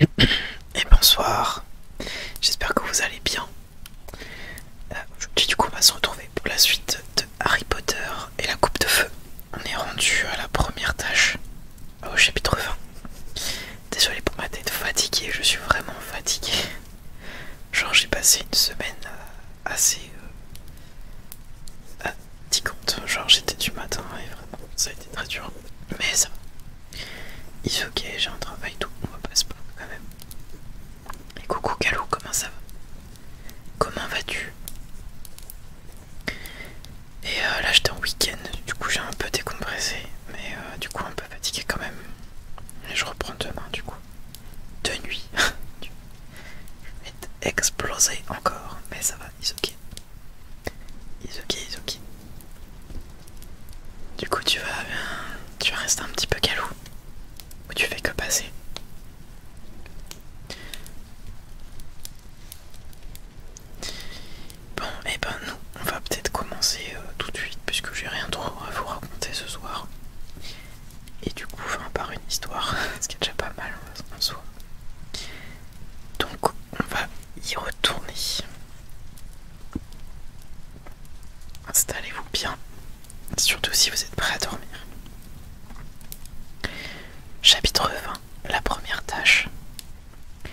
Et bonsoir, j'espère que vous allez bien. Euh, aujourd'hui du coup on va se retrouver pour la suite de Harry Potter et la coupe de feu. On est rendu à la première tâche au chapitre 20. Désolé pour ma tête fatiguée, je suis vraiment fatiguée. Genre j'ai passé une semaine euh, assez fatigante. Euh, Genre j'étais du matin et vraiment ça a été très dur. Mais ça va. est ok, j'ai un travail tout, on va pas quand même. Et coucou Calou, comment ça va Comment vas-tu et euh, là j'étais en week-end, du coup j'ai un peu décompressé, mais euh, du coup un peu fatigué quand même. Et je reprends demain du coup. De nuit. je vais être explosé encore, mais ça va, it's ok. It's ok, ok. Du coup tu vas, euh, tu restes rester un petit peu galou, Ou tu fais que passer. Bon, et eh ben nous, on va peut-être commencer euh, tout de suite, puisque j'ai rien trop à vous raconter ce soir. Et du coup, par une histoire, ce qui est déjà pas mal en soi. Donc, on va y retourner. Installez-vous bien, surtout si vous êtes prêts à dormir. Chapitre 20 la première tâche. Il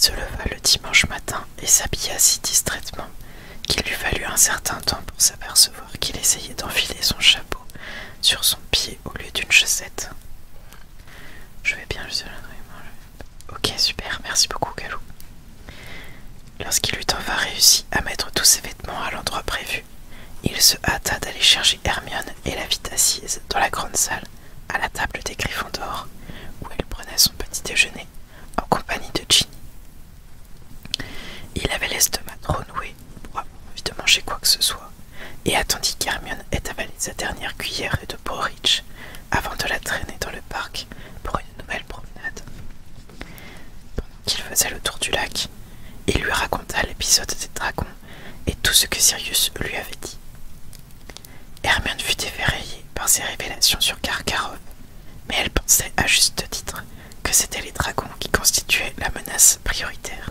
se leva le dimanche matin et s'habilla si distraitement qu'il lui fallut un certain temps pour s'apercevoir qu'il essayait d'enfiler son chapeau sur son pied au lieu d'une chaussette. Je vais bien, je Ok, super, merci beaucoup, Galou. Lorsqu'il eut enfin réussi à mettre tous ses vêtements à l'endroit prévu, il se hâta d'aller chercher Hermione et la vit assise dans la grande salle à la table des griffons d'or où elle prenait son petit déjeuner en compagnie de Ginny. Il avait l'estomac trop noué pour avoir envie de manger quoi que ce soit et attendit qu'Hermione ait avalé sa dernière cuillère de porridge avant de la traîner dans le parc pour une nouvelle promenade. Pendant qu'il faisait le tour du lac, il lui raconta l'épisode des dragons et tout ce que Sirius lui avait dit. Hermione fut effrayée par ses révélations sur Karkarov, mais elle pensait à juste titre que c'étaient les dragons qui constituaient la menace prioritaire.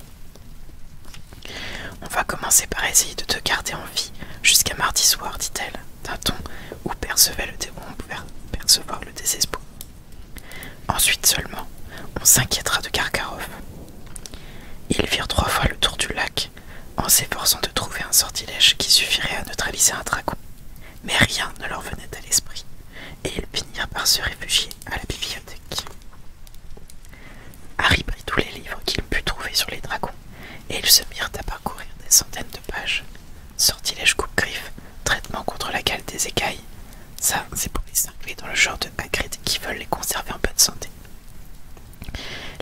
On va commencer par essayer de te garder en vie jusqu'à mardi soir, dit-elle, d'un ton où percevait le on pouvait percevoir le désespoir. Ensuite seulement, on s'inquiétera de Karkarov. Ils firent trois fois le tour du lac en s'efforçant de trouver un sortilège qui suffirait à neutraliser un dragon, mais rien ne leur venait à l'esprit, et ils finirent par se réfugier à la bibliothèque. Harry prit tous les livres qu'il put trouver sur les dragons, et ils se mirent à parcourir des centaines de pages. Sortilège coupe griffes traitement contre la gale des écailles, ça, c'est pour les cinglés dans le genre de Hagrid qui veulent les conserver en bonne santé.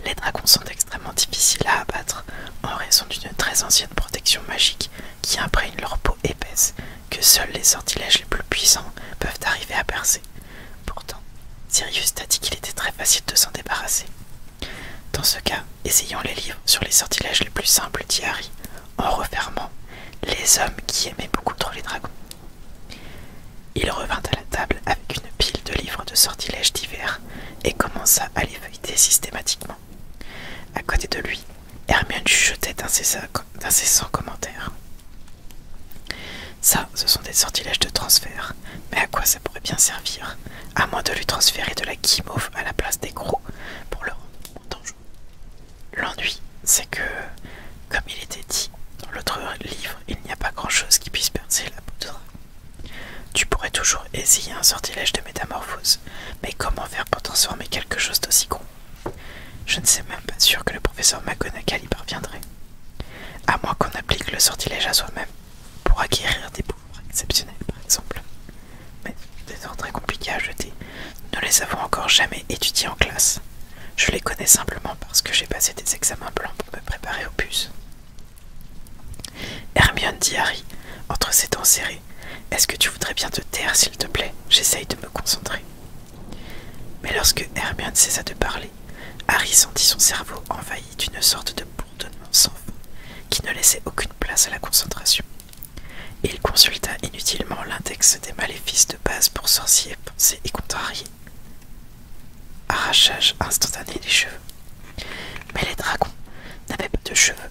Les dragons sont extrêmement difficiles à abattre en raison d'une très ancienne protection magique qui imprègne leur peau épaisse que seuls les sortilèges les plus puissants peuvent arriver à percer. Pourtant, Sirius t'a dit qu'il était très facile de s'en débarrasser. Dans ce cas, essayons les livres sur les sortilèges les plus simples, dit en refermant Les hommes qui aimaient beaucoup trop les dragons. Il revint à la table avec une pile de livres de sortilèges divers et commença à les feuilleter systématiquement. À côté de lui, Hermione chuchotait d'incessants commentaires. Ça, ce sont des sortilèges de transfert, mais à quoi ça pourrait bien servir À moins de lui transférer de la guimauve à la place des gros pour le rendre dangereux. L'ennui, c'est que comme il était dit dans l'autre livre, il n'y a pas grand-chose qui puisse percer la poudre. Tu pourrais toujours essayer un sortilège de métamorphose, mais comment faire pour transformer quelque chose d'aussi con Je ne suis même pas sûr que le professeur McGonagall y parviendrait. À moins qu'on applique le sortilège à soi-même, pour acquérir des pouvoirs exceptionnels par exemple. Mais des ordres très compliqués à jeter, nous les avons encore jamais étudiés en classe. Je les connais simplement parce que j'ai passé des examens blancs pour me préparer au bus. Hermione dit Harry, entre ses dents serrées, Est-ce que tu voudrais bien te taire, s'il te plaît J'essaye de me concentrer. Mais lorsque Hermione cessa de parler, Harry sentit son cerveau envahi d'une sorte de bourdonnement sans fond qui ne laissait aucune place à la concentration. Il consulta inutilement l'index des maléfices de base pour sorciers, pensés et contrariés, Arrachage instantané des cheveux. Mais les dragons n'avaient pas de cheveux.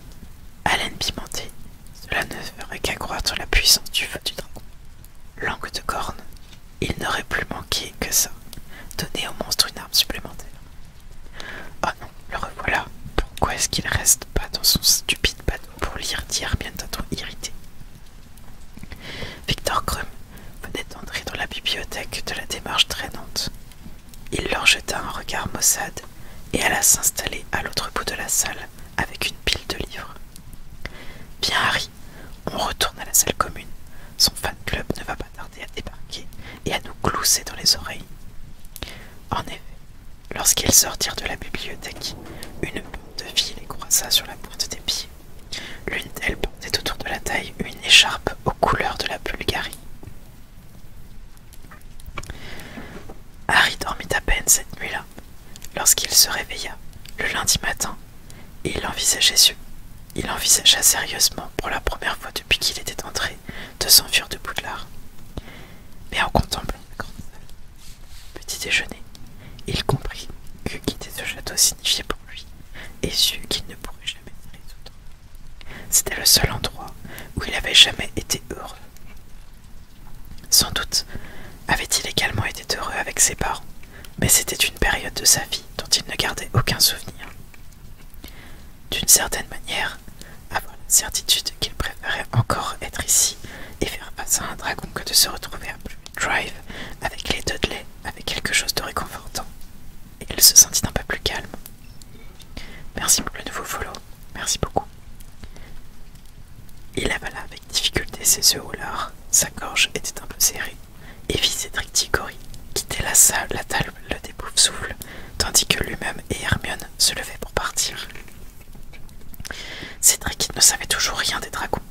Haleine pimentée, cela ne ferait qu'accroître la puissance du feu du dragon. Langue de corne, il n'aurait plus manqué que ça. Donner au monstre une arme supplémentaire. Oh non, le revoilà. Pourquoi est-ce qu'il reste pas dans son stupide panneau pour lire D'hier bientôt irrité Victor Crum venait d'entrer dans la bibliothèque de la démarche traînante. Il leur jeta un regard maussade et alla s'installer à l'autre bout de la salle avec une pile de livres. Bien, Harry, on retourne à la salle commune. Son fan club ne va pas tarder à débarquer et à nous glousser dans les oreilles. En effet, lorsqu'ils sortirent de la bibliothèque, une bande de vie les croisa sur la porte des pieds. L'une d'elles portait autour de la taille une écharpe aux couleurs de la Bulgarie. Harry dormit à peine cette nuit-là. Lorsqu'il se réveilla, le lundi matin, et il envisageait, il envisagea sérieusement, pour la première fois depuis qu'il était entré, de s'enfuir de l'art. Mais en contemplant le petit déjeuner, il comprit que quitter ce château pour lui et sut qu'il ne pourrait jamais C'était le seul endroit où il avait jamais été heureux. Sans doute avait-il également été heureux avec ses parents, mais c'était une période de sa vie dont il ne gardait aucun souvenir. D'une certaine manière, avoir la certitude qu'il préférait encore être ici et faire face à un dragon que de se retrouver à Blue Drive avec les Dudley avec quelque chose de réconfortant, et il se sentit un peu plus calme. Merci pour le nouveau follow, merci beaucoup. Il avala avec difficulté ses œufs au lard, sa gorge était un peu serrée, et vit Cédric Diggory quitter la salle, la table le souffle, tandis que lui-même et Hermione se levaient pour partir. Cédric ne savait toujours rien des dragons,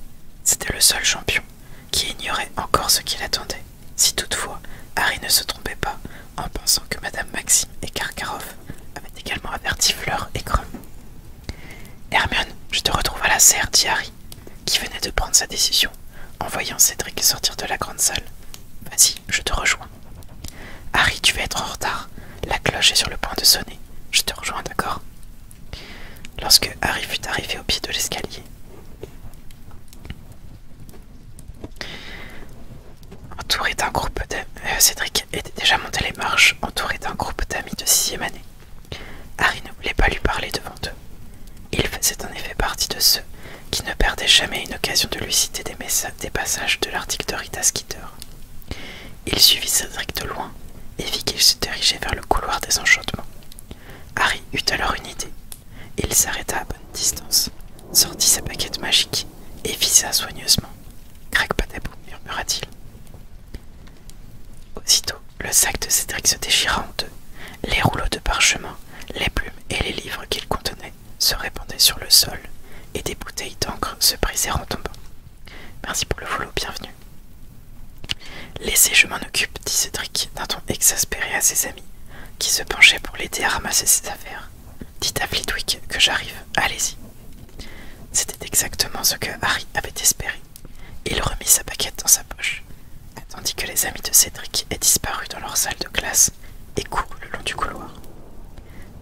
c'était le seul champion qui ignorait encore ce qu'il attendait. si toutefois Harry ne se trompait pas en pensant que Madame Maxime et Karkaroff avaient également averti Fleur et Crum. Hermione, je te retrouve à la serre, dit Harry, qui venait de prendre sa décision en voyant Cédric sortir de la grande salle. Vas-y, je te rejoins. Harry, tu vas être en retard. La cloche est sur le point de sonner. Je te rejoins, d'accord Lorsque Harry fut arrivé au pied de l'escalier, entouré d'un groupe d'amis, euh, Cédric était déjà monté les marches, entouré d'un groupe d'amis de sixième année. Harry ne voulait pas lui parler devant eux. Il faisait en effet partie de ceux qui ne perdaient jamais une occasion de lui citer des, des passages de l'article de Rita Skeeter. Il suivit Cédric de loin et vit qu'il se dirigeait vers le couloir des enchantements. Harry eut alors une idée. Il s'arrêta à bonne distance, sortit sa paquette magique et visa soigneusement. Crac patabou, murmura-t-il. Aussitôt, le sac de Cédric se déchira en deux. Les rouleaux de parchemin, les plumes et les livres qu'il contenait se répandaient sur le sol et des bouteilles d'encre se brisèrent en tombant. Merci pour le volot, bienvenue. Laissez, je m'en occupe, dit Cédric d'un ton exaspéré à ses amis, qui se penchaient pour l'aider à ramasser ses affaires. Dites à Flitwick que j'arrive, allez-y. C'était exactement ce que Harry avait espéré. Il remit sa paquette dans sa poche, tandis que les amis de Cédric aient disparu dans leur salle de classe et courent le long du couloir.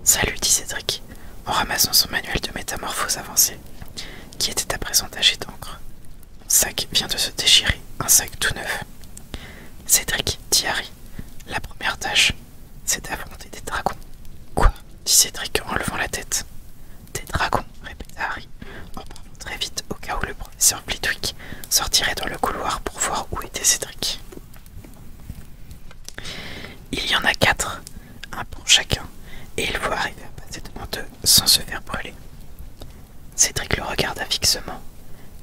Salut, dit Cédric, en ramassant son manuel de métamorphose avancée, qui était à présent taché d'encre sac vient de se déchirer, un sac tout neuf. Cédric, dit Harry, la première tâche, c'est d'affronter des dragons. Quoi dit Cédric en levant la tête. Des dragons, répéta Harry, en parlant très vite au cas où le professeur Blitwick sortirait dans le couloir pour voir où était Cédric. Il y en a quatre, un pour chacun, et il faut arriver à passer devant deux sans se faire brûler. Cédric le regarda fixement,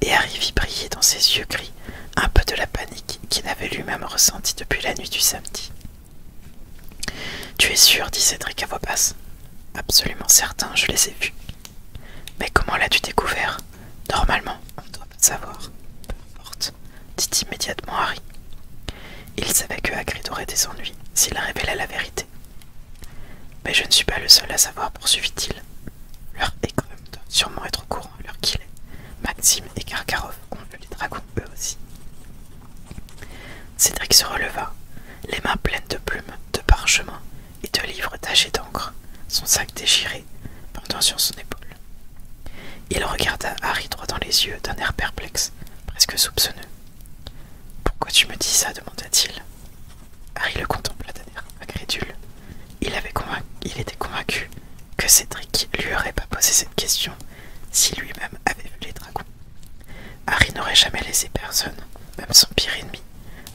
et Harry vit briller dans ses yeux gris un peu de la panique qu'il avait lui-même ressentie depuis la nuit du samedi. Tu es sûr dit Cédric à voix basse. Absolument certain, je les ai vus. Mais comment l'as-tu découvert Normalement, on doit pas savoir. Peu importe, dit immédiatement Harry. Il savait que Hagrid aurait des ennuis s'il révélait la vérité. Mais je ne suis pas le seul à savoir, poursuivit-il. Leur école doit sûrement être au courant qu'il est. Maxime et Karkarov ont vu les dragons eux aussi. Cédric se releva, les mains pleines de plumes, de parchemins et de livres tachés d'encre, son sac déchiré, pendant sur son épaule. Il regarda Harry droit dans les yeux d'un air perplexe, presque soupçonneux. Pourquoi tu me dis ça demanda-t-il. Harry le contempla d'un air incrédule. Il, avait convaincu, il était convaincu que Cédric lui aurait pas posé cette question si lui-même avait vu les dragons. Harry n'aurait jamais laissé personne, même son pire ennemi,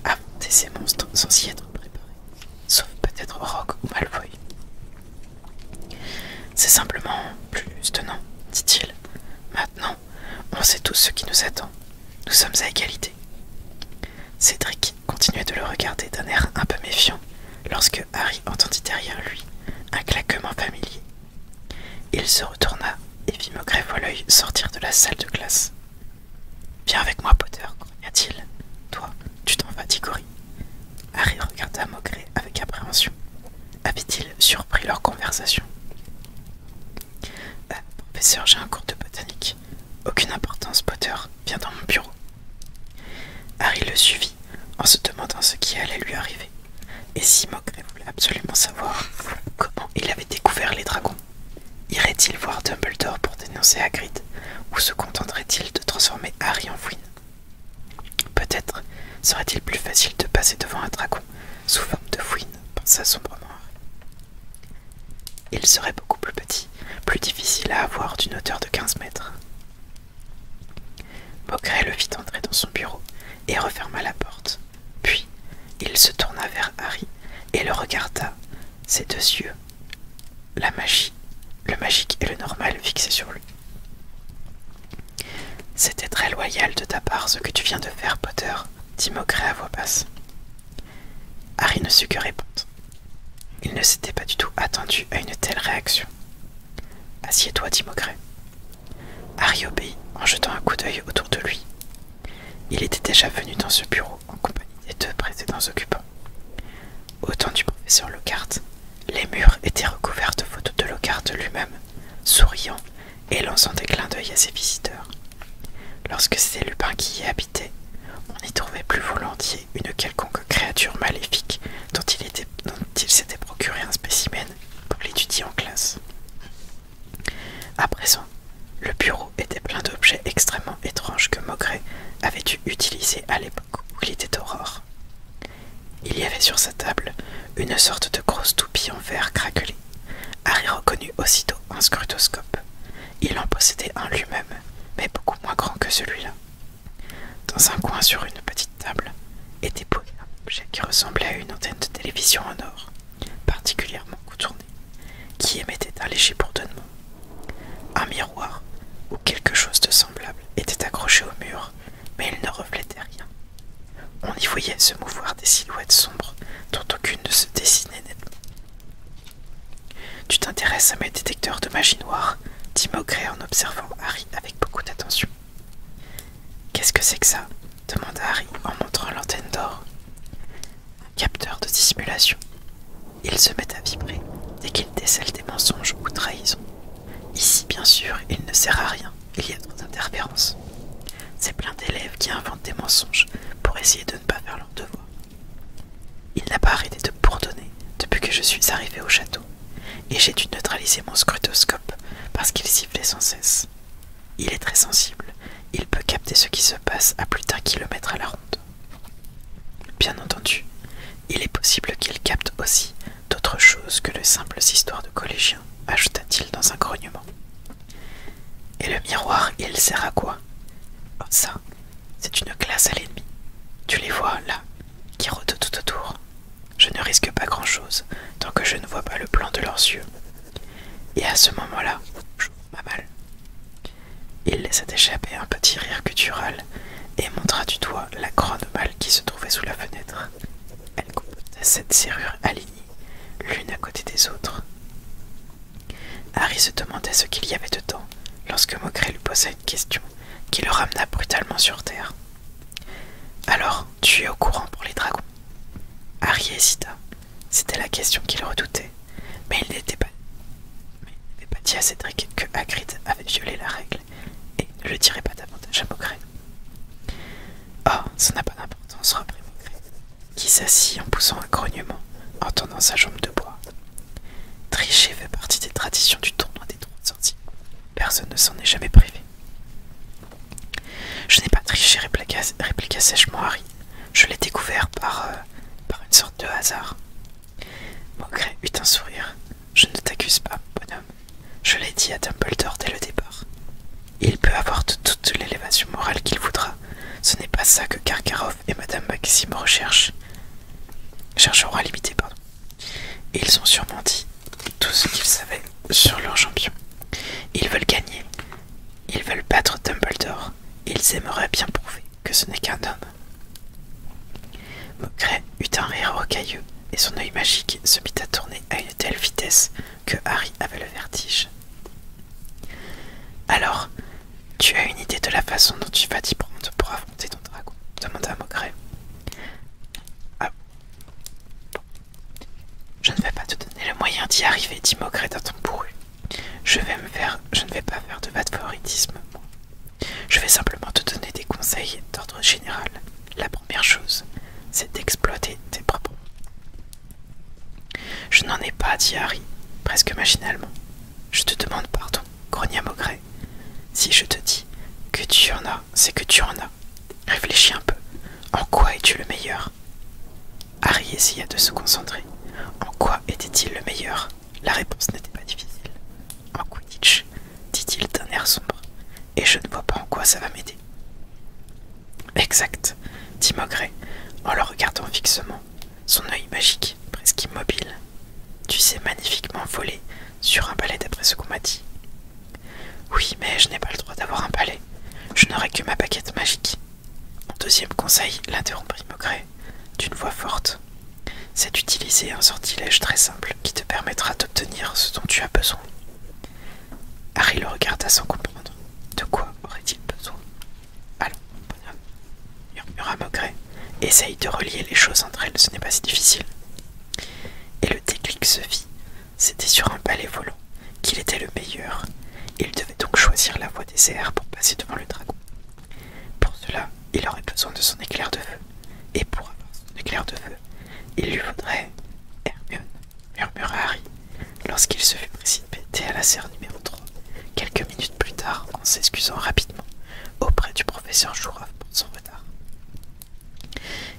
affronter ces monstres sans s'y être préparé, sauf peut-être Rogue ou Malfoy. C'est simplement plus juste, non dit-il. Maintenant, on sait tous ce qui nous attend. Nous sommes à égalité. Cédric continuait de le regarder d'un air un peu méfiant lorsque Harry entendit derrière lui un claquement familier. Il se retourna et vit maugrey yeux sortir de la salle de classe. Viens avec moi, Potter, cria t il Toi, tu t'en vas, Tigori. Harry regarda Maugrey avec appréhension. Avait-il surpris leur conversation ah, professeur, j'ai un cours de botanique. Aucune importance, Potter. Viens dans mon bureau. Harry le suivit en se demandant ce qui allait lui arriver. Et si Maugrey voulait absolument savoir comment il avait découvert les dragons, irait-il voir Dumbledore pour dénoncer Hagrid ou se contenterait-il de transformer Harry en fouine Peut-être serait-il plus facile de passer devant un dragon sous forme de fouine, pensa sombrement Harry. Il serait beaucoup plus petit, plus difficile à avoir d'une hauteur de 15 mètres. Beaugré le fit entrer dans son bureau et referma la porte. Puis, il se tourna vers Harry et le regarda, ses deux yeux, la magie, le magique et le normal fixés sur lui. C'était très loyal de ta part ce que tu viens de faire, Potter, dit à voix basse. Harry ne sut que répondre. Il ne s'était pas du tout attendu à une telle réaction. Assieds-toi, dit Harry obéit en jetant un coup d'œil autour de lui. Il était déjà venu dans ce bureau en compagnie des deux précédents occupants. Au temps du professeur Lockhart, les murs étaient recouverts de photos de Lockhart lui-même, souriant et lançant des clins d'œil à ses visiteurs. Lorsque c'était Lupin qui y habitait, on y trouvait plus volontiers une quelconque créature maléfique dont il, s'était procuré un spécimen pour l'étudier en classe. À présent, le bureau était plein d'objets extrêmement étranges que Mogret avait dû utiliser à l'époque où il était aurore. Il y avait sur sa table une sorte de grosse toupie en verre craquelée Harry reconnut aussitôt un scrutoscope. Il en possédait un lui-même, mais beaucoup moins grand que celui-là. Dans un coin sur une petite table était posé un objet qui ressemblait à une antenne de télévision en or, particulièrement coutournée, qui émettait un léger bourdonnement. Un miroir ou quelque chose de semblable était accroché au mur, mais il ne reflétait rien, on y voyait se mouvoir des silhouettes sombres dont aucune ne se dessinait nettement. Tu t'intéresses à mes détecteurs de magie noire dit Maugré en observant Harry avec beaucoup d'attention. Qu'est-ce que c'est que ça demanda Harry en montrant l'antenne d'or. Un capteur de dissimulation. Il se met à vibrer dès qu'il décèle des mensonges ou trahisons. Ici, bien sûr, il ne sert à rien, il y a trop d'interférences. C'est plein d'élèves qui inventent des mensonges pour essayer de ne pas faire leur devoir. Il n'a pas arrêté de bourdonner depuis que je suis arrivé au château, et j'ai dû neutraliser mon scrutoscope parce qu'il sifflait sans cesse. Il est très sensible, il peut capter ce qui se passe à plus d'un kilomètre à la ronde. Bien entendu, il est possible qu'il capte aussi d'autres choses que de simples histoires de collégiens, ajouta-t-il dans un grognement. Et le miroir, il sert à quoi oh, Ça, c'est une classe à l'ennemi. Tu les vois, là, qui rôdent tout autour. Je ne risque pas grand-chose tant que je ne vois pas le plan de leurs yeux. Et à ce moment-là, ma mal. Il laissa échapper un petit rire guttural et montra du doigt la grande malle qui se trouvait sous la fenêtre. Elle comptait cette serrure alignée l'une à côté des autres. Harry se demandait ce qu'il y avait de dedans lorsque Mokré lui posa une question qui le ramena brutalement sur terre. Alors, tu es au courant pour les dragons Harry hésita. C'était la question qu'il redoutait, mais il n'était pas. Mais n'avait pas dit à Cédric que Hagrid avait violé la règle et ne le dirait pas davantage à Mokré. Oh, ça n'a pas d'importance, reprit Maugré qui s'assit en poussant un grognement en tendant sa jambe de bois. Tricher fait partie des traditions du tournoi des trois sorties. Personne ne s'en est jamais privé. Je n'ai pas triché, répliqua, sèchement Harry. Je l'ai découvert par, euh, par une sorte de hasard. Maugré eut un sourire. Je ne t'accuse pas, bonhomme. Je l'ai dit à Dumbledore dès le départ. Il peut avoir toute l'élévation morale qu'il voudra. Ce n'est pas ça que Karkarov et Madame Maxime recherchent. Chercheront à limiter, pardon. ils ont sûrement dit tout ce qu'ils savaient sur leur champion. Ils veulent gagner. Ils veulent battre Dumbledore. Ils aimeraient bien prouver que ce n'est qu'un homme. Mokray eut un rire rocailleux et son œil magique se mit à tourner à une telle vitesse que Harry avait le vertige. Alors, tu as une idée de la façon dont tu vas t'y prendre pour affronter ton dragon demanda Maugrey. Ah. Je ne vais pas te donner le moyen d'y arriver, dit Mogret d'un ton bourru. Je vais me faire. Je ne vais pas faire de favoritisme, Je vais simplement te donner des conseils d'ordre général. La première chose, c'est d'exploiter tes propres je n'en ai pas, dit Harry, presque machinalement. Je te demande pardon, grogna Maugret. Si je te dis que tu en as, c'est que tu en as. Réfléchis un peu. En quoi es-tu le meilleur Harry essaya de se concentrer. En quoi était-il le meilleur La réponse n'était pas difficile. En quoi dit-il d'un air sombre, et je ne vois pas en quoi ça va m'aider. Exact, dit Maugret en le regardant fixement, son œil magique, presque immobile. Tu sais magnifiquement voler sur un palais d'après ce qu'on m'a dit. Oui, mais je n'ai pas le droit d'avoir un palais. Je n'aurai que ma baguette magique. Mon deuxième conseil, l'interrompit Maugret, d'une voix forte. C'est d'utiliser un sortilège très simple qui te permettra d'obtenir ce dont tu as besoin. Harry le regarda sans comprendre. De quoi aurait-il besoin Allons, bonhomme, murmura Maugret. Essaye de relier les choses entre elles, ce n'est pas si difficile. Et le déclic se fit. C'était sur un palais volant qu'il était le meilleur. Il devait donc choisir la voie des airs pour passer devant le dragon. Pour cela, il aurait besoin de son éclair de feu. Et pour avoir son éclair de feu, il lui faudrait Hermione murmura Harry, lorsqu'il se fut précipité à la serre numéro 3, quelques minutes plus tard en s'excusant rapidement auprès du professeur Jouroff pour son retard.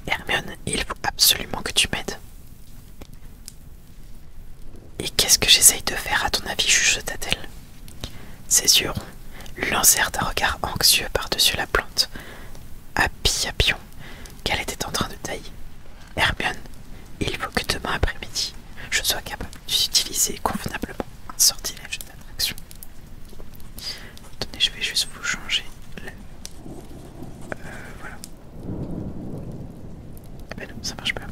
Hermione, il faut absolument que tu m'aides. Et qu'est-ce que j'essaye de faire à ton avis chuchota-t-elle Ses yeux ronds lancèrent un regard anxieux par-dessus la plante à piapion qu'elle était en train de tailler. Hermione, il faut que demain après-midi, je sois capable d'utiliser convenablement un sortilège d'attraction. Attendez, je vais juste vous changer le... Euh, voilà. Eh ben non, ça marche pas.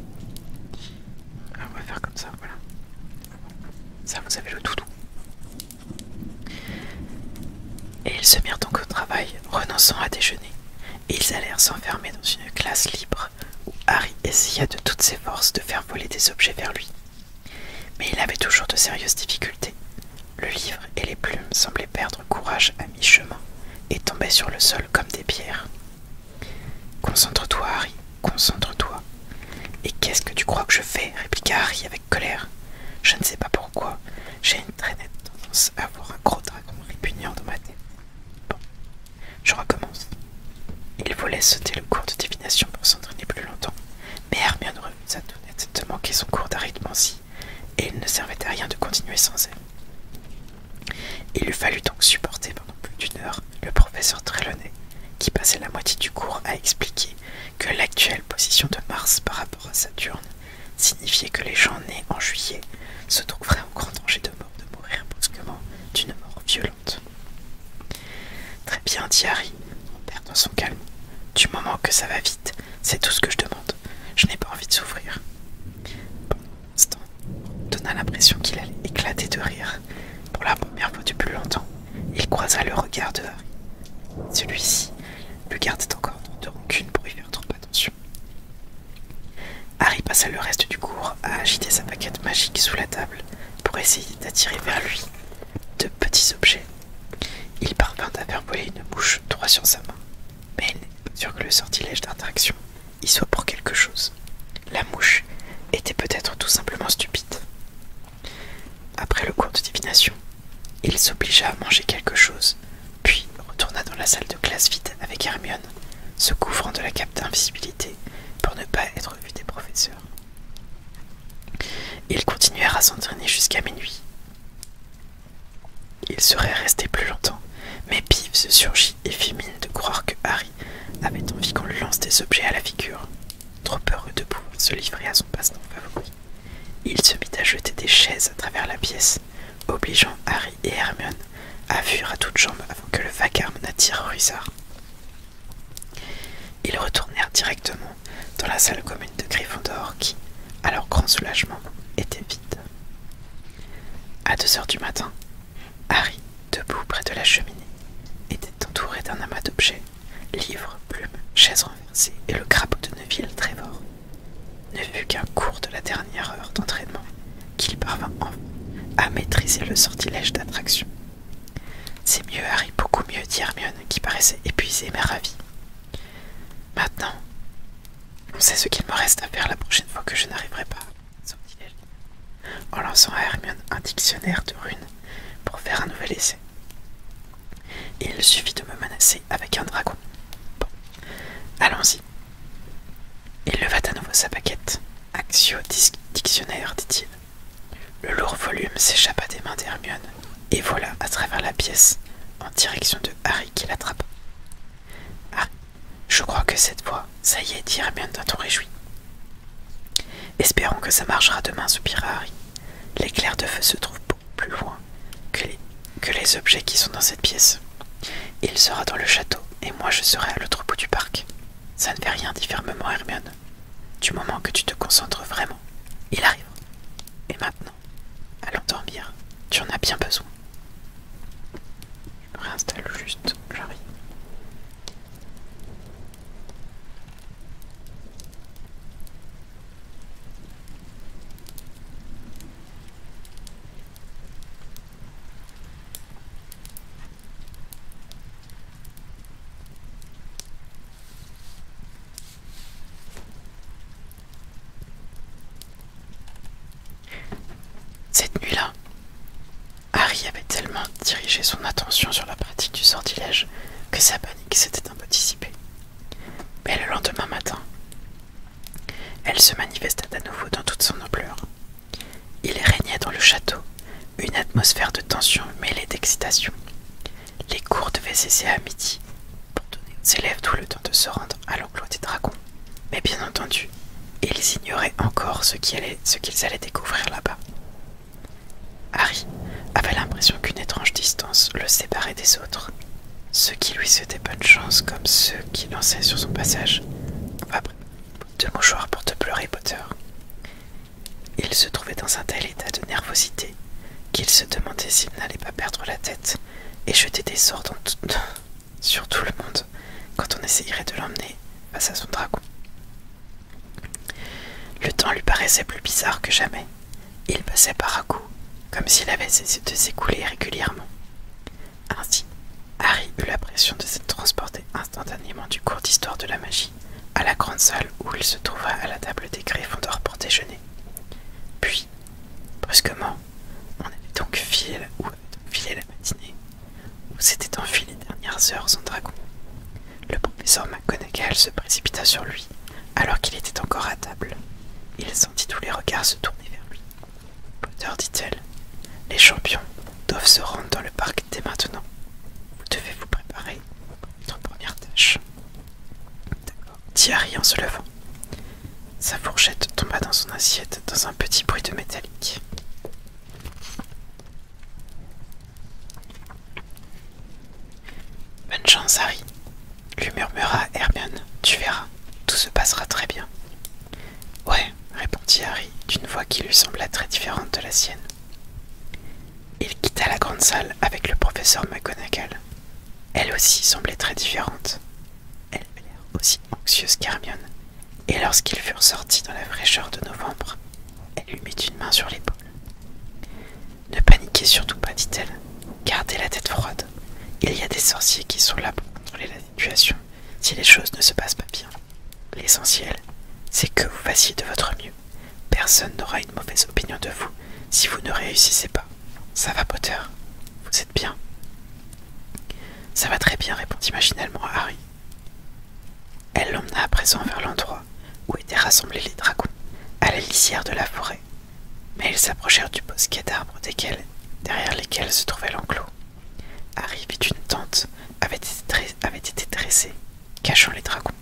Ah, on va faire comme ça, voilà. Ça, vous avez le doudou. Et ils se mirent donc au travail, renonçant à déjeuner et ils allèrent s'enfermer dans une classe libre où Harry essaya de toutes ses forces de faire voler des objets vers lui. Mais il avait toujours de sérieuses difficultés. Le livre et les plumes semblaient perdre courage à mi-chemin et tombaient sur le sol comme des pierres. Concentre-toi, Harry, concentre-toi. Et qu'est-ce que tu crois que je fais répliqua Harry avec colère. Je ne sais pas pourquoi, j'ai une très nette tendance à avoir un gros dragon répugnant dans ma tête. Je recommence. Il voulait sauter le cours de divination pour s'entraîner plus longtemps, mais Hermione refusa tout net de manquer son cours d'arithmancie, et il ne servait à rien de continuer sans elle. Il lui fallut donc supporter pendant plus d'une heure le professeur Trelawney, qui passait la moitié du cours à expliquer que l'actuelle position de Mars par rapport à Saturne signifiait que les gens nés en juillet se trouveraient en grand danger de de mourir brusquement d'une mort violente. Très bien, dit Harry, en perdant son calme. Du moment que ça va vite, c'est tout ce que je demande. Je n'ai pas envie de souffrir. Pendant un instant, on donna l'impression qu'il allait éclater de rire. Pour la première fois depuis longtemps, il croisa le regard de Harry. Celui-ci le gardait encore de rancune pour attention. Harry passa le reste du cours à agiter sa paquette magique sous la table pour essayer d'attirer vers lui de petits objets. Il parvint à faire voler une mouche droit sur sa main, mais il n'est pas sûr que le sortilège d'interaction y soit pour quelque chose. La mouche était peut-être tout simplement stupide. Après le cours de divination, il s'obligea à manger quelque chose, puis retourna dans la salle de classe vide avec Hermione se couvrant de la cape d'invisibilité pour ne pas être vu des professeurs. Ils continuèrent à s'entraîner jusqu'à minuit. Ils seraient restés plus longtemps, mais Pive se surgit et de croire que Harry avait envie qu'on lui lance des objets à la figure, trop heureux de pouvoir se livrer à son passe-temps favori. Il se mit à jeter des chaises à travers la pièce, obligeant Harry et Hermione à fuir à toutes jambes avant que le vacarme n'attire Ruizard. Ils retournèrent directement dans la salle commune de Gryffondor qui, à leur grand soulagement, était vide. À deux heures du matin, Harry, debout près de la cheminée, était entouré d'un amas d'objets, livres, plumes, chaises renversées et le crapaud de Neville Trévor, ne fut qu'un cours de la dernière heure d'entraînement qu'il parvint à maîtriser le sortilège d'attraction. C'est mieux, Harry, beaucoup mieux, dit Hermione, qui paraissait épuisée mais ravie. Maintenant, on sait ce qu'il me reste à faire la prochaine fois que je n'arriverai pas, en lançant à Hermione un dictionnaire de runes pour faire un nouvel essai. Il suffit de me menacer avec un dragon. Bon, allons-y. Il leva à nouveau sa paquette. Axio dictionnaire, dit-il. Le lourd volume s'échappa des mains d'Hermione et voilà, à travers la pièce en direction de Harry qui l'attrapa. Ah, je crois que cette fois, ça y est, dit Hermione d'un ton réjoui. Espérons que ça marchera demain, soupira Harry. L'éclair de feu se trouve beaucoup plus loin que les objets qui sont dans cette pièce. Il sera dans le château et moi je serai à l'autre bout du parc. Ça ne fait rien, dit fermement Hermione. Du moment que tu te concentres vraiment, il arrive. Et maintenant, allons dormir. Tu en as bien besoin. Je me réinstalle juste, j'arrive. Cette nuit-là, Harry avait tellement dirigé son attention sur la pratique du sortilège que sa panique s'était un peu dissipée. Mais le lendemain matin, elle se manifesta à nouveau dans toute son ampleur, il régnait dans le château une atmosphère de tension mêlée d'excitation. Les cours devaient cesser à midi pour donner aux élèves tout le temps de se rendre à l'enclos des dragons. Mais bien entendu, ils ignoraient encore ce qu'ils allaient, allaient découvrir là-bas. Harry avait l'impression qu'une étrange distance le séparait des autres. ce qui lui souhaitaient bonne chance, comme ceux qui lançaient sur son passage, de mouchoirs pour te pleurer, Potter. Il se trouvait dans un tel état de nervosité qu'il se demandait s'il n'allait pas perdre la tête et jeter des sorts sur tout le monde quand on essayerait de l'emmener face à son dragon. Le temps lui paraissait plus bizarre que jamais. Il passait par à coup, comme s'il avait cessé de s'écouler régulièrement. Ainsi, Harry eut l'impression de s'être transporté instantanément du cours d'histoire de la magie à la grande salle où il se trouva à la table des Gryffondors pour déjeuner. Puis, brusquement, on avait donc filé la, matinée, où s'étaient enfuies les dernières heures sans dragon. Le professeur McGonagall se précipita sur lui alors qu'il était encore à table. Il sentit tous les regards se tourner vers lui. Potter, dit-elle, les champions doivent se rendre dans le parc dès maintenant. Vous devez vous préparer pour votre première tâche. D'accord, dit Harry en se levant. Sa fourchette tomba dans son assiette dans un petit bruit de métallique. Bonne chance, Harry, lui murmura Hermione. Tu verras, tout se passera très bien. Ouais, répondit Harry d'une voix qui lui sembla très différente de la sienne. Il quitta la grande salle avec le professeur McGonagall. Elle aussi semblait très différente. Elle avait l'air aussi anxieuse qu'Hermione, et lorsqu'ils furent sortis dans la fraîcheur de novembre, elle lui mit une main sur l'épaule. Ne paniquez surtout pas, dit-elle. Gardez la tête froide. Il y a des sorciers qui sont là pour contrôler la si les choses ne se passent pas bien. L'essentiel, c'est que vous fassiez de votre mieux. Personne n'aura une mauvaise opinion de vous si vous ne réussissez pas. Ça va, Potter Vous êtes bien Ça va très bien, répondit machinalement Harry. Elle l'emmena à présent vers l'endroit où étaient rassemblés les dragons, à la lisière de la forêt. Mais ils s'approchèrent du bosquet d'arbres derrière lesquels se trouvait l'enclos. Harry vit une tente avait été dressée, cachant les dragons.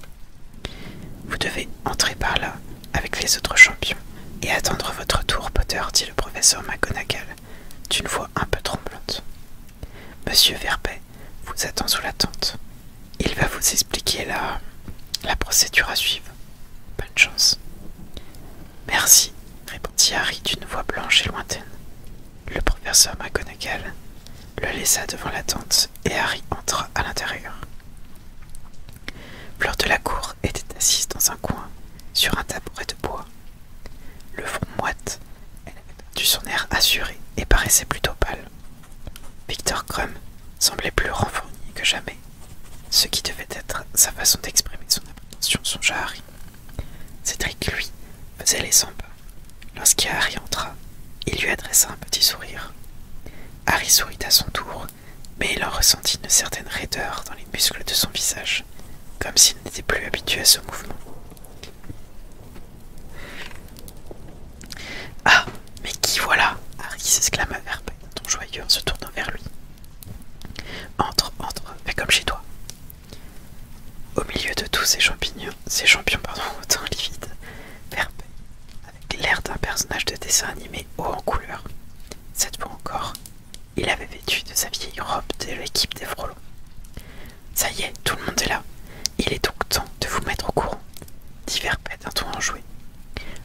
Vous devez entrer par là avec les autres champions et attendre votre tour, Potter, dit le professeur McGonagall d'une voix un peu tremblante. Monsieur Verbet vous attend sous la tente. Il va vous expliquer la, la procédure à suivre. Bonne chance. Merci, répondit Harry d'une voix blanche et lointaine. Le professeur McGonagall le laissa devant la tente et Harry entra à l'intérieur. Fleur de la cour était assise dans un coin, sur un tabouret de bois. Le front moite, elle avait son air assuré et paraissait plutôt pâle. Victor Crumb semblait plus renfourni que jamais, ce qui devait être sa façon d'exprimer son appréhension songea Harry. Cédric, lui, faisait les cent pas. Lorsque Harry entra, il lui adressa un petit sourire. Harry sourit à son tour, mais il en ressentit une certaine raideur dans les muscles de son visage, comme s'il n'était plus habitué à ce mouvement. Ah, mais qui voilà Harry s'exclama vers ton joyeux en se tournant vers lui. Entre, entre, fais comme chez toi. Au milieu de tous ces champignons, ces champions pardon, au teint livide, avec l'air d'un personnage de dessin animé haut en couleur. Cette fois encore, il avait vêtu de sa vieille robe de l'équipe des frelons. Ça y est, tout le monde est là. Il est donc temps de vous mettre au courant, dit Verpé d'un ton enjoué.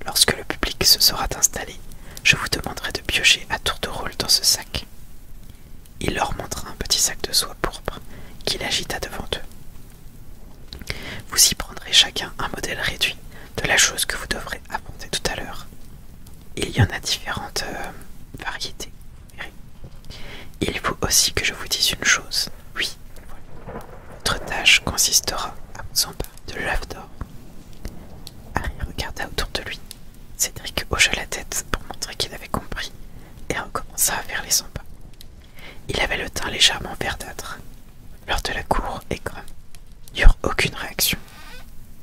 Lorsque le public se sera installé, je vous demanderai de piocher à tour de rôle dans ce sac. Il leur montra un petit sac de soie pourpre qu'il agita devant eux. Vous y prendrez chacun un modèle réduit de la chose que vous devrez apporter tout à l'heure. Il y en a différentes euh, variétés. Il faut aussi que je vous dise une chose. Oui, votre tâche consistera à vous emparer de l'œuf d'or. Harry regarda autour de lui. Cédric hocha la tête pour montrer qu'il avait compris et commença à faire les sympas. pas. Il avait le teint légèrement verdâtre. Lors de la cour et n'y n'eurent aucune réaction.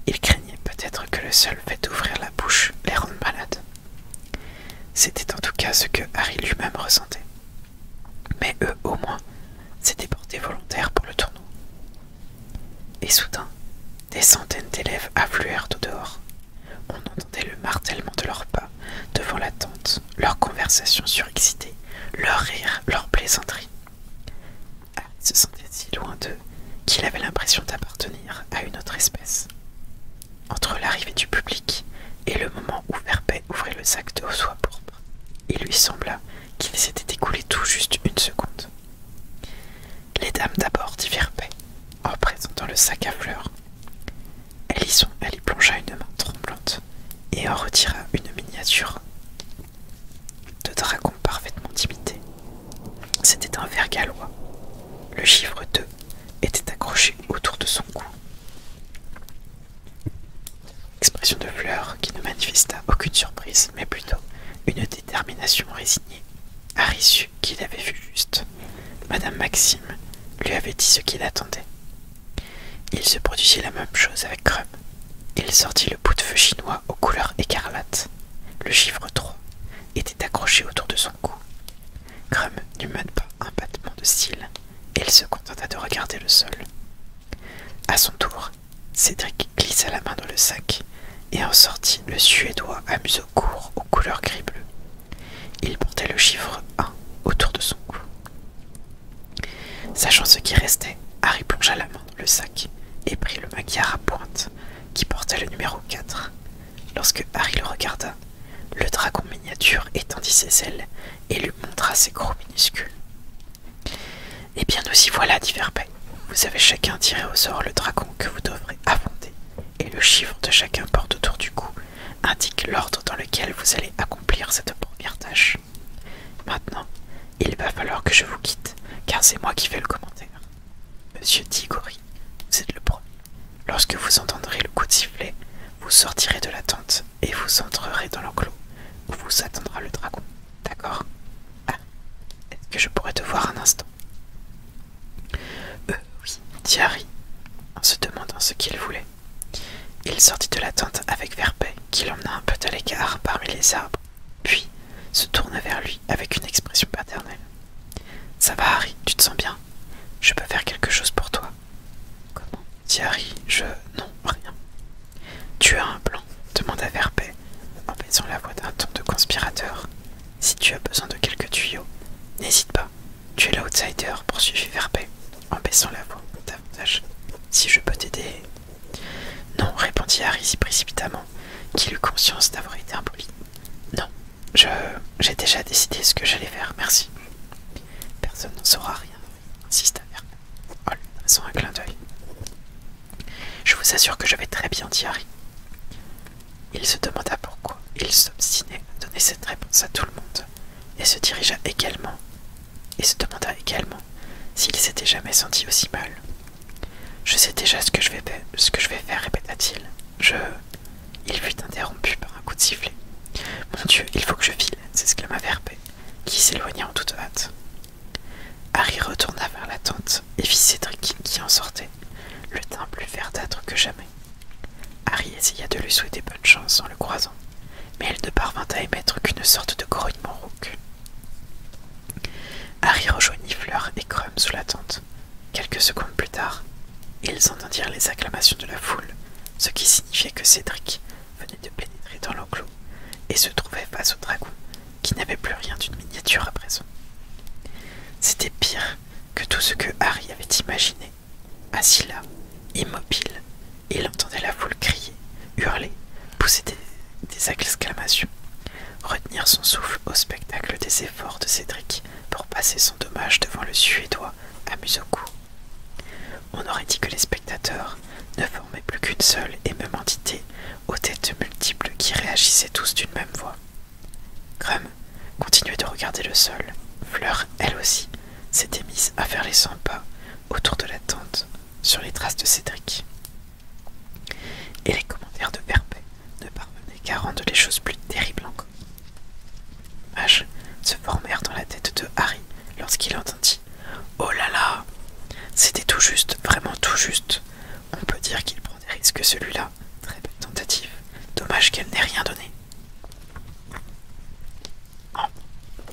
Il craignait peut-être que le seul fait d'ouvrir la bouche les rende malades. C'était en tout cas ce que Harry lui-même ressentait. Mais eux, au moins, s'étaient portés volontaires pour le tournoi. Et soudain, des centaines d'élèves affluèrent au dehors, on entendait le martèlement de leurs pas devant la tente, leurs conversations surexcitées, leurs rires, leurs plaisanteries. Ils ah, se sentait si loin d'eux qu'il avait l'impression d'appartenir à une autre espèce. Entre l'arrivée du public et le moment où Verbet ouvrait le sac de soie pourpre, il lui sembla qu'il s'était écoulé tout juste une seconde. Les dames d'abord, dit en présentant le sac à fleurs. elle y plongea une main tremblante et en retira une miniature de dragon parfaitement imité. C'était un ver gallois. Le chiffre 2 était accroché autour de son cou. Expression de fleur qui ne manifesta aucune surprise, mais plutôt une détermination résignée. Harry sut qu'il avait vu juste. Madame Maxime lui avait dit ce qu'il attendait. Il se produisit la même chose avec Crum. Il sortit le bout de feu chinois aux couleurs écarlates. Le chiffre 3 était accroché autour de son cou. Crum n'eut même pas un battement de cils et il se contenta de regarder le sol. À son tour, Cédric glissa la main dans le sac et en sortit le suédois à museau court aux couleurs gris-bleu. Il portait le chiffre 1 autour de son cou. Sachant ce qui restait, Harry plongea la main dans le sac et prit le maquillard à pointe qui portait le numéro 4. Lorsque Harry le regarda, le dragon miniature étendit ses ailes et lui montra ses gros minuscules. Eh bien, nous y voilà, dit Verbeck. Vous avez chacun tiré au sort le dragon que vous devrez affondé et le chiffre de chacun porte autour du cou indique l'ordre dans lequel vous allez accomplir cette première tâche. Maintenant, il va falloir que je vous quitte, car c'est moi qui fais le commentaire. Monsieur Tigori, vous êtes le premier. Lorsque vous entendrez le coup de sifflet, vous sortirez de la tente et vous entrerez dans l'enclos où vous attendra le dragon. D'accord ah, est-ce que je pourrais te voir un instant euh, oui, dit en se demandant ce qu'il voulait. Il sortit de la tente avec Verpet, qui l'emmena un peu à l'écart parmi les arbres, puis se tourna vers lui avec une expression paternelle. Ça va, Harry, tu te sens bien Je peux faire quelque chose pour toi. Comment dit je. Non, rien. Tu as un plan demanda Verpet, en faisant la voix d'un ton de conspirateur. Si tu as besoin de quelques tuyaux, n'hésite pas. Tu es l'outsider, poursuivit verpé en baissant la voix davantage. Si je peux t'aider. Non, répondit Harry si précipitamment, qu'il eut conscience d'avoir été impoli. Non, je. j'ai déjà décidé ce que j'allais faire, merci. Personne n'en saura rien, insista à oh, un clin d'œil. Je vous assure que je vais très bien, dit Harry. Il se demanda pourquoi il s'obstinait à donner cette réponse à tout le monde, et se dirigea également, et se demanda également s'il s'était jamais senti aussi mal. Je sais déjà ce que je vais, ce que je vais faire, répéta-t-il. Je. Il fut interrompu par un coup de sifflet. Mon Dieu, il faut que je file, s'exclama verpé. qui s'éloigna en toute hâte. Harry retourna vers la tente et vit Cédric qui en sortait, le teint plus verdâtre que jamais. Harry essaya de lui souhaiter bonne chance en le croisant, mais elle ne parvint à émettre qu'une sorte de grognement rauque. Harry rejoignit Fleur et Crum sous la tente. Quelques secondes plus tard, ils entendirent les acclamations de la foule, ce qui signifiait que Cédric venait de pénétrer dans l'enclos et se trouvait face au dragon, qui n'avait plus rien d'une miniature à présent. C'était pire que tout ce que Harry avait imaginé. Assis là, immobile, il entendait la foule crier, hurler, pousser des, exclamations, retenir son souffle au spectacle des efforts de Cédric pour passer son dommage devant le Suédois au cou. On aurait dit que les spectateurs ne formaient plus qu'une seule et même entité aux têtes multiples qui réagissaient tous d'une même voix. Grum continuait de regarder le sol. Fleur, elle aussi, s'était mise à faire les 100 pas autour de la tente, sur les traces de Cédric. Et les commentaires de Perpet ne parvenaient qu'à rendre les choses plus terribles encore. H se formèrent dans la tête de Harry lorsqu'il entendit Oh là là C'était tout juste, vraiment tout juste. On peut dire qu'il prend des risques celui-là. Très belle tentative. Dommage qu'elle n'ait rien donné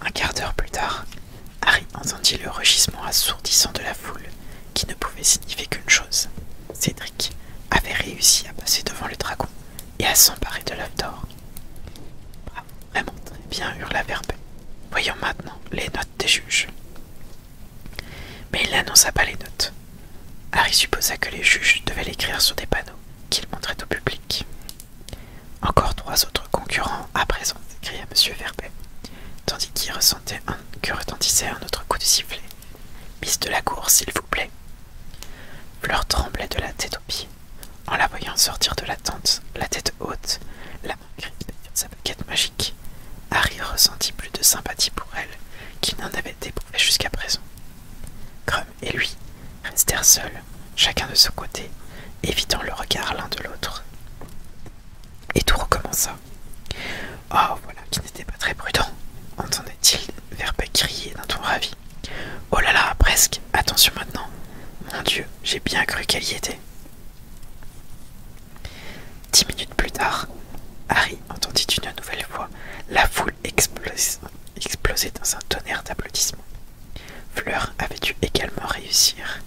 un quart d'heure plus tard, Harry entendit le rugissement assourdissant de la foule, qui ne pouvait signifier qu'une chose. Cédric avait réussi à passer devant le dragon et à s'emparer de l'œuf d'or. Bravo, ah, vraiment très bien, hurla Verbe. Voyons maintenant les notes des juges. Mais il n'annonça pas les notes. Harry supposa que les juges devaient l'écrire sur des panneaux qu'ils montraient au public. Encore trois autres concurrents à présent, cria M. Verbet, tandis qu'il ressentait un, que retentissait un autre coup de sifflet. Miss de la cour, s'il vous plaît. Fleur tremblait de la tête aux pieds. En la voyant sortir de la tente, la tête haute, la main sa baguette magique, Harry ressentit plus de sympathie pour elle qu'il n'en avait éprouvé jusqu'à présent. Grum et lui restèrent seuls, chacun de son côté, évitant le regard l'un de l'autre. Et tout recommença. Oh, voilà qui n'était pas très prudent, entendait-il Verbeck crier d'un ton ravi. Oh là là, presque, attention maintenant. Mon Dieu, j'ai bien cru qu'elle y était. Dix minutes plus tard, Harry entendit une nouvelle voix, la voix explosé dans un tonnerre d'applaudissements. Fleur avait dû également réussir.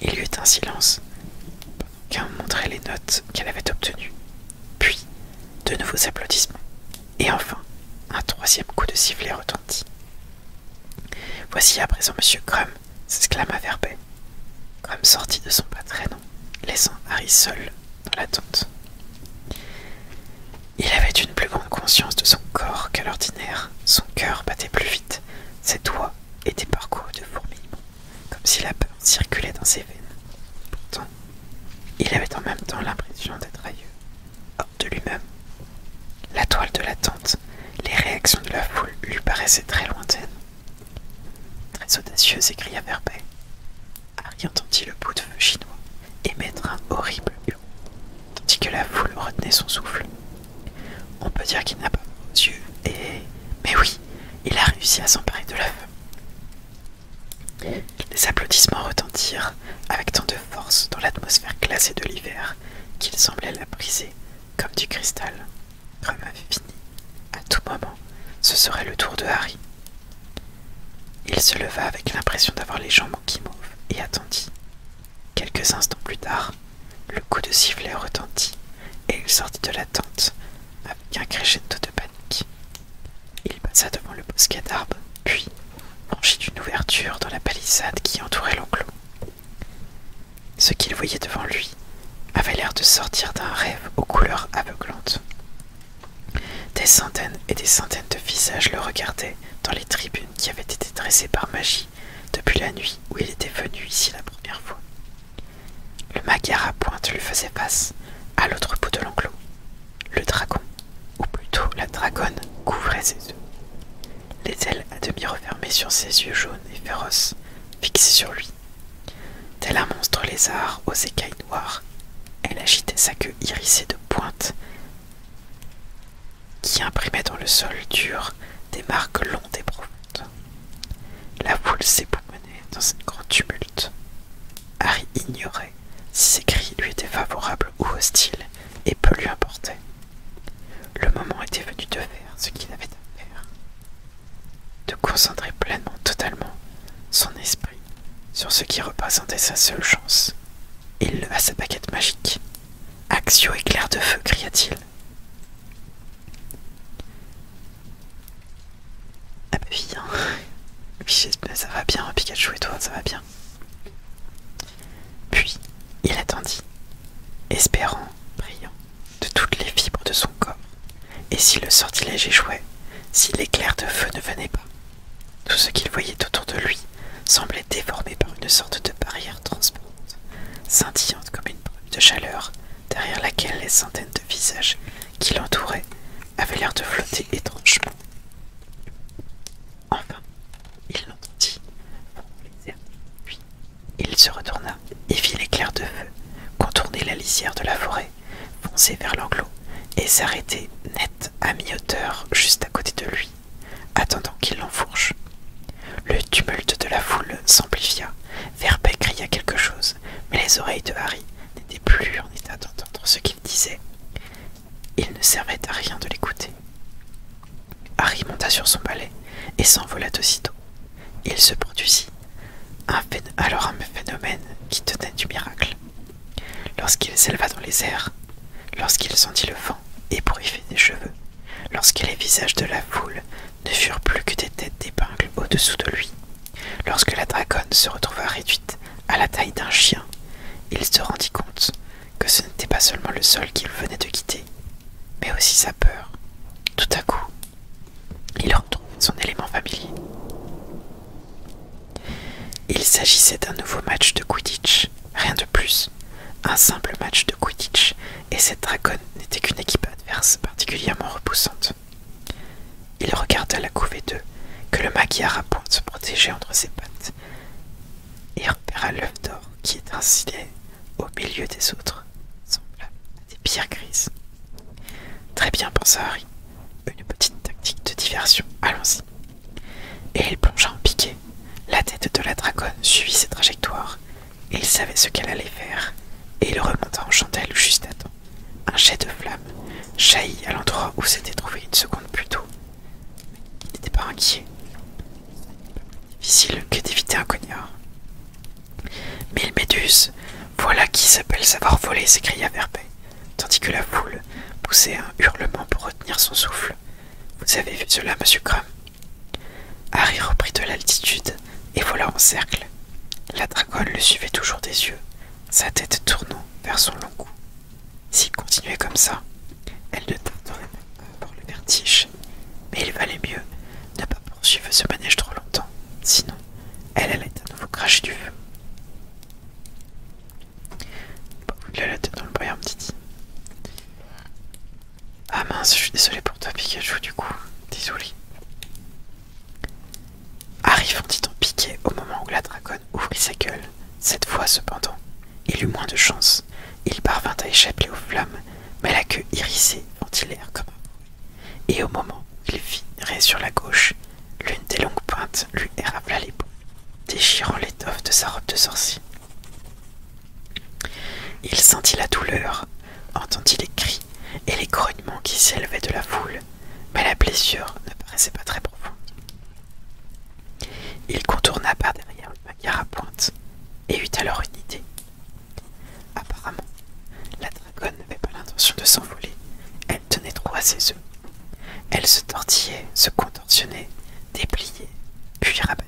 Il y eut un silence, pendant qu'un montrait les notes qu'elle avait obtenues, puis de nouveaux applaudissements, et enfin un troisième coup de sifflet retentit. Voici à présent Monsieur Grum !» s'exclama Verbet. Grum sortit de son pas laissant Harry seul la tente. Il avait une plus grande conscience de son corps qu'à l'ordinaire. Son cœur battait plus vite. Ses doigts étaient parcourus de fourmillements, comme si la peur circulait dans ses veines. Pourtant, il avait en même temps l'impression d'être ailleurs, hors de lui-même. La toile de la tente, les réactions de la foule lui paraissaient très lointaines. Très audacieuse, s'écria Verbey. Harry entendit le bout de feu chinois émettre un horrible hurlement, tandis que la foule retenait son souffle. On peut dire qu'il n'a pas vos yeux, et. Mais oui, il a réussi à s'emparer de la feu !» Les applaudissements retentirent avec tant de force dans l'atmosphère glacée de l'hiver qu'il semblait la briser comme du cristal. Remain fini. À tout moment, ce serait le tour de Harry. Il se leva avec l'impression d'avoir les jambes en guimauve et attendit. Quelques instants plus tard, le coup de sifflet retentit et il sortit de la tente avec un crescendo de panique. Il passa devant le bosquet d'arbres, puis franchit une ouverture dans la palissade qui entourait l'enclos. Ce qu'il voyait devant lui avait l'air de sortir d'un rêve aux couleurs aveuglantes. Des centaines et des centaines de visages le regardaient dans les tribunes qui avaient été dressées par magie depuis la nuit où il était venu ici la première fois. Le magar à pointe lui faisait face, à l'autre bout de l'enclos. Le dragon, ou plutôt la dragonne, couvrait ses yeux. Les ailes à demi refermées sur ses yeux jaunes et féroces, fixés sur lui. Tel un monstre lézard aux écailles elle agitait sa queue irisée de pointes qui imprimait dans le sol dur des marques longues et profondes. La foule s'époumonait dans un grande tumulte. Harry ignorait si ses cris lui étaient favorables ou hostiles, et peu lui importait. Le moment était venu de faire ce qu'il avait à faire, de concentrer pleinement, totalement, son esprit sur ce qui représentait sa seule chance. Il leva sa baguette magique. Axio éclair de feu, cria-t-il. Ah bah bien, hein. ça va bien, Pikachu et toi, ça va bien. Puis il attendit, espérant, brillant, de toutes les fibres de son corps. Et si le sortilège échouait, si l'éclair de feu ne venait pas, tout ce qu'il voyait autour de lui semblait déformé par une sorte de barrière transparente, scintillante comme une brume de chaleur, derrière laquelle les centaines de visages qui l'entouraient avaient l'air de flotter étrangement. Enfin, il l'entendit, puis il se retourna et vit l'éclair de feu contourner la lisière de la forêt foncé vers l'enclos et s'arrêter net à mi-hauteur juste à côté de lui, attendant qu'il l'enfourche. Le tumulte de la foule s'amplifia. Verbeck cria quelque chose, mais les oreilles de Harry n'étaient plus en état d'entendre ce qu'il disait. Il ne servait à rien de l'écouter. Harry monta sur son balai et s'envola aussitôt. Il se produisit alors un phénomène qui tenait du miracle. Lorsqu'il s'éleva dans les airs, lorsqu'il sentit le vent ébruifer des cheveux, lorsque les visages de la foule ne furent plus que des têtes d'épingles au-dessous de lui, lorsque la dragonne se retrouva réduite à la taille d'un chien, il se rendit compte que ce n'était pas seulement le sol qu'il venait de quitter, mais aussi sa peur. Tout à coup, il retrouve son élément familier. Il s'agissait d'un nouveau match de Quidditch, rien de plus, un simple match de Quidditch, et cette dragonne n'était qu'une équipe adverse particulièrement repoussante. Il regarda la couvée 2, que le maquillard à se protégeait entre ses pattes, et repéra l'œuf d'or qui étincelait au milieu des autres, semblable à des pierres grises. Très bien, pensa Harry. Une petite tactique de diversion, allons-y. Et il plongea en piquet. La tête de la dragonne suivit ses trajectoires. Et il savait ce qu'elle allait faire. Et il remonta en chandelle juste à temps. Un jet de flamme jaillit à l'endroit où s'était trouvé une seconde plus tôt. il n'était pas inquiet. Difficile que d'éviter un cognard. Mille méduses, voilà qui s'appelle savoir voler, s'écria Verbet tandis que la foule poussait un hurlement pour retenir son souffle. Vous avez vu cela, monsieur Graham Harry reprit de l'altitude, et voilà en cercle. La dracole le suivait toujours des yeux, sa tête tournant vers son long cou. S'il continuait comme ça, elle ne tarderait pour le vertige, mais il valait mieux ne pas poursuivre ce manège trop longtemps, sinon elle allait à nouveau cracher du feu. Bon, a la tête dans le brouillard, petit. Ah mince, je suis désolé pour toi, Pikachu, du coup. Désolé. Arrive en titan piqué au moment où la dragonne ouvrit sa gueule. Cette fois, cependant, il eut moins de chance. Il parvint à échapper aux flammes, mais la queue irrissée ventilèrent comme Et au moment où il sur la gauche, L'une des longues pointes lui érafla les déchirant l'étoffe de sa robe de sorcier. Il sentit la douleur, entendit les cris et les grognements qui s'élevaient de la foule, mais la blessure ne paraissait pas très profonde. Il contourna par derrière le manière à pointe et eut alors une idée. Apparemment, la dragonne n'avait pas l'intention de s'envoler, elle tenait droit à ses elle se tortillait, se contorsionnait, dépliait, puis rabattait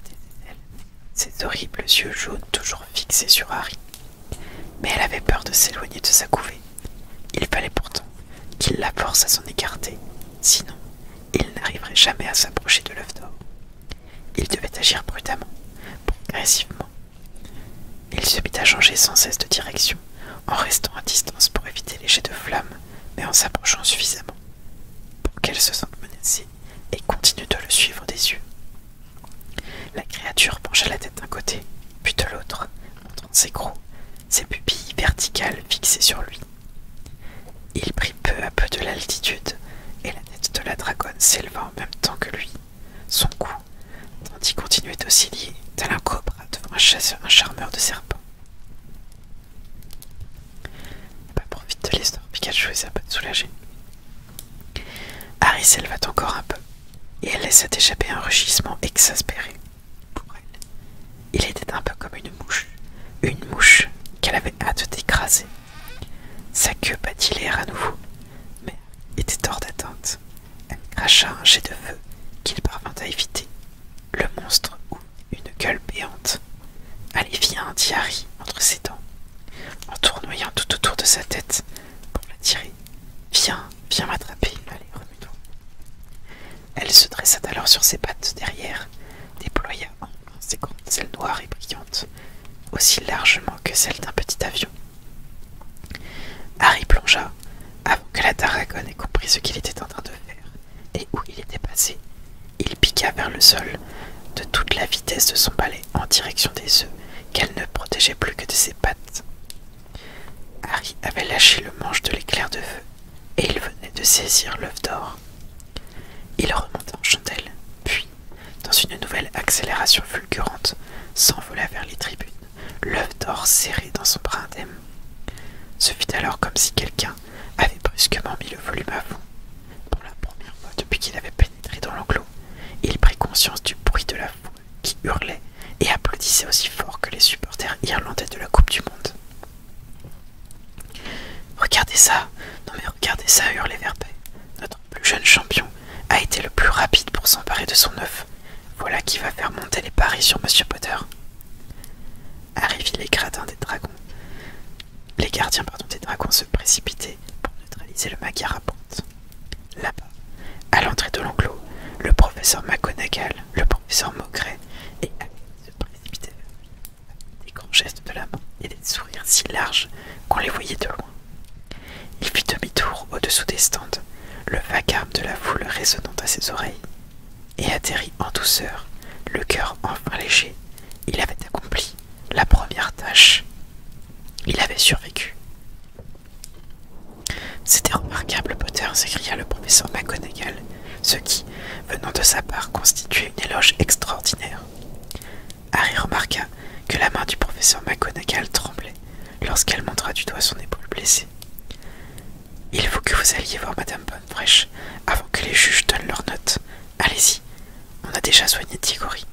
ses ses horribles yeux jaunes toujours fixés sur Harry. Mais elle avait peur de s'éloigner de sa couvée. Il fallait pourtant qu'il la force à s'en écarter, sinon il n'arriverait jamais à s'approcher de l'œuf d'or. Il devait agir prudemment, progressivement. Il se mit à changer sans cesse de direction, en restant à distance pour éviter les jets de flammes, mais en s'approchant suffisamment pour qu'elle se sente menacée et continue de le suivre des yeux. La créature pencha la tête d'un côté, puis de l'autre, montrant ses crocs, ses pupilles verticales fixées sur lui. Il prit peu à peu de l'altitude, et la tête de la dragonne s'éleva en même temps que lui, son cou, tandis continuait d'osciller tel un cobra devant un, un charmeur de serpent pas profite de l'histoire, Pikachu choisit à pas te soulager. Harry s'éleva encore un peu, et elle laissa échapper un rugissement exaspéré. Pour elle, il était un peu comme une mouche, une mouche qu'elle avait hâte d'écraser. Sa queue battit l'air à nouveau, mais était hors d'atteinte. Elle cracha un jet de feu qu'il parvint à éviter, le monstre ou une gueule béante viens !» dit Harry entre ses dents, en tournoyant tout autour de sa tête pour tirer. Viens, viens m'attraper, remue-toi. Elle se dressa alors sur ses pattes derrière, déploya en ses grandes ailes noires et brillantes, aussi largement que celles d'un petit avion. Harry plongea avant que la tarragone ait compris ce qu'il était en train de faire et où il était passé, il piqua vers le sol de toute la vitesse de son palais en direction des œufs qu'elle ne protégeait plus que de ses pattes. Harry avait lâché le manche de l'éclair de feu et il venait de saisir l'œuf d'or. Il remonta en chandelle, puis, dans une nouvelle accélération fulgurante, s'envola vers les tribunes, l'œuf d'or serré dans son bras ce fut alors comme si quelqu'un avait brusquement mis le volume à fond. Pour la première fois depuis qu'il avait pénétré dans l'enclos, il prit conscience du bruit de la foule qui hurlait et applaudissait aussi fort que les supporters irlandais de la Coupe du Monde. Regardez ça, non mais regardez ça, hurlait Verbet. Notre plus jeune champion a été le plus rapide pour s'emparer de son œuf. Voilà qui va faire monter les paris sur Monsieur Potter arrivaient les gradins des dragons. Les gardiens pardon, des dragons se précipitaient pour neutraliser le pente. Là-bas, à l'entrée de l'enclos, le professeur Maconagall, le professeur Maugret et se précipitaient des grands gestes de la main et des sourires si larges qu'on les voyait de loin. Il fit demi-tour au-dessous des stands, le vacarme de la foule résonnant à ses oreilles et atterrit en douceur, le cœur enfin léger. Il avait accompli la première tâche. Il avait survécu. C'était remarquable, Potter, s'écria le professeur McGonagall, ce qui, venant de sa part, constituait une éloge extraordinaire. Harry remarqua que la main du professeur McGonagall tremblait lorsqu'elle montra du doigt son épaule blessée. Il faut que vous alliez voir Madame Bonnefresh avant que les juges donnent leurs note. Allez-y, on a déjà soigné Tigori.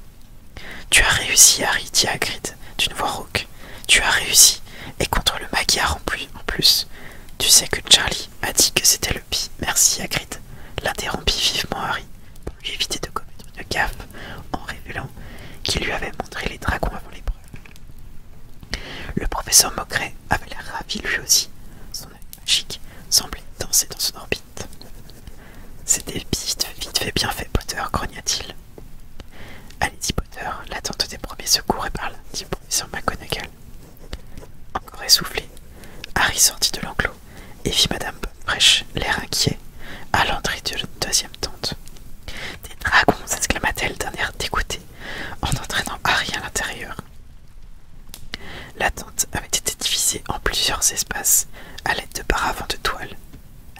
Tu as réussi, Harry, dit Hagrid d'une voix rauque. Tu as réussi, et contre le magyar en plus. En plus. Tu sais que Charlie a dit que c'était le pis. Merci, Hagrid, l'interrompit vivement Harry pour éviter de commettre une gaffe en révélant qu'il lui avait montré les dragons avant l'épreuve. Le professeur Mocret avait l'air ravi lui aussi. Son œil magique semblait danser dans son orbite. C'était vite, vite fait, bien fait, Potter, grogna-t-il. Allez-y, Potter, l'attente des premiers secours est par là, dit le professeur McGonagall. Encore essoufflé, Harry sortit de l'enclos et vit Madame Fresh l'air inquiet, à l'entrée de la deuxième tente. Des dragons s'exclama-t-elle d'un air dégoûté en entraînant Harry à l'intérieur. La avait été divisée en plusieurs espaces à l'aide de paravents de toile.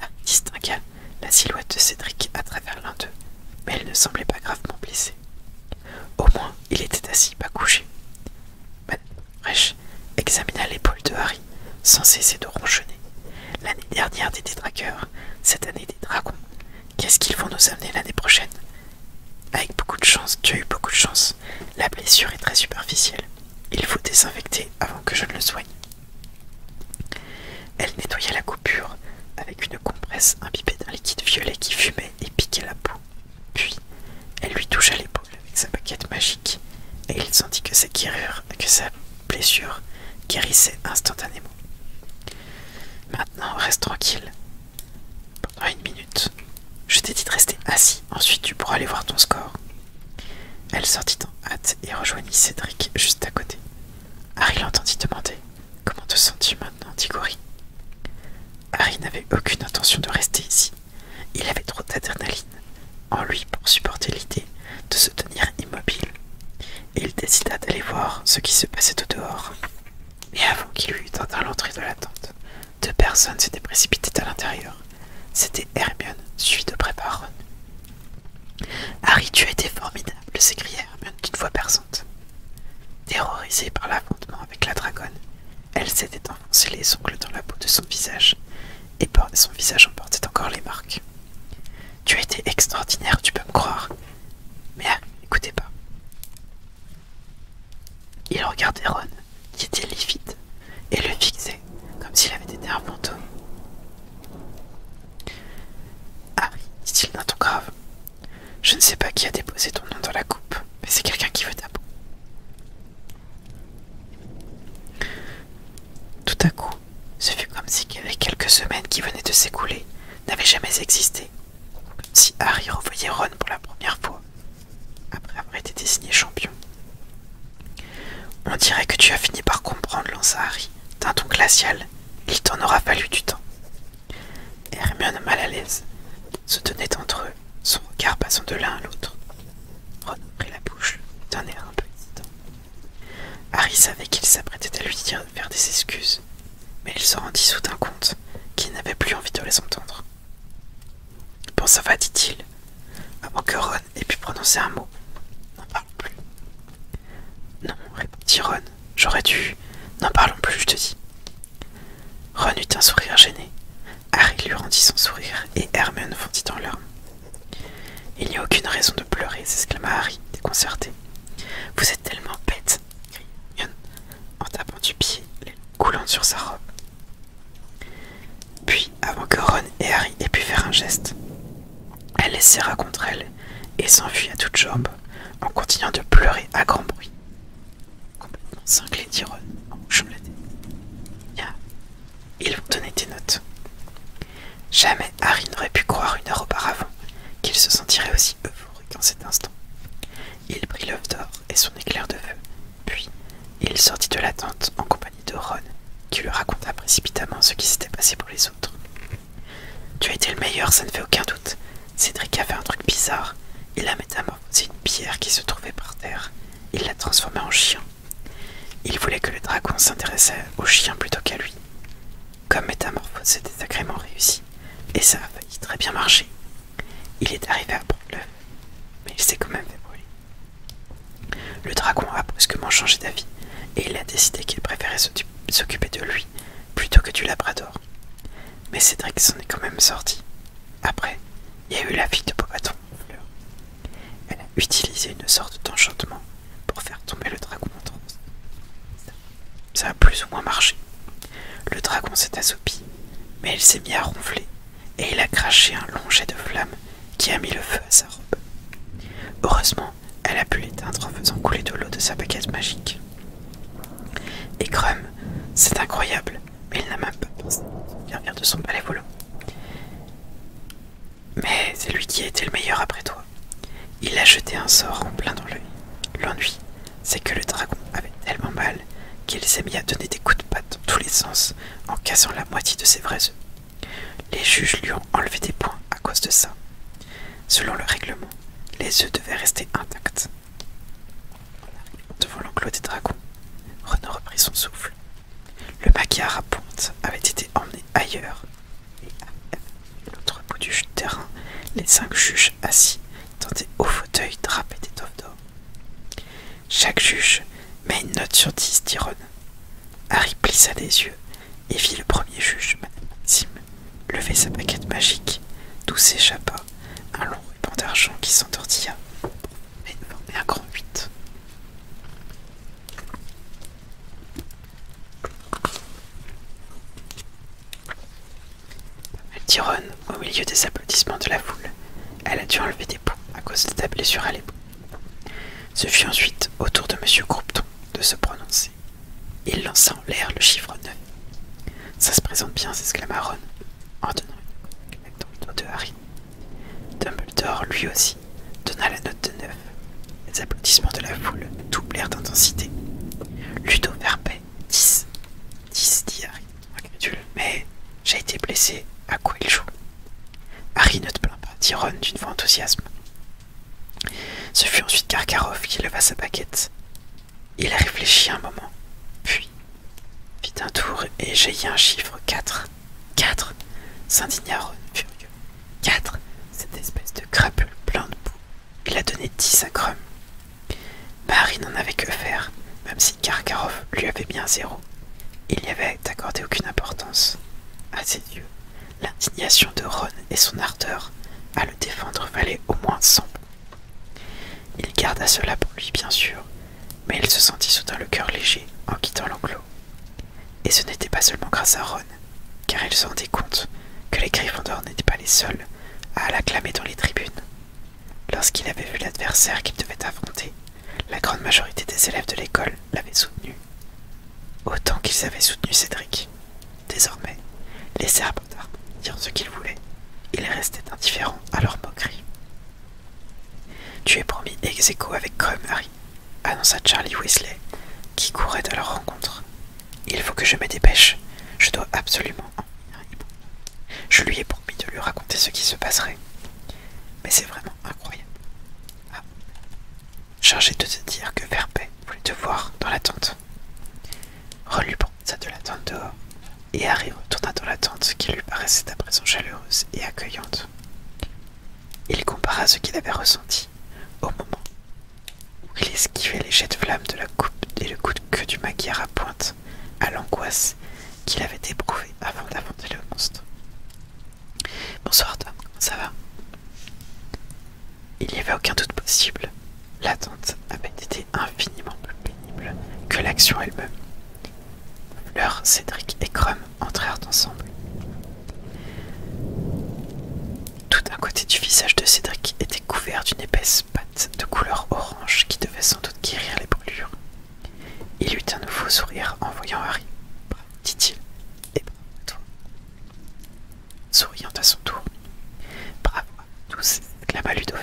Harry ah, distingua la silhouette de Cédric à travers l'un d'eux, mais elle ne semblait pas gravement blessée. Au moins, il était assis, pas couché. Madame Reich examina l'épaule de Harry sans cesser de ronchonner. L'année dernière des détraqueurs, cette année des dragons. Qu'est-ce qu'ils vont nous amener l'année prochaine avec beaucoup de chance, tu as eu beaucoup de chance. La blessure est très superficielle. Il faut désinfecter avant que je ne le soigne. Elle nettoya la coupure avec une compresse imbibée d'un liquide violet qui fumait et piquait la peau. Puis, elle lui toucha l'épaule avec sa paquette magique et il sentit que sa, que sa blessure guérissait instantanément. Maintenant, reste tranquille. Pendant une minute, je t'ai dit de rester assis, ensuite tu pourras aller voir ton score. Elle sortit en hâte et rejoignit Cédric juste à côté. Harry l'entendit demander Comment te sens-tu maintenant, Tigori ?» Harry n'avait aucune intention de rester ici. Il avait trop d'adrénaline en lui pour supporter l'idée de se tenir immobile, il décida d'aller voir ce qui se passait au dehors et avant qu'il eût atteint l'entrée de la tente, deux personnes s'étaient précipitées à l'intérieur. C'était Hermione, suivi de près Harry, tu as été formidable, s'écria Hermione d'une voix perçante. Terrorisée par l'affrontement avec la dragonne, elle s'était enfoncée les ongles dans la peau de son visage, et son visage en portait encore les marques. Tu as été extraordinaire, tu peux me croire. Mais ah, écoutez pas. Il regardait Ron, qui était livide, et le fixait, comme s'il avait été un fantôme. Harry, dit-il d'un ton grave, je ne sais pas qui a déposé ton nom dans la coupe, mais c'est quelqu'un qui veut ta peau. Tout à coup, ce fut comme si les quelques semaines qui venaient de s'écouler n'avaient jamais existé si Harry revoyait Ron pour la première fois, après avoir été désigné champion. On dirait que tu as fini par comprendre, lança Harry, d'un ton glacial. Il t'en aura fallu du temps. Hermione, mal à l'aise, se tenait entre eux, son regard passant de l'un à l'autre. Ron prit la bouche d'un air un peu hésitant. Harry savait qu'il s'apprêtait à lui dire de faire des excuses, mais il se rendit soudain compte qu'il n'avait plus envie de les entendre. Bon, ça va, dit-il, avant que Ron ait pu prononcer un mot. N'en parlons plus. Non, répondit Ron, j'aurais dû. N'en parlons plus, je te dis. Ron eut un sourire gêné. Harry lui rendit son sourire et Hermione fondit en larmes. Il n'y a aucune raison de pleurer, s'exclama Harry, déconcerté. Vous tellement bête, crie Yon en tapant du pied, les coulant sur sa robe. Puis, avant que Ron et Harry aient pu faire un geste, elle les serra contre elle et s'enfuit à toutes jambes, en continuant de pleurer à grand bruit. Complètement cinglé, dit Ron en hochant la tête. Ils vont donner des notes. Jamais Harry n'aurait pu croire une heure auparavant qu'il se sentirait aussi heureux en cet instant. Il prit l'œuf d'or et son éclair de feu, puis il sortit de la tente en compagnie de Ron, qui lui raconta précipitamment ce qui s'était passé pour les autres. Tu as été le meilleur, ça ne fait aucun doute. Cédric a fait un truc bizarre. Il a métamorphosé une pierre qui se trouvait par terre. Il l'a transformée en chien. Il voulait que le dragon s'intéressait au chien plutôt qu'à lui. Comme métamorphose c'était sacrément réussi, et ça a failli très bien marcher, il est arrivé à prendre mais il s'est quand même fait brûler. Le dragon a brusquement changé d'avis et il a décidé qu'il préférait s'occuper de lui plutôt que du labrador. Mais Cédric s'en est quand même sorti. Après, il y a eu la vie de Bobaton. Elle a utilisé une sorte d'enchantement pour faire tomber le dragon en transe. Ça a plus ou moins marché. Le dragon s'est assoupi, mais il s'est mis à ronfler, et il a craché un long jet de flammes qui a mis le feu à sa robe. Heureusement, elle a pu l'éteindre en faisant couler de l'eau de sa baguette magique. Et Crum, c'est incroyable, mais il n'a même pas pensé servir de son palais volant. Mais c'est lui qui a été le meilleur après toi. Il a jeté un sort en plein dans l'ennui c'est que le dragon avait tellement mal qu'il s'est mis à donner des coups de patte dans tous les sens en cassant la moitié de ses vrais œufs. Les juges lui ont enlevé des points à cause de ça. Selon le règlement, les œufs devaient rester intacts. devant l'enclos des dragons, Renaud reprit son souffle. Le maquillard à ponte avait été emmené ailleurs, et à l'autre bout du terrain, les cinq juges assis dans des hauts fauteuils drapés d'étoffes d'or. Chaque juge met une note sur dix d'Iron. Harry plissa les yeux et vit le premier juge, Madame Maxime, lever sa baguette magique, d'où s'échappa un long ruban d'argent qui s'entortilla et un grand huit. Elle Ron, au milieu des applaudissements de la foule, elle a dû enlever des points à cause de ta blessure à l'épaule. Ce fut ensuite au tour de M. Groupton de se prononcer. Il lança en l'air le chiffre 9. Ça se présente bien, s'exclama Ron, en donnant une note de Harry. Dumbledore, lui aussi, donna la note de 9. Les applaudissements de la foule doublèrent d'intensité. Ludo Verbet, 10. 10, dit mais j'ai été blessé, à quoi il joue Harry ne te plaint pas, dit Ron d'une voix enthousiasme. Ce fut ensuite Karkarov qui leva sa baguette. Il a réfléchit un moment, puis fit un tour et jaillit un chiffre Quatre Quatre !» s'indigna Ron, furieux. 4 Cette espèce de crapule plein de boue. Il a donné dix à Crum. Marie n'en avait que faire, même si Karkarov lui avait bien zéro. Il n'y avait accordé aucune importance. À ses yeux, l'indignation de Ron et son ardeur à le défendre valait au moins cent. Il garda cela pour lui, bien sûr, mais il se sentit soudain le cœur léger en quittant l'enclos. Et ce n'était pas seulement grâce à Ron, car il se rendait compte que les d'or n'étaient pas les seuls à l'acclamer dans les tribunes. Lorsqu'il avait vu l'adversaire qu'il devait affronter, la grande majorité des élèves de l'école l'avaient soutenu. Autant qu'ils avaient soutenu Cédric. Désormais, les Serbes dire ce qu'ils voulaient. Ils restaient indifférents à leur moquerie. Tu es promis ex avec Crum, annonça Charlie Weasley, qui courait à leur rencontre. Il faut que je me dépêche. Je dois absolument en je lui ai promis de lui raconter ce qui se passerait. Mais c'est vraiment incroyable. Ah. Chargé de te dire que Verpet voulait te voir dans la tente. Ron de la tente dehors, et Harry retourna dans la tente qui lui paraissait à présent chaleureuse et accueillante. Il compara ce qu'il avait ressenti au moment où il esquivait les jets de flammes de la coupe et le coup de queue du maquillard à pointe à l'angoisse qu'il avait éprouvée avant d'affronter le monstre. Bonsoir Tom, ça va Il n'y avait aucun doute possible. L'attente avait été infiniment plus pénible que l'action elle-même. Fleur, Cédric et Crum entrèrent ensemble. Tout un côté du visage de Cédric était couvert d'une épaisse pâte de couleur orange qui devait sans doute guérir les brûlures. Il eut un nouveau sourire en voyant Harry. Dit-il, et eh bravo ben, Souriant à son tour, bravo à tous, exclama Ludo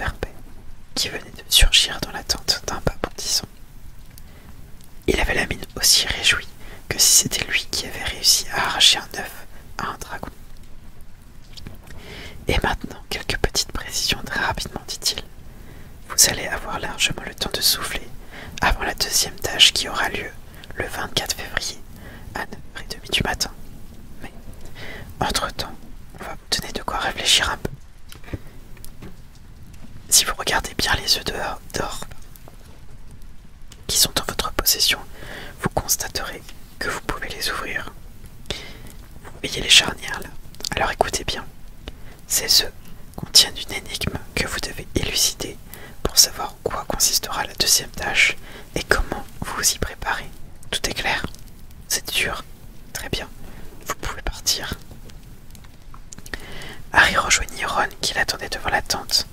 qui venait de surgir dans l'attente d'un pas bondissant. Il avait la mine aussi réjouie que si c'était lui qui avait réussi à arracher un œuf à un dragon. Et maintenant, quelques petites précisions très rapidement, dit-il. Vous allez avoir largement le temps de souffler avant la deuxième tâche qui aura lieu le 24 février à 9h30 du matin. Mais, entre-temps, vous donner de quoi réfléchir un peu. Si vous regardez bien les œufs dehors, d'or qui sont en votre possession, vous constaterez que vous pouvez les ouvrir. Voyez les charnières là. Alors écoutez bien. Ces œufs contiennent une énigme que vous devez élucider pour savoir quoi consistera la deuxième tâche et comment vous vous y préparez. Tout est clair C'est dur Très bien. Vous pouvez partir. Harry rejoignit Ron qui l'attendait devant la tente,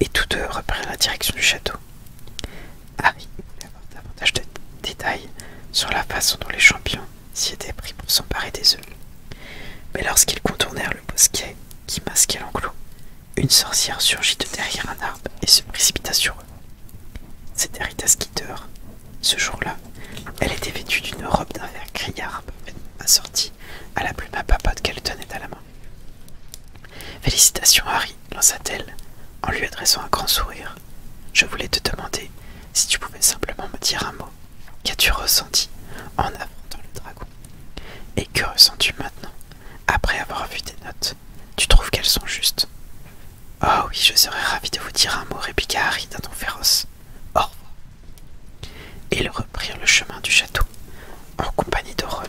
et tous deux reprirent la direction du château. Harry davantage de détails sur la façon dont les champions s'y étaient pris pour s'emparer des oeufs. Mais lorsqu'ils contournèrent le bosquet qui masquait l'enclos, une sorcière surgit de derrière un arbre et se précipita sur eux. C'était Rita Skeeter. Ce jour-là, elle était vêtue d'une robe d'un vert arbre assortie à la plume à papote qu'elle tenait à la main. Félicitations, Harry, lança-t-elle en lui adressant un grand sourire. Je voulais te demander si tu pouvais simplement me dire un mot. Qu'as-tu ressenti en affrontant le dragon Et que ressens-tu maintenant, après avoir vu tes notes Tu trouves qu'elles sont justes Oh oui, je serais ravi de vous dire un mot, répliqua Harry d'un ton féroce. Au revoir. Ils reprirent le chemin du château en compagnie de Ron.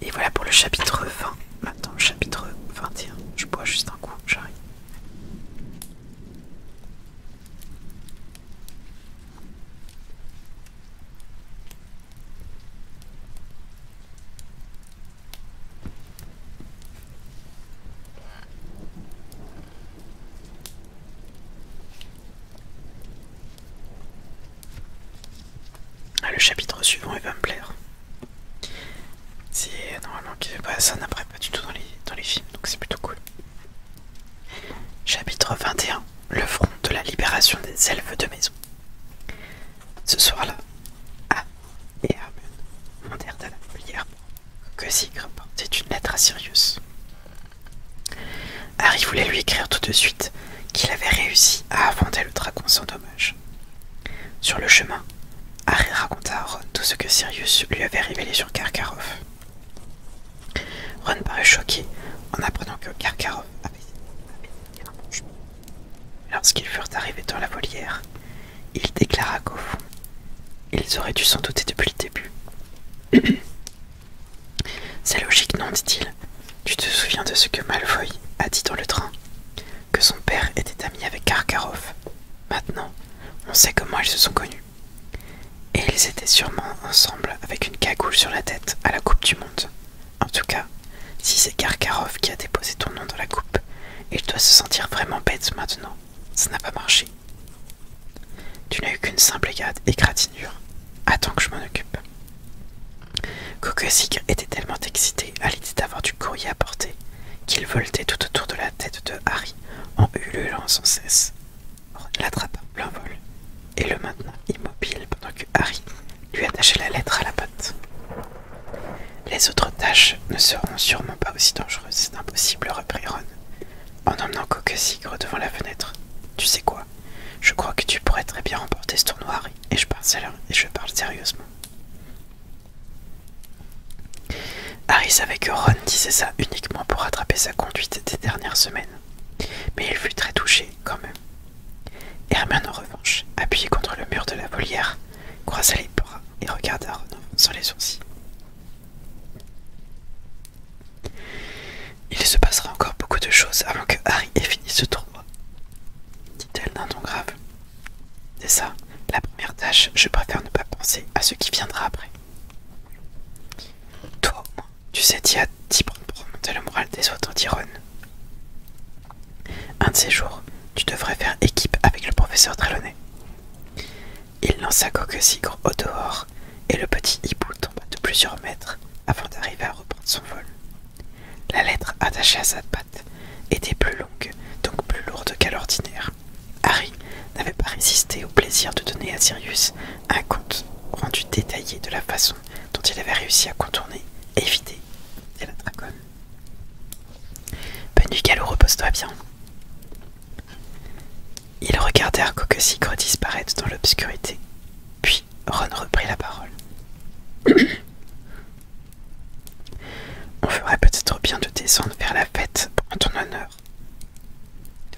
Et voilà pour le chapitre 20. Maintenant, le chapitre 21. Je bois juste un coup, j'arrive. Ah, le chapitre suivant, il va me plaire. C'est normalement que pas bah, ça n'apparaît pas du tout dans les, dans les films, donc c'est plutôt cool. Chapitre 21 Le front de la libération des elfes de maison. Ce soir-là, A et Hermione montèrent à la que Sigre portait une lettre à Sirius. Harry voulait lui écrire tout de suite qu'il avait réussi à inventer le dragon sans dommage. Sur le chemin, Harry raconta à Ron tout ce que Sirius lui avait révélé sur Karkaroff. Ron parut choqué en apprenant que Karkaroff avait Lorsqu'ils furent arrivés dans la volière, il déclara qu'au fond, ils auraient dû s'en douter depuis le début. C'est logique, non dit-il. Tu te souviens de ce que Malfoy a dit dans le train que son père était ami avec Karkaroff. Maintenant, on sait comment ils se sont connus. Et ils étaient sûrement ensemble avec une cagoule sur la tête à la Coupe du Monde. En tout cas, si c'est Karkaroff qui a déposé ton nom dans la coupe, il doit se sentir vraiment bête maintenant. Ça n'a pas marché. Tu n'as eu qu'une simple égratignure. Attends que je m'en occupe. Sigre était tellement excité à l'idée d'avoir du courrier à porter qu'il voltait tout autour de la tête de Harry en ululant sans cesse, l'attrapa plein vol et le maintena immobile pendant que Harry lui attachait la lettre à la patte. Les autres tâches ne seront sûrement pas aussi dangereuses, c'est impossible, reprit Ron, en emmenant Sigre devant la fenêtre. Tu sais quoi Je crois que tu pourrais très bien remporter ce tournoi, Harry, et je parle sérieusement. Harry savait que Ron disait ça uniquement pour rattraper sa conduite des dernières semaines, mais il fut très touché quand même. Hermione en revanche, appuyée contre le mur de la volière, croisa les bras et regarda Ron sans les sourcils. Il se passera encore beaucoup de choses avant que Harry ait fini ce tournoi, dit-elle d'un ton grave. C'est ça, la première tâche, je préfère ne pas penser à ce qui viendra après. Toi tu sais t'y prendre pour remonter le moral des autres, tyrons. Un de ces jours, tu devrais faire équipe avec le professeur Trelawney. Il lança Coque Cigre au dehors et le petit hibou tomba de plusieurs mètres avant d'arriver à reprendre son vol. La lettre attachée à sa patte était plus longue, donc plus lourde qu'à l'ordinaire. Harry n'avait pas résisté au plaisir de donner à Sirius un compte rendu détaillé de la façon dont il avait réussi à contourner, éviter et la dragonne. « Bonne nuit, repose-toi bien. Ils regardèrent Sigre disparaître dans l'obscurité, puis Ron reprit la parole. On ferait peut-être bien de descendre vers la fête en ton honneur.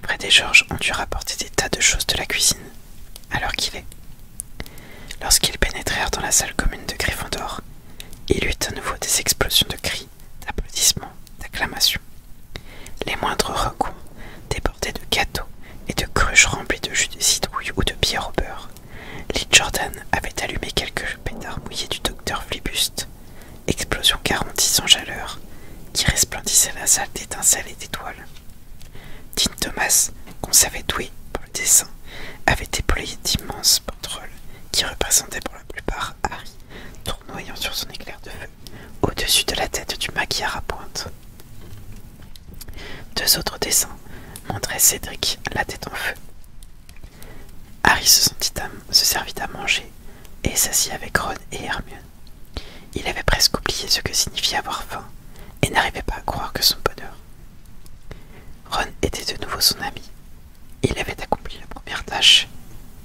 Près des Georges ont dû rapporter des tas de choses de la cuisine, alors qu'il est. Lorsqu'ils pénétrèrent dans la salle commune de Gryffondor, il eut à nouveau des explosions de cris, d'applaudissements, d'acclamations. Les moindres recours débordaient de gâteaux et de cruches remplies de jus de citrouille ou de bière au beurre. Lee Jordan avait allumé quelques pétards mouillés du docteur Flibuste, explosion garantie sans chaleur, qui resplendissait la salle d'étincelles et d'étoiles. Dean Thomas, qu'on savait doué pour le dessin, avait déployé d'immenses pétroles qui représentaient pour la plupart Harry, tournoyant sur son éclair de feu au-dessus de la tête du maquillard à pointe. Deux autres dessins montraient Cédric la tête en feu. Harry se, sentit âme, se servit à manger et s'assit avec Ron et Hermione. Il avait presque oublié ce que signifiait avoir faim et n'arrivait pas à croire que son bonheur. Ron était de nouveau son ami. Il avait accompli la première tâche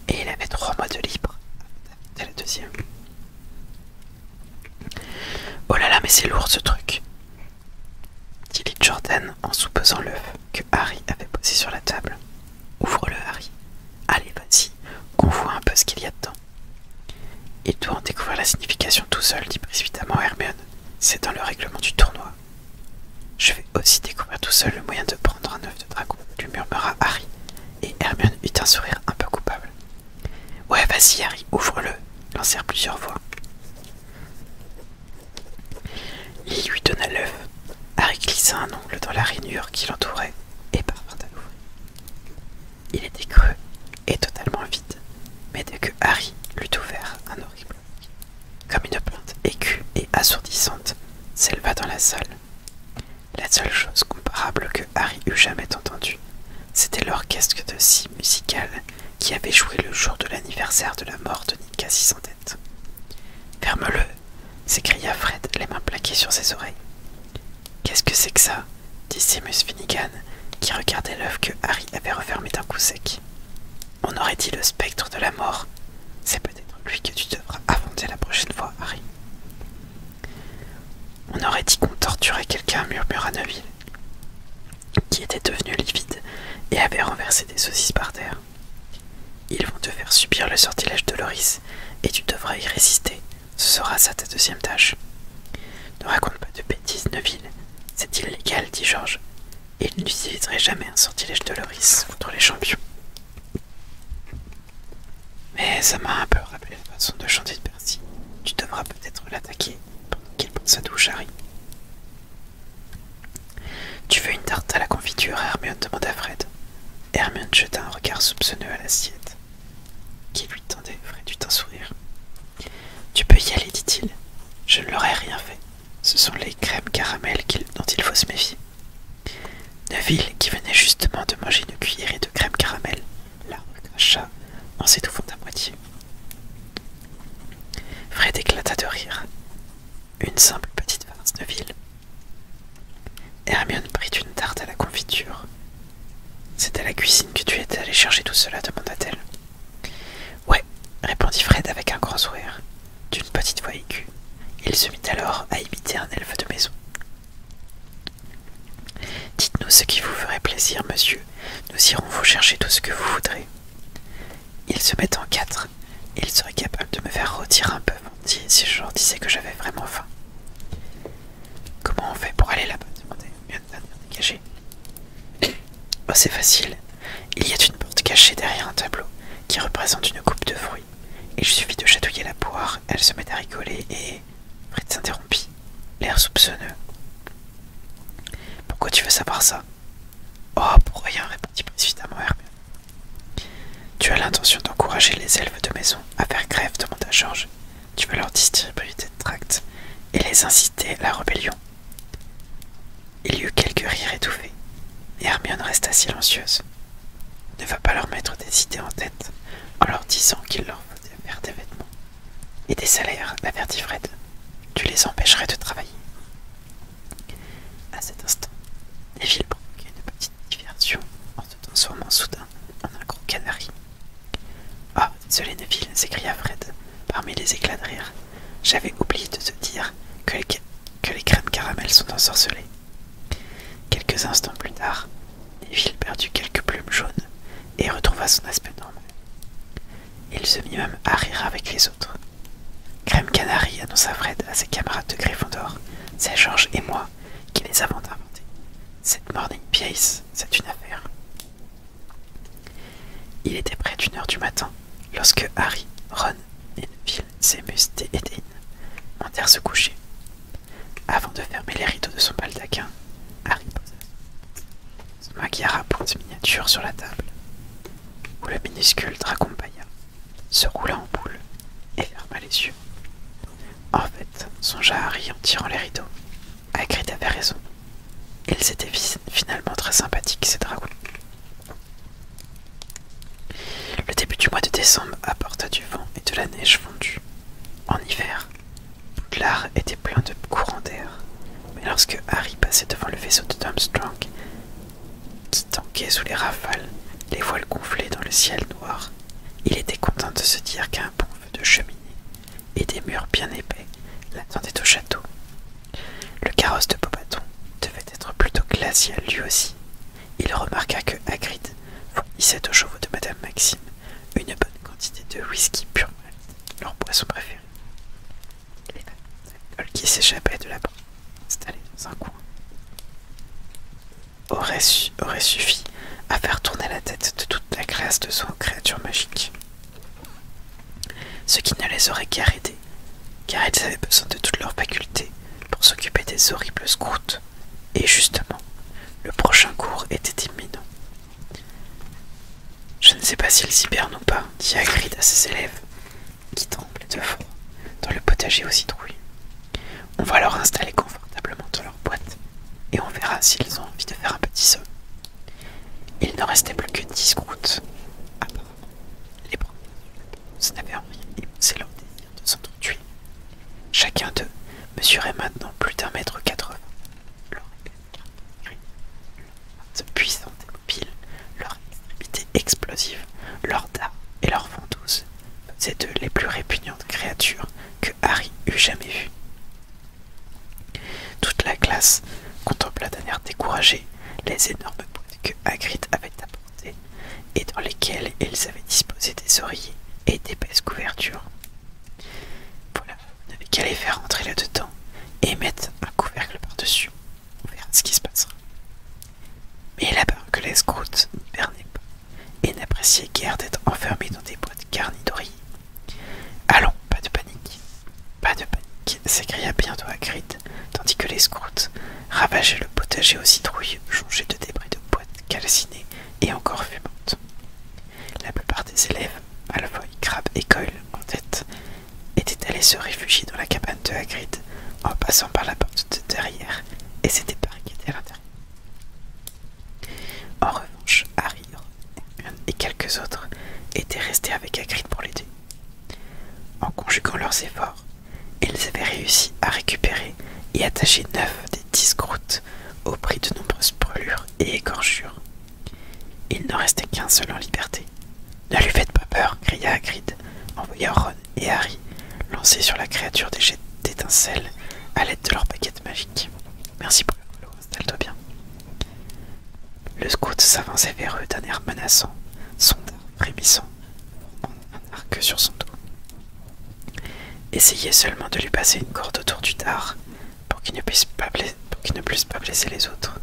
et il avait trois mois de libre avant la deuxième. Oh là là, mais c'est lourd ce truc! dit Jordan en soupesant l'œuf que Harry avait posé sur la table. Ouvre-le, Harry. Allez, vas-y, qu'on voit un peu ce qu'il y a dedans. Et doit en découvrir la signification tout seul, dit précipitamment Hermione. C'est dans le règlement du tournoi. Je vais aussi découvrir tout seul le moyen de prendre un œuf de dragon, lui murmura Harry, et Hermione eut un sourire un peu coupable. Ouais, vas-y, Harry, ouvre-le, lancèrent plusieurs voix. Il lui donna l'œuf. Harry glissa un ongle dans la rainure qui l'entourait et parvint à l'ouvrir. Il était creux et totalement vide, mais dès que Harry l'eut ouvert, un horrible comme une plainte aiguë et assourdissante, s'éleva dans la salle. La seule chose comparable que Harry eût jamais entendue, c'était l'orchestre de si musical, qui avait joué le jour de l'anniversaire de la mort de Nick Cassis en tête. Ferme-le s'écria Fred, les mains plaquées sur ses oreilles. Qu'est-ce que c'est que ça dit Simus Finnegan, qui regardait l'œuvre que Harry avait refermée d'un coup sec. On aurait dit le spectre de la mort. C'est peut-être lui que tu devras affronter la prochaine fois, Harry. On aurait dit qu'on torturait quelqu'un, murmura Neville qui était devenu livide et avait renversé des saucisses par terre. Ils vont te faire subir le sortilège de Loris et tu devras y résister. Ce sera ça ta deuxième tâche. Ne raconte pas de bêtises, Neville. C'est illégal, dit Georges. Et il n'utiliserait jamais un sortilège de Loris contre les champions. Mais ça m'a un peu rappelé la façon de chanter de Percy. Tu devras peut-être l'attaquer pendant qu'il prend sa douche, Harry. Tu veux une tarte à la confiture Hermione demanda Fred. Hermione jeta un regard soupçonneux à l'assiette qui lui tendait. Fred eut un sourire. Tu peux y aller, dit-il. Je ne l'aurais rien fait. Ce sont les crèmes caramel dont il faut se méfier. Neville, qui venait justement de manger une cuillerée de crème caramel, la chat en s'étouffant à moitié. Fred éclata de rire une simple petite farce de ville. Hermione prit une tarte à la confiture. C'est à la cuisine que tu étais allé chercher tout cela demanda-t-elle. Ouais, répondit Fred avec un grand sourire, d'une petite voix aiguë. Il se mit alors à imiter un elfe de maison. Dites-nous ce qui vous ferait plaisir, monsieur. Nous irons vous chercher tout ce que vous voudrez. Ils se mettent en quatre. Et ils seraient capables de me faire rôtir un peu, si je leur disais que j'avais vraiment faim. Comment on fait pour aller là-bas demandait Oh, c'est facile. Il y a une porte cachée derrière un tableau qui représente une coupe de fruits. Il suffit de chatouiller la poire, elle se met à rigoler et. Fritz s'interrompit, l'air soupçonneux. Pourquoi tu veux savoir ça Oh, pour rien, répondit précipitamment Hermione. Tu as l'intention d'encourager les elfes de maison à faire grève demanda Georges. Tu veux leur distribuer des tracts et les inciter à la rébellion Il y eut quelques rires étouffés, et Hermione resta silencieuse. Ne va pas leur mettre des idées en tête en leur disant qu'il leur faut faire des vêtements et des salaires, la Fred. Tu les empêcherais de travailler. À cet instant, Neville provoquait une petite diversion en se transformant soudain en un gros canari. Ah, désolé Neville, s'écria Fred parmi les éclats de rire. J'avais oublié de te dire que les, crèmes caramel sont ensorcelées. Quelques instants plus tard, Neville perdit quelques plumes jaunes et retrouva son aspect normal. Il se mit même à rire avec les autres. Crème Canary annonça Fred à ses camarades de Gryffondor. C'est George et moi qui les avons inventés. Cette morning piece c'est une affaire. Il était près d'une heure du matin lorsque Harry, Ron, Neville, Seamus et Edwin montèrent se coucher. Avant de fermer les rideaux de son baldaquin, Harry posa son maquillage à pointe miniature sur la table où le minuscule Dracompaya se roula en boule et ferma les yeux. En fait, songea Harry en tirant les rideaux. Hagrid avait raison. Ils étaient finalement très sympathiques, ces dragons. Le début du mois de décembre apporta du vent et de la neige fondue. En hiver, l'art était plein de courants d'air, mais lorsque Harry passait devant le vaisseau de Strong qui tanquait sous les rafales, les voiles gonflées dans le ciel noir. Il était content de se dire qu'un bon feu de cheminée et des murs bien épais l'attendaient au château. Le carrosse de Bobaton devait être plutôt glacial lui aussi. Il remarqua que Hagrid fournissait aux chevaux de Madame Maxime une bonne quantité de whisky pur, leur poisson préféré qui s'échappait de là-bas, installé dans un coin. Aurait, suffi à faire tourner la tête de toute la classe de son créatures magique. Ce qui ne les aurait guère aidés, car ils avaient besoin de toutes leurs facultés pour s'occuper des horribles scouts. Et justement, le prochain cours était imminent. Je ne sais pas s'ils hibernent ou pas, dit Hagrid à ses élèves, qui tremblent de froid dans le potager aux citrouilles. On va leur installer confortablement dans leur boîte et on verra s'ils ont envie de faire un petit saut. Il ne restait plus que dix à part ah les bras n'avaient rien émoussé leur désir de s'entretuer. Chacun d'eux mesurait maintenant plus d'un mètre quatre-vingts. Leur Pile, leur extrémité explosive, leurs dards et leurs ventouses faisaient d'eux les plus répugnantes créatures que Harry eût jamais vues. Toute la classe contempla d'un air découragé les énormes boîtes que Hagrid avait apportées et dans lesquelles ils avaient disposé des oreillers et d'épaisses couvertures. Voilà, vous n'avait qu'à les faire rentrer là-dedans et mettre un couvercle par-dessus. On verra ce qui se passera. Mais là-bas, que les scouts et n'appréciaient guère d'être enfermés dans des boîtes garnies d'oreillers. Allons, pas de panique, pas de panique, s'écria bientôt Hagrid, tandis que les scouts ravageaient le potager aux citrouilles jonchés de débris de boîtes calcinées et encore fumantes. La plupart des élèves, à la fois Crabbe et Coyle en tête, était allé se réfugier dans la cabane de Hagrid en passant par la porte de derrière et s'était barricadé à l'intérieur. En revanche, Harry, et quelques autres étaient restés avec Hagrid pour l'aider. En conjuguant leurs efforts, ils avaient réussi à récupérer et attacher neuf des dix grottes au prix de nombreuses brûlures et écorchures. Il n'en restait qu'un seul en liberté. Ne lui faites pas peur, cria Hagrid en voyant Ron et Harry lancé sur la créature des jets d'étincelles à l'aide de leur baguette magique. Merci pour le installe-toi bien. Le scout s'avançait vers eux d'un air menaçant, son dard frémissant, un arc sur son dos. Essayez seulement de lui passer une corde autour du dard pour qu'il ne puisse pas blesser les autres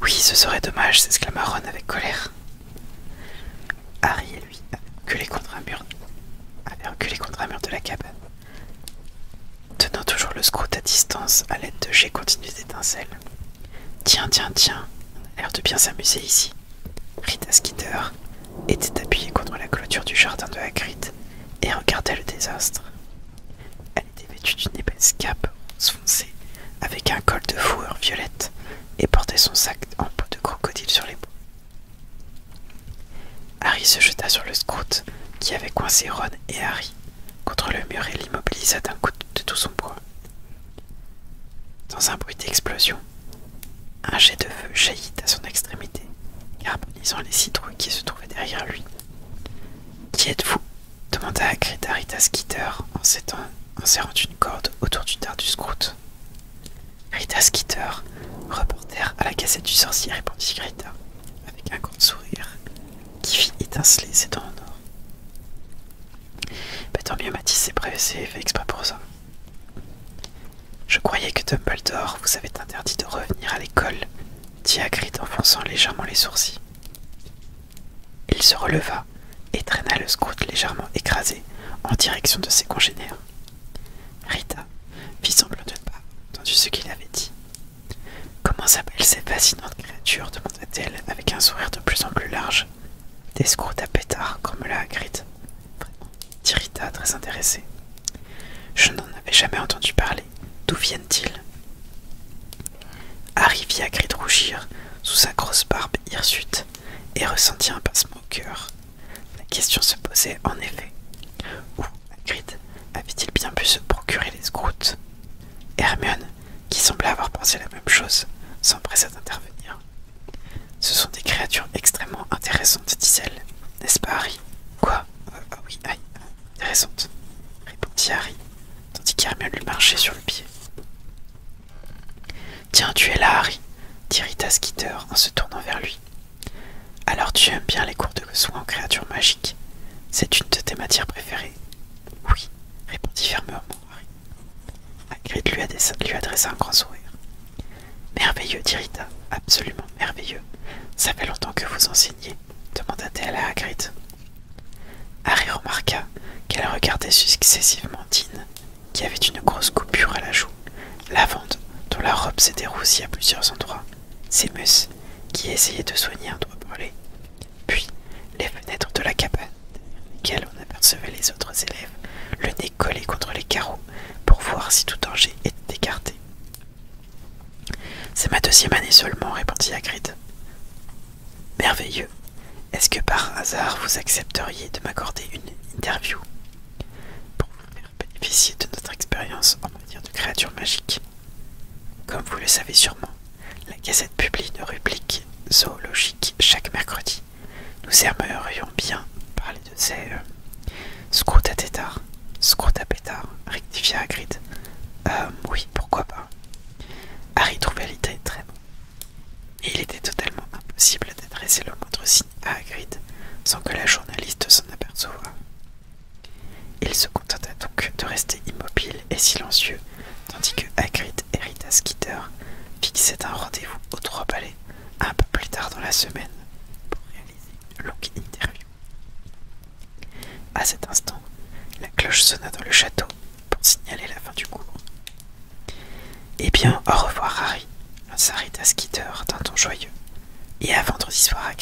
oui, ce serait dommage, s'exclama Ron avec colère. Harry et lui avaient contre un mur, reculé contre un mur de la cabane, tenant toujours le scout à distance à l'aide de jets continus d'étincelles. Tiens, tiens, tiens, on a l'air de bien s'amuser ici. Rita Skeeter était appuyée contre la clôture du jardin de Hagrid et regardait le désastre était d'une épaisse cape foncée avec un col de fourrure violette et portait son sac en peau de crocodile sur les bouts. Harry se jeta sur le scout qui avait coincé Ron et Harry contre le mur et l'immobilisa d'un coup de tout son poids. Dans un bruit d'explosion, un jet de feu jaillit à son extrémité, carbonisant les citrouilles qui se trouvaient derrière lui. Qui êtes-vous demanda à Rita Skitter en serrant une corde autour du dard du scout. Skitter, reporter à la cassette du sorcier, répondit Greta, avec un grand sourire qui fit étinceler ses dents en or. Bah, tant mieux, Matisse c'est prévu, c'est fait exprès pour ça. Je croyais que Dumbledore vous avait interdit de revenir à l'école, dit Hagrid en fronçant légèrement les sourcils. Il se releva et traîna le scout légèrement écrasé en direction de ses congénères. Rita fit semblant de ne pas entendre ce qu'il avait dit. Comment s'appellent ces fascinantes créatures demanda-t-elle avec un sourire de plus en plus large. Des scouts à pétards, la la Vraiment, dit Rita, très intéressée. Je n'en avais jamais entendu parler. D'où viennent-ils Harry vit Hagrid rougir sous sa grosse barbe hirsute et ressentit un passement au cœur. La question se posait en effet. Où Hagrid avait-il bien pu se procurer les scroutes Hermione, qui semblait avoir pensé la même chose, s'empressa d'intervenir. Ce sont des créatures extrêmement intéressantes, disait elle N'est-ce pas, Harry Quoi ah, ah Oui, aïe, ah, intéressantes, répondit Harry, tandis qu'Hermione lui marchait sur le pied. Tiens, tu es là, Harry, dit Rita Skeeter en se tournant vers lui. Alors tu aimes bien les cours de soins en créatures magiques C'est une de tes matières préférées Oui, répondit fermement Harry. Hagrid lui, adressa un grand sourire. Merveilleux, dit Rita, absolument merveilleux. Ça fait longtemps que vous enseignez demanda-t-elle à Hagrid. Harry remarqua qu'elle regardait successivement Dean, qui avait une grosse coupure à la joue, Lavande, dont la robe s'était roussie à plusieurs endroits, Sémus, qui essayait de soigner un doigt brûlé, puis les fenêtres de la cabane, derrière lesquelles on apercevait les autres élèves, le nez collé contre les carreaux pour voir si tout danger était écarté. C'est ma deuxième année seulement, répondit Hagrid. Merveilleux. Est-ce que par hasard vous accepteriez de m'accorder une interview pour vous faire bénéficier de notre expérience en matière de créatures magiques Comme vous le savez sûrement, la Gazette publie une rubrique zoologique chaque mercredi. Nous aimerions bien parler de ces à euh, scruta tétard, à pétard, rectifia à Euh, oui, pourquoi pas. Harry trouvait l'idée très il était totalement impossible d'adresser le moindre signe à Hagrid sans que la journaliste s'en aperçoive. Il se contenta donc de rester immobile et silencieux, tandis que Hagrid et Rita Skeeter fixaient un rendez-vous aux Trois Palais un peu plus tard dans la semaine pour réaliser une longue interview. À cet instant, la cloche sonna dans le château pour signaler la fin du cours. Eh bien, au revoir, Harry, S'arrête à Skitter d'un ton joyeux, et à vendredi soir à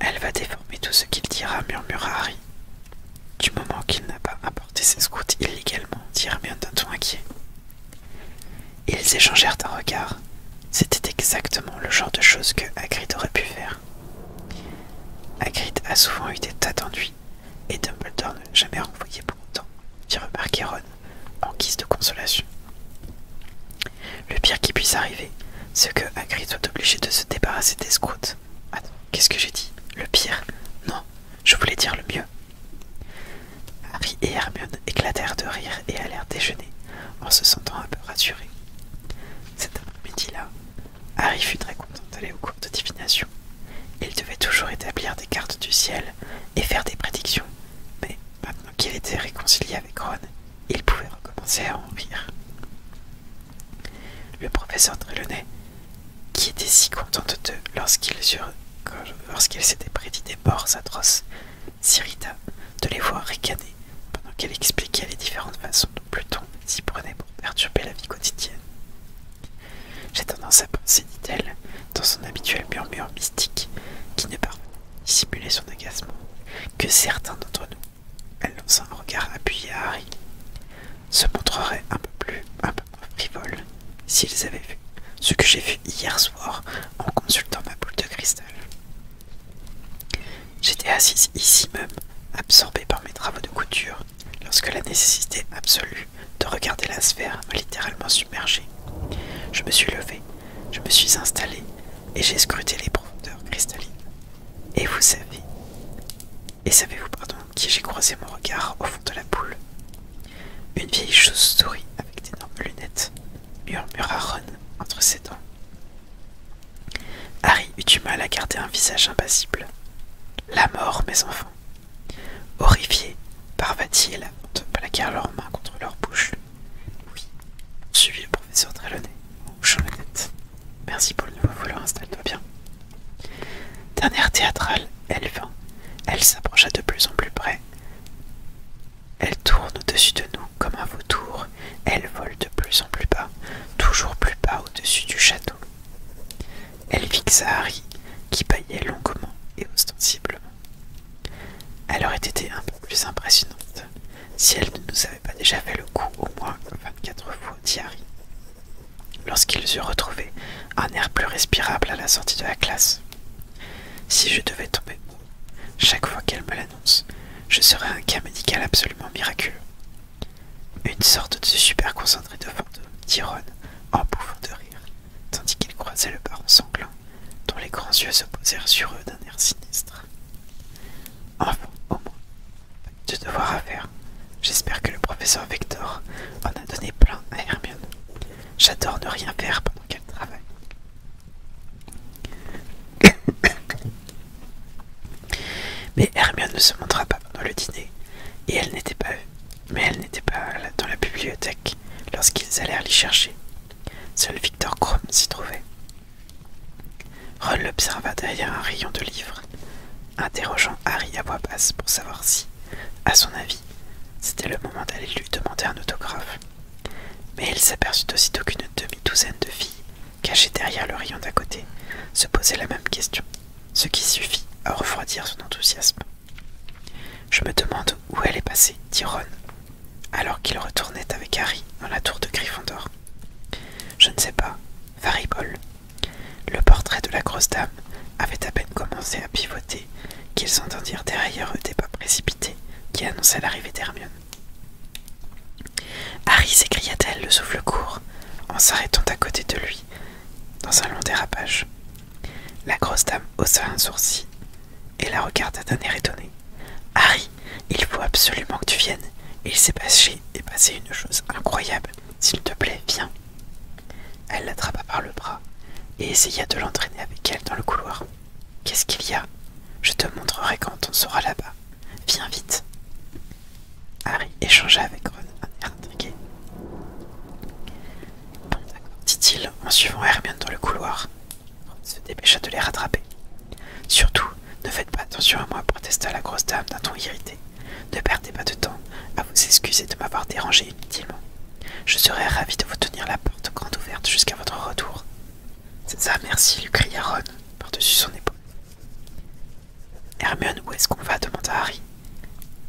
Elle va déformer tout ce qu'il dira, murmura Harry. Du moment qu'il n'a pas apporté ses scouts illégalement, dit Hermione d'un ton inquiet. Ils échangèrent un regard. C'était exactement le genre de chose que Hagrid aurait pu faire. Hagrid a souvent eu des tas et Dumbledore ne jamais renvoyé pour autant, dit remarquer Ron, en guise de consolation. Le pire qui puisse arriver, c'est que Agri soit obligé de se débarrasser des scouts. Attends, qu'est-ce que j'ai dit Le pire Non, je voulais dire le mieux. Harry et Hermione éclatèrent de rire et allèrent déjeuner, en se sentant un peu rassurés. Cet après-midi-là, Harry fut très content d'aller au cours de divination. Il devait toujours établir des cartes du ciel et faire des prédictions, mais maintenant qu'il était réconcilié avec Ron, il pouvait recommencer à en rire. Le professeur Trelawney, qui était si content de d'eux lorsqu'il s'étaient s'était prédit des morts atroces, s'irrita de les voir ricaner pendant qu'elle expliquait les différentes façons dont Pluton s'y prenait pour perturber la vie quotidienne. J'ai tendance à penser, dit-elle, dans son habituel murmure mystique, qui ne pas à dissimuler son agacement, que certains d'entre nous, elle lança un regard appuyé à Harry, se montreraient un peu plus, un frivoles, s'ils avaient vu ce que j'ai vu hier soir en consultant ma boule de cristal. J'étais assise ici même, absorbée par mes travaux de couture, lorsque la nécessité absolue de regarder la sphère m'a littéralement submergé. Je me suis levé, je me suis installé et j'ai scruté les profondeurs cristallines. Et vous savez, et savez-vous pardon, qui j'ai croisé mon regard au fond de la boule Une vieille chauve-souris avec d'énormes lunettes, murmura Ron entre ses dents. Harry eut du mal à garder un visage impassible. La mort, mes enfants. Horrifiés, Parvati et la te plaquèrent leurs mains contre leur bouche. Oui, suivit le professeur Trelawney Merci pour le nouveau volant, installe-toi bien. Dernière théâtrale, elle vint. Elle s'approcha de plus en plus près. Elle tourne au-dessus de nous comme un vautour. Elle vole de plus en plus bas, toujours plus bas au-dessus du château. Elle fixa Harry, qui payait longuement et ostensiblement. Elle aurait été un peu plus impressionnante si elle ne nous avait pas déjà fait le coup au moins vingt-quatre fois, dit Harry, lorsqu'ils eurent retrouvé un air plus respirable à la sortie de la classe. Si je devais tomber, chaque fois qu'elle me l'annonce, je serais un cas médical absolument miraculeux. Une sorte de super concentré de fantômes, tironne en bouffant de rire, tandis qu'il croisait le baron sanglant, dont les grands yeux se posèrent sur eux d'un air sinistre. Enfin, au moins, de devoir à faire. J'espère que le professeur Vector en a donné plein à Hermione. J'adore ne rien faire pendant qu'elle travaille. Mais Hermione ne se montra pas pendant le dîner, et elle n'était pas mais elle n'était pas dans la bibliothèque lorsqu'ils allèrent l'y chercher. Seul Victor Krom s'y trouvait. Ron l'observa derrière un rayon de livres, interrogeant Harry à voix basse pour savoir si, à son avis, c'était le moment d'aller lui demander un autographe. Mais il s'aperçut aussitôt qu'une demi-douzaine de filles, cachées derrière le rayon d'à côté, se posaient la même question ce qui suffit à refroidir son enthousiasme. Je me demande où elle est passée, dit Ron, alors qu'il retournait avec Harry dans la tour de Gryffondor. Je ne sais pas, Varibol. Le portrait de la grosse dame avait à peine commencé à pivoter qu'ils entendirent derrière eux des pas précipités qui annonçaient l'arrivée d'Hermione. Harry s'écria-t-elle le souffle court en s'arrêtant à côté de lui dans un long dérapage. La grosse dame haussa un sourcil et la regarda d'un air étonné. Harry, il faut absolument que tu viennes. Il s'est passé, et passé une chose incroyable. S'il te plaît, viens. Elle l'attrapa par le bras et essaya de l'entraîner avec elle dans le couloir. Qu'est-ce qu'il y a Je te montrerai quand on sera là-bas. Viens vite. Harry échangea avec Ron un air intrigué. d'accord, dit-il en suivant Hermione dans le couloir. Ron se dépêcha de les rattraper. Surtout, ne faites pas attention à moi, protesta la grosse dame d'un ton irrité. Ne perdez pas de temps à vous excuser de m'avoir dérangé inutilement. Je serais ravi de vous tenir la porte grande ouverte jusqu'à votre retour. C'est ça, merci, lui cria Ron par-dessus son épaule. Hermione, où est-ce qu'on va demanda Harry.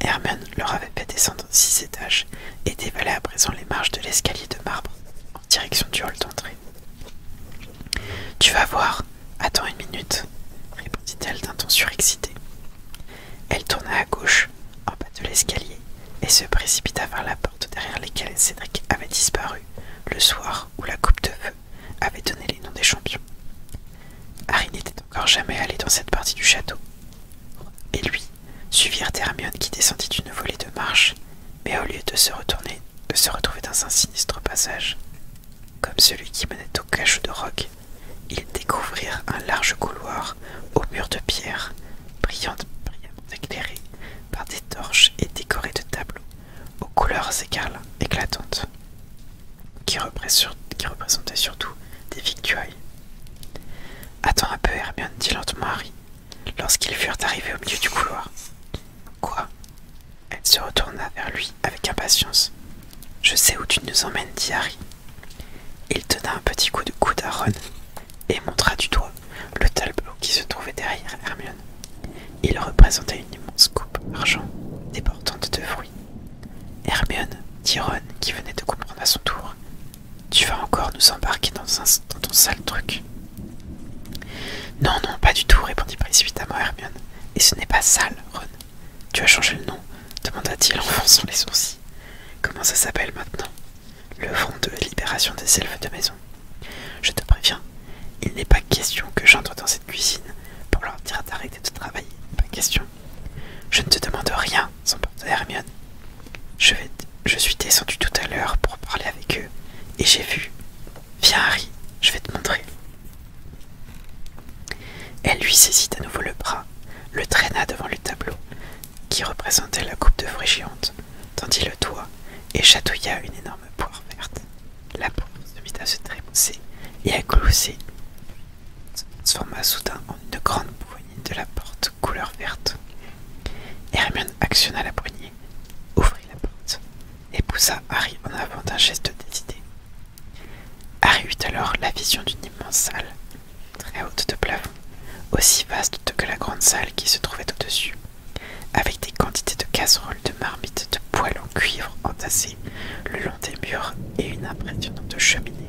Hermione leur avait fait descendre six étages et dévalait à présent les marches de l'escalier de marbre en direction du hall d'entrée. Tu vas voir, attends une minute, répondit-elle d'un ton surexcité. Elle tourna à gauche, en bas de l'escalier, et se précipita vers la porte derrière laquelle Cédric avait disparu le soir où la coupe de feu avait donné les noms des champions. Harry n'était encore jamais allé dans cette partie du château. Et lui suivirent Hermione qui descendit une volée de marches, mais au lieu de se retourner, de se retrouver dans un sinistre passage, comme celui qui menait au cachot de roc, ils découvrirent un large couloir aux murs de pierre, brillamment éclairé par des torches et décoré de tableaux aux couleurs écarlates éclatantes qui, représentait surtout des victuailles. Attends un peu, Hermione, dit lentement Harry, lorsqu'ils furent arrivés au milieu du couloir. Quoi Elle se retourna vers lui avec impatience. Je sais où tu nous emmènes, dit Harry. Il tenait un petit coup de coude à Ron et montra du doigt le tableau qui se trouvait derrière Hermione. Il représentait une immense coupe d'argent débordante de fruits. Hermione dit Ron, qui venait de comprendre à son tour. Tu vas encore nous embarquer dans, dans ton sale truc. Non, non, pas du tout, répondit précipitamment Hermione. Et ce n'est pas sale, Ron. Tu as changé le nom demanda-t-il en fronçant les sourcils. Comment ça s'appelle maintenant Le Front de libération des elfes de maison. Je te préviens, il n'est pas question que j'entre dans cette cuisine pour leur dire d'arrêter de travailler. Pas question. Je ne te demande rien, s'emporta Hermione. Je, je suis descendue tout à l'heure pour parler avec eux, et j'ai vu. Viens, Harry, je vais te montrer. Elle lui saisit à nouveau le bras, le traîna devant le tableau, qui représentait la coupe de fruits géante, tendit le doigt et chatouilla une énorme poire verte. La poire se mit à se trémousser et à glousser, se transforma soudain en une grande poignée de la porte couleur verte. Hermione actionna la poignée, ouvrit la porte et poussa Harry en avant d'un geste décidé. Harry eut alors la vision d'une immense salle, très haute de plafond, aussi vaste que la grande salle qui se trouvait au-dessus, avec des quantités de casseroles, de marmites, de poêles en cuivre entassées le long des murs et une impressionnante cheminée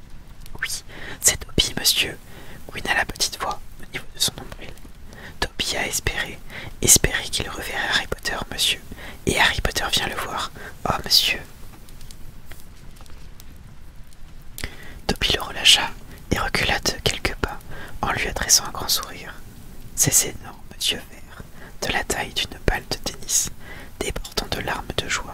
oui, c'est Toby, monsieur, Gwyn la petite voix, au niveau de son nombril. Toby a espéré, espéré qu'il reverrait Harry Potter, monsieur, et Harry Potter vient le voir. Oh, monsieur. Toby le relâcha et recula de quelques pas en lui adressant un grand sourire. Ces énormes yeux verts, de la taille d'une balle de tennis, débordant de larmes de joie,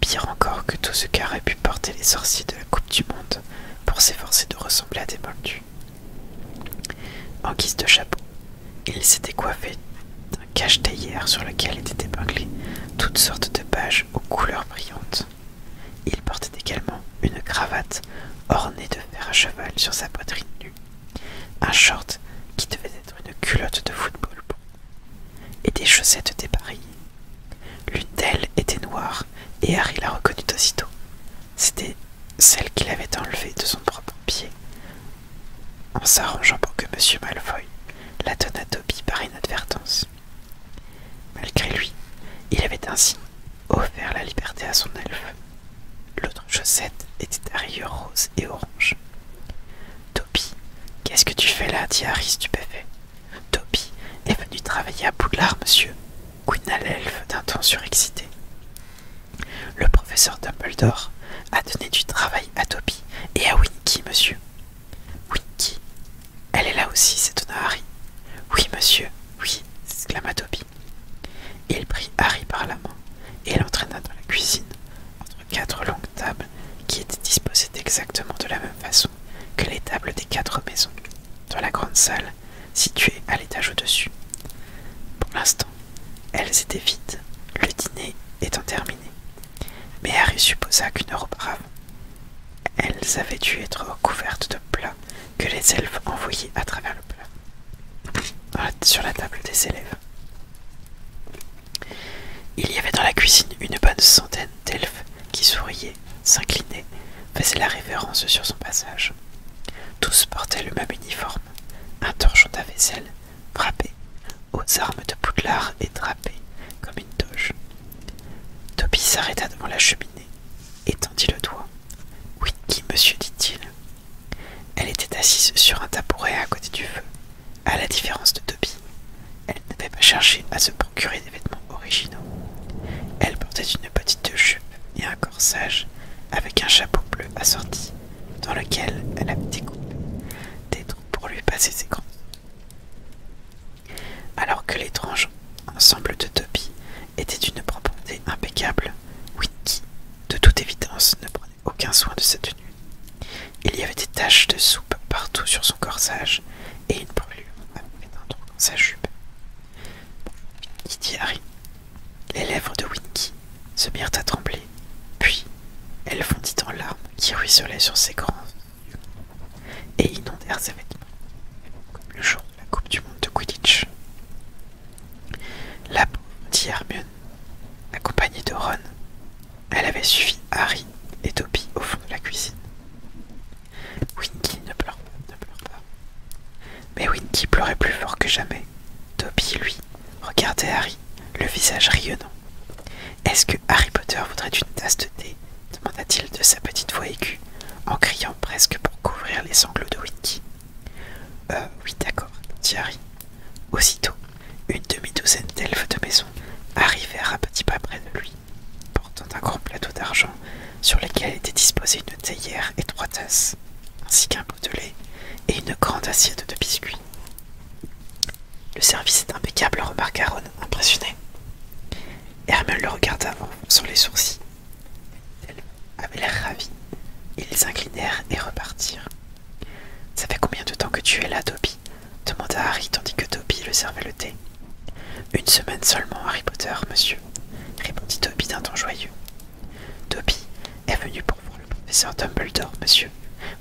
Pire encore que tout ce qu'auraient pu porter les sorciers de la Coupe du Monde pour s'efforcer de ressembler à des moldus. En guise de chapeau, il s'était coiffé d'un cache-taillère sur lequel étaient épinglées toutes sortes de pages aux couleurs brillantes. Il portait également une cravate ornée de fer à cheval sur sa poitrine nue, un short qui devait être une culotte de football et des chaussettes dépareillées. L'une d'elles était noire, et Harry la reconnut aussitôt. C'était celle qu'il avait enlevée de son propre pied, en s'arrangeant pour que M. Malfoy la donne à Toby par inadvertance. Malgré lui, il avait ainsi offert la liberté à son elfe. L'autre chaussette était à rose et orange. Toby, qu'est-ce que tu fais là dit Harry stupéfait. Toby est venu travailler à Boudlard, monsieur, couina l'elfe d'un ton surexcité. Le professeur Dumbledore a donné du travail à Toby et à Winky, monsieur. Winky Elle est là aussi, s'étonna Harry. Oui, monsieur, oui, s'exclama Toby. Il prit Harry par la main et l'entraîna dans la cuisine, entre quatre longues tables qui étaient disposée exactement de la même façon que les tables des quatre maisons, dans la grande salle située à l'étage au-dessus. Pour l'instant, elles étaient vides, le dîner étant terminé. Mais Harry supposa qu'une heure auparavant, elles avaient dû être recouvertes de plats que les elfes envoyaient à travers le plat sur la table des élèves. Il y avait dans la cuisine une bonne centaine d'elfes qui souriaient, s'inclinaient, faisaient la révérence sur son passage. Tous portaient le même uniforme, un torchon à vaisselle, frappé, aux armes de poudlard et drapé comme une toge. Toby s'arrêta devant la cheminée, étendit le doigt. Oui, qui, monsieur, dit-il. Elle était assise sur un tabouret à côté du feu, à la différence de Toby, elle n'avait pas cherché à se procurer des vêtements originaux. Elle portait une petite jupe et un corsage avec un chapeau bleu assorti dans lequel elle avait découpé des trous pour lui passer ses yeux. Alors que l'étrange ensemble de Toby était d'une propreté impeccable, Whitney, de toute évidence, ne prenait aucun soin de sa tenue. Il y avait des taches de soupe partout sur son corsage et une brûlure à un trou dans sa jupe. Il dit Les lèvres de Winky se mirent à trembler, puis elle fondit en larmes qui ruisselaient sur ses grands yeux et inondèrent ses vêtements, comme le jour de la Coupe du Monde de Quidditch. La dit Hermione, accompagnée de Ron, elle avait suivi Harry et Toby au fond de la cuisine. Winky ne pleure, ne pleure pas. Mais Winky pleurait plus fort que jamais. Toby, lui, regardait Harry, le visage rayonnant. Est-ce que Harry Potter voudrait une tasse de thé demanda-t-il de sa petite voix aiguë, en criant presque pour couvrir les sanglots de Winky. Euh, oui, d'accord, dit Harry. Aussitôt, une demi-douzaine d'elfes de maison arrivèrent à petits pas près de lui, portant un grand plateau d'argent sur lequel était disposée une théière et trois tasses, ainsi qu'un pot de lait et une grande assiette de biscuits. Le service est impeccable, remarqua Ron, impressionné. Hermione le regarda sur les sourcils. Elle avait l'air ravie. Ils inclinèrent et repartirent. Ça fait combien de temps que tu es là, Toby ?» demanda Harry tandis que Toby le servait le thé. Une semaine seulement, Harry Potter, monsieur, répondit Toby d'un ton joyeux. Toby est venu pour voir le professeur Dumbledore, monsieur.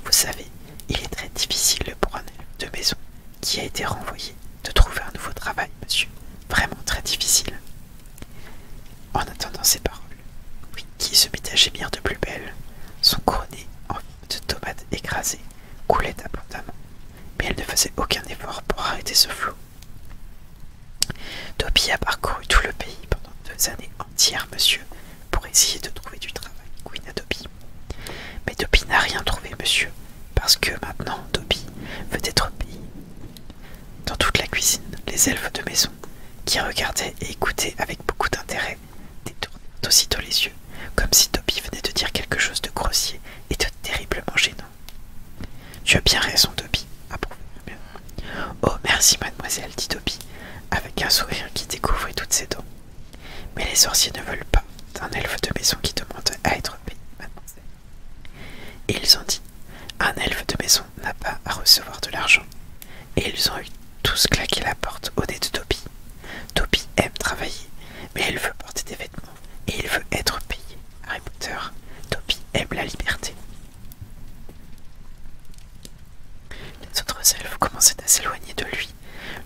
Vous savez, il est très difficile pour un élève de maison qui a été renvoyé de trouver un nouveau travail, monsieur. Vraiment très difficile. En attendant ces paroles, qui se mit à gémir de plus belle, son couronné en de tomates écrasées coulaient abondamment, mais elle ne faisait aucun effort pour arrêter ce flot. Dobby a parcouru tout le pays pendant deux années entières, monsieur, pour essayer de trouver du travail, Queen Mais Dobby n'a rien trouvé, monsieur, parce que maintenant Dobby veut être payé. Dans toute la cuisine, les elfes de maison, qui regardaient et écoutaient avec beaucoup d'intérêt détourne aussitôt les yeux, comme si Toby venait de dire quelque chose de grossier et de terriblement gênant. Tu as bien raison, Toby, Oh, merci, mademoiselle, dit Toby, avec un sourire qui découvrit toutes ses dents. Mais les sorciers ne veulent pas d'un elfe de maison qui demande à être payé, mademoiselle. Et ils ont dit Un elfe de maison n'a pas à recevoir de l'argent. Et ils ont eu tous claqué la porte au nez de Toby Toby aime travailler, mais elle veut porter des vêtements et il veut être payé. Harry Potter, Toby aime la liberté. Les autres elfes commençaient à s'éloigner de lui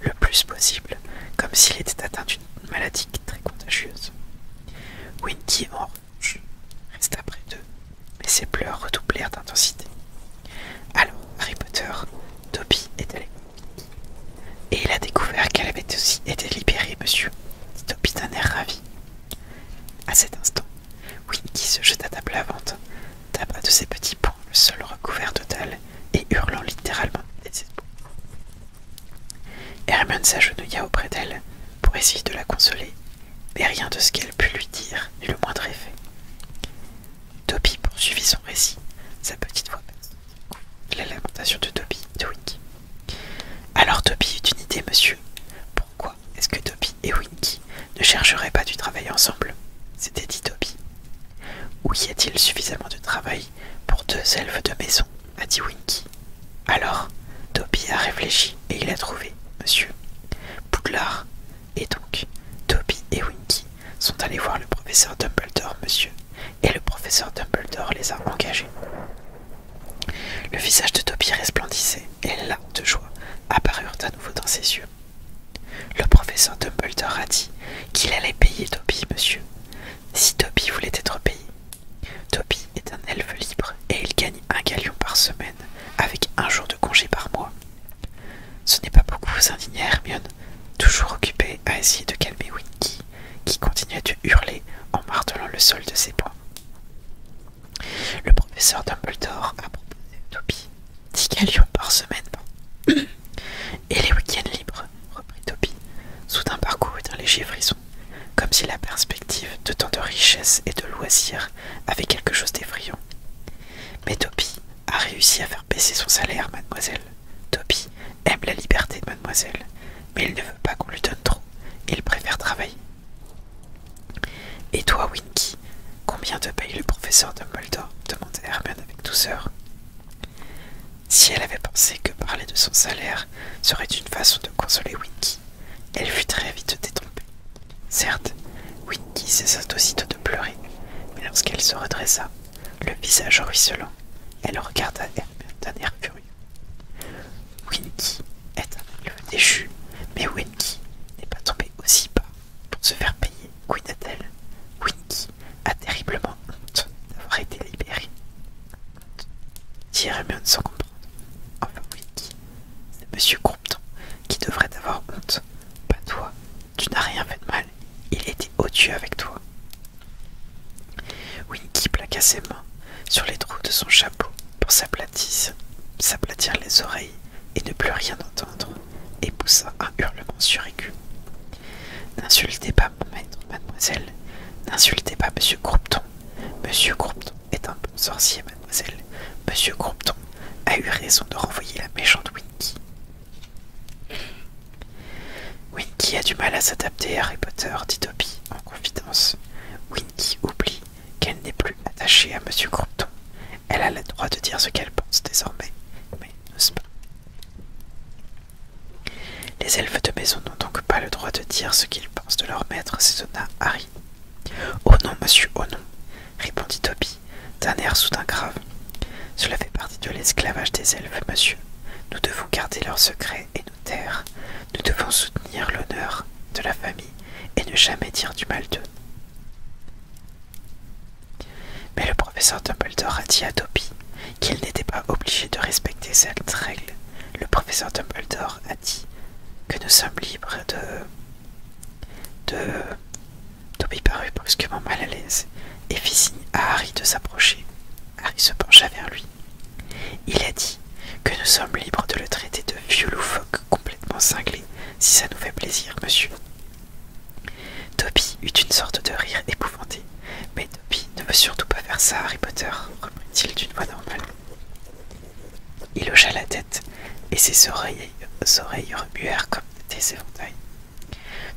le plus possible, comme s'il était atteint d'une maladie très contagieuse. Wendy, en revanche, resta près d'eux, mais ses pleurs redoublèrent d'intensité. Alors, Harry Potter, Toby est allé et il a découvert qu'elle avait aussi été libérée, monsieur, dit Toby d'un air ravi. À cet instant, Winky se jeta table à vente, tapa de ses petits ponts le sol recouvert total, et hurlant littéralement des s'agenouilla auprès d'elle pour essayer de la consoler, mais rien de ce qu'elle put lui dire n'eut le moindre effet. Toby poursuivit son récit, sa petite voix basse. La lamentation de Toby, de Winky. Alors Toby eut une idée, monsieur. Pourquoi est-ce que Toby et Winky ne chercheraient pas du travail ensemble C'était dit Toby. Où y a-t-il suffisamment de travail pour deux elfes de maison a dit Winky. Alors, Toby a réfléchi et il a trouvé, monsieur. Poudlard. Et donc, Toby et Winky sont allés voir le professeur Dumbledore, monsieur, et le professeur Dumbledore les a engagés. Le visage de Toby resplendissait, et la de joie apparurent à nouveau dans ses yeux. Le professeur Dumbledore a dit qu'il allait payer Toby, monsieur, si Toby voulait être payé. Toby est un elfe libre et il gagne un galion par semaine avec un jour de congé par mois. Ce n'est pas beaucoup, vous indignez Hermione, toujours occupé à essayer de calmer Winky, qui continuait de hurler en martelant le sol de ses poings. Le professeur Dumbledore a proposé à Toby 10 galions par semaine et les week-ends libres, reprit Toby, soudain et d'un léger frisson, comme si la perspective de tant de richesses et de loisirs avait quelque chose d'effrayant. Mais Toby a réussi à faire baisser son salaire, mademoiselle, Toby aime la liberté de mademoiselle, mais il ne veut pas qu'on lui donne trop. Il préfère travailler. Et toi, Winky, combien te paye le professeur de Moldor demanda Hermione avec douceur. Si elle avait pensé que parler de son salaire serait une façon de consoler Winky, elle fut très vite détrompée. Certes, Winky cessa aussitôt de pleurer, mais lorsqu'elle se redressa, le visage ruisselant. Elle regarda Hermione d'un air furieux. Winky est un déchu, mais Winky n'est pas tombé aussi bas pour se faire payer, cuida Winky a terriblement honte d'avoir été libéré. Honte, dit Hermione sans comprendre. Enfin, Winky, c'est Monsieur Compton qui devrait avoir honte, pas toi, tu n'as rien fait de mal. Il était odieux avec toi. Winky plaqua ses mains sur les trous de son chapeau pour s'aplatir les oreilles et ne plus rien entendre, et poussa un hurlement surécu. « N'insultez pas mon maître, mademoiselle. N'insultez pas monsieur Groupton. Monsieur Groupton est un bon sorcier, mademoiselle. Monsieur Groupton a eu raison de renvoyer la méchante Winky. Winky a du mal à s'adapter à Harry Potter, dit Toby en confidence. Winky oublie qu'elle n'est plus attachée à Monsieur Crompton. Elle a le droit de dire ce qu'elle pense désormais, mais n'ose pas. Les elfes de maison n'ont donc pas le droit de dire ce qu'ils pensent de leur maître, s'étonna Harry. Oh non, monsieur, oh non, répondit Toby d'un air soudain grave. Cela fait partie de l'esclavage des elfes, monsieur. Nous devons garder leurs secrets et nos taire. Nous devons soutenir l'honneur de la famille et ne jamais dire du mal d'eux. Mais le professeur Dumbledore a dit à Topi qu'il n'était pas obligé de respecter cette règle. Le professeur Dumbledore a dit que nous sommes libres de... de... Toby parut brusquement mal à l'aise et fit signe à Harry de s'approcher. Harry se pencha vers lui. Il a dit que nous sommes libres de le traiter de vieux loufoque complètement cinglé, si ça nous fait plaisir, monsieur. Toby eut une sorte de rire épouvanté. Mais Toby ne veut surtout pas faire ça, Harry Potter, reprit-il d'une voix normale. Il hocha la tête, et ses oreilles remuèrent comme des éventails.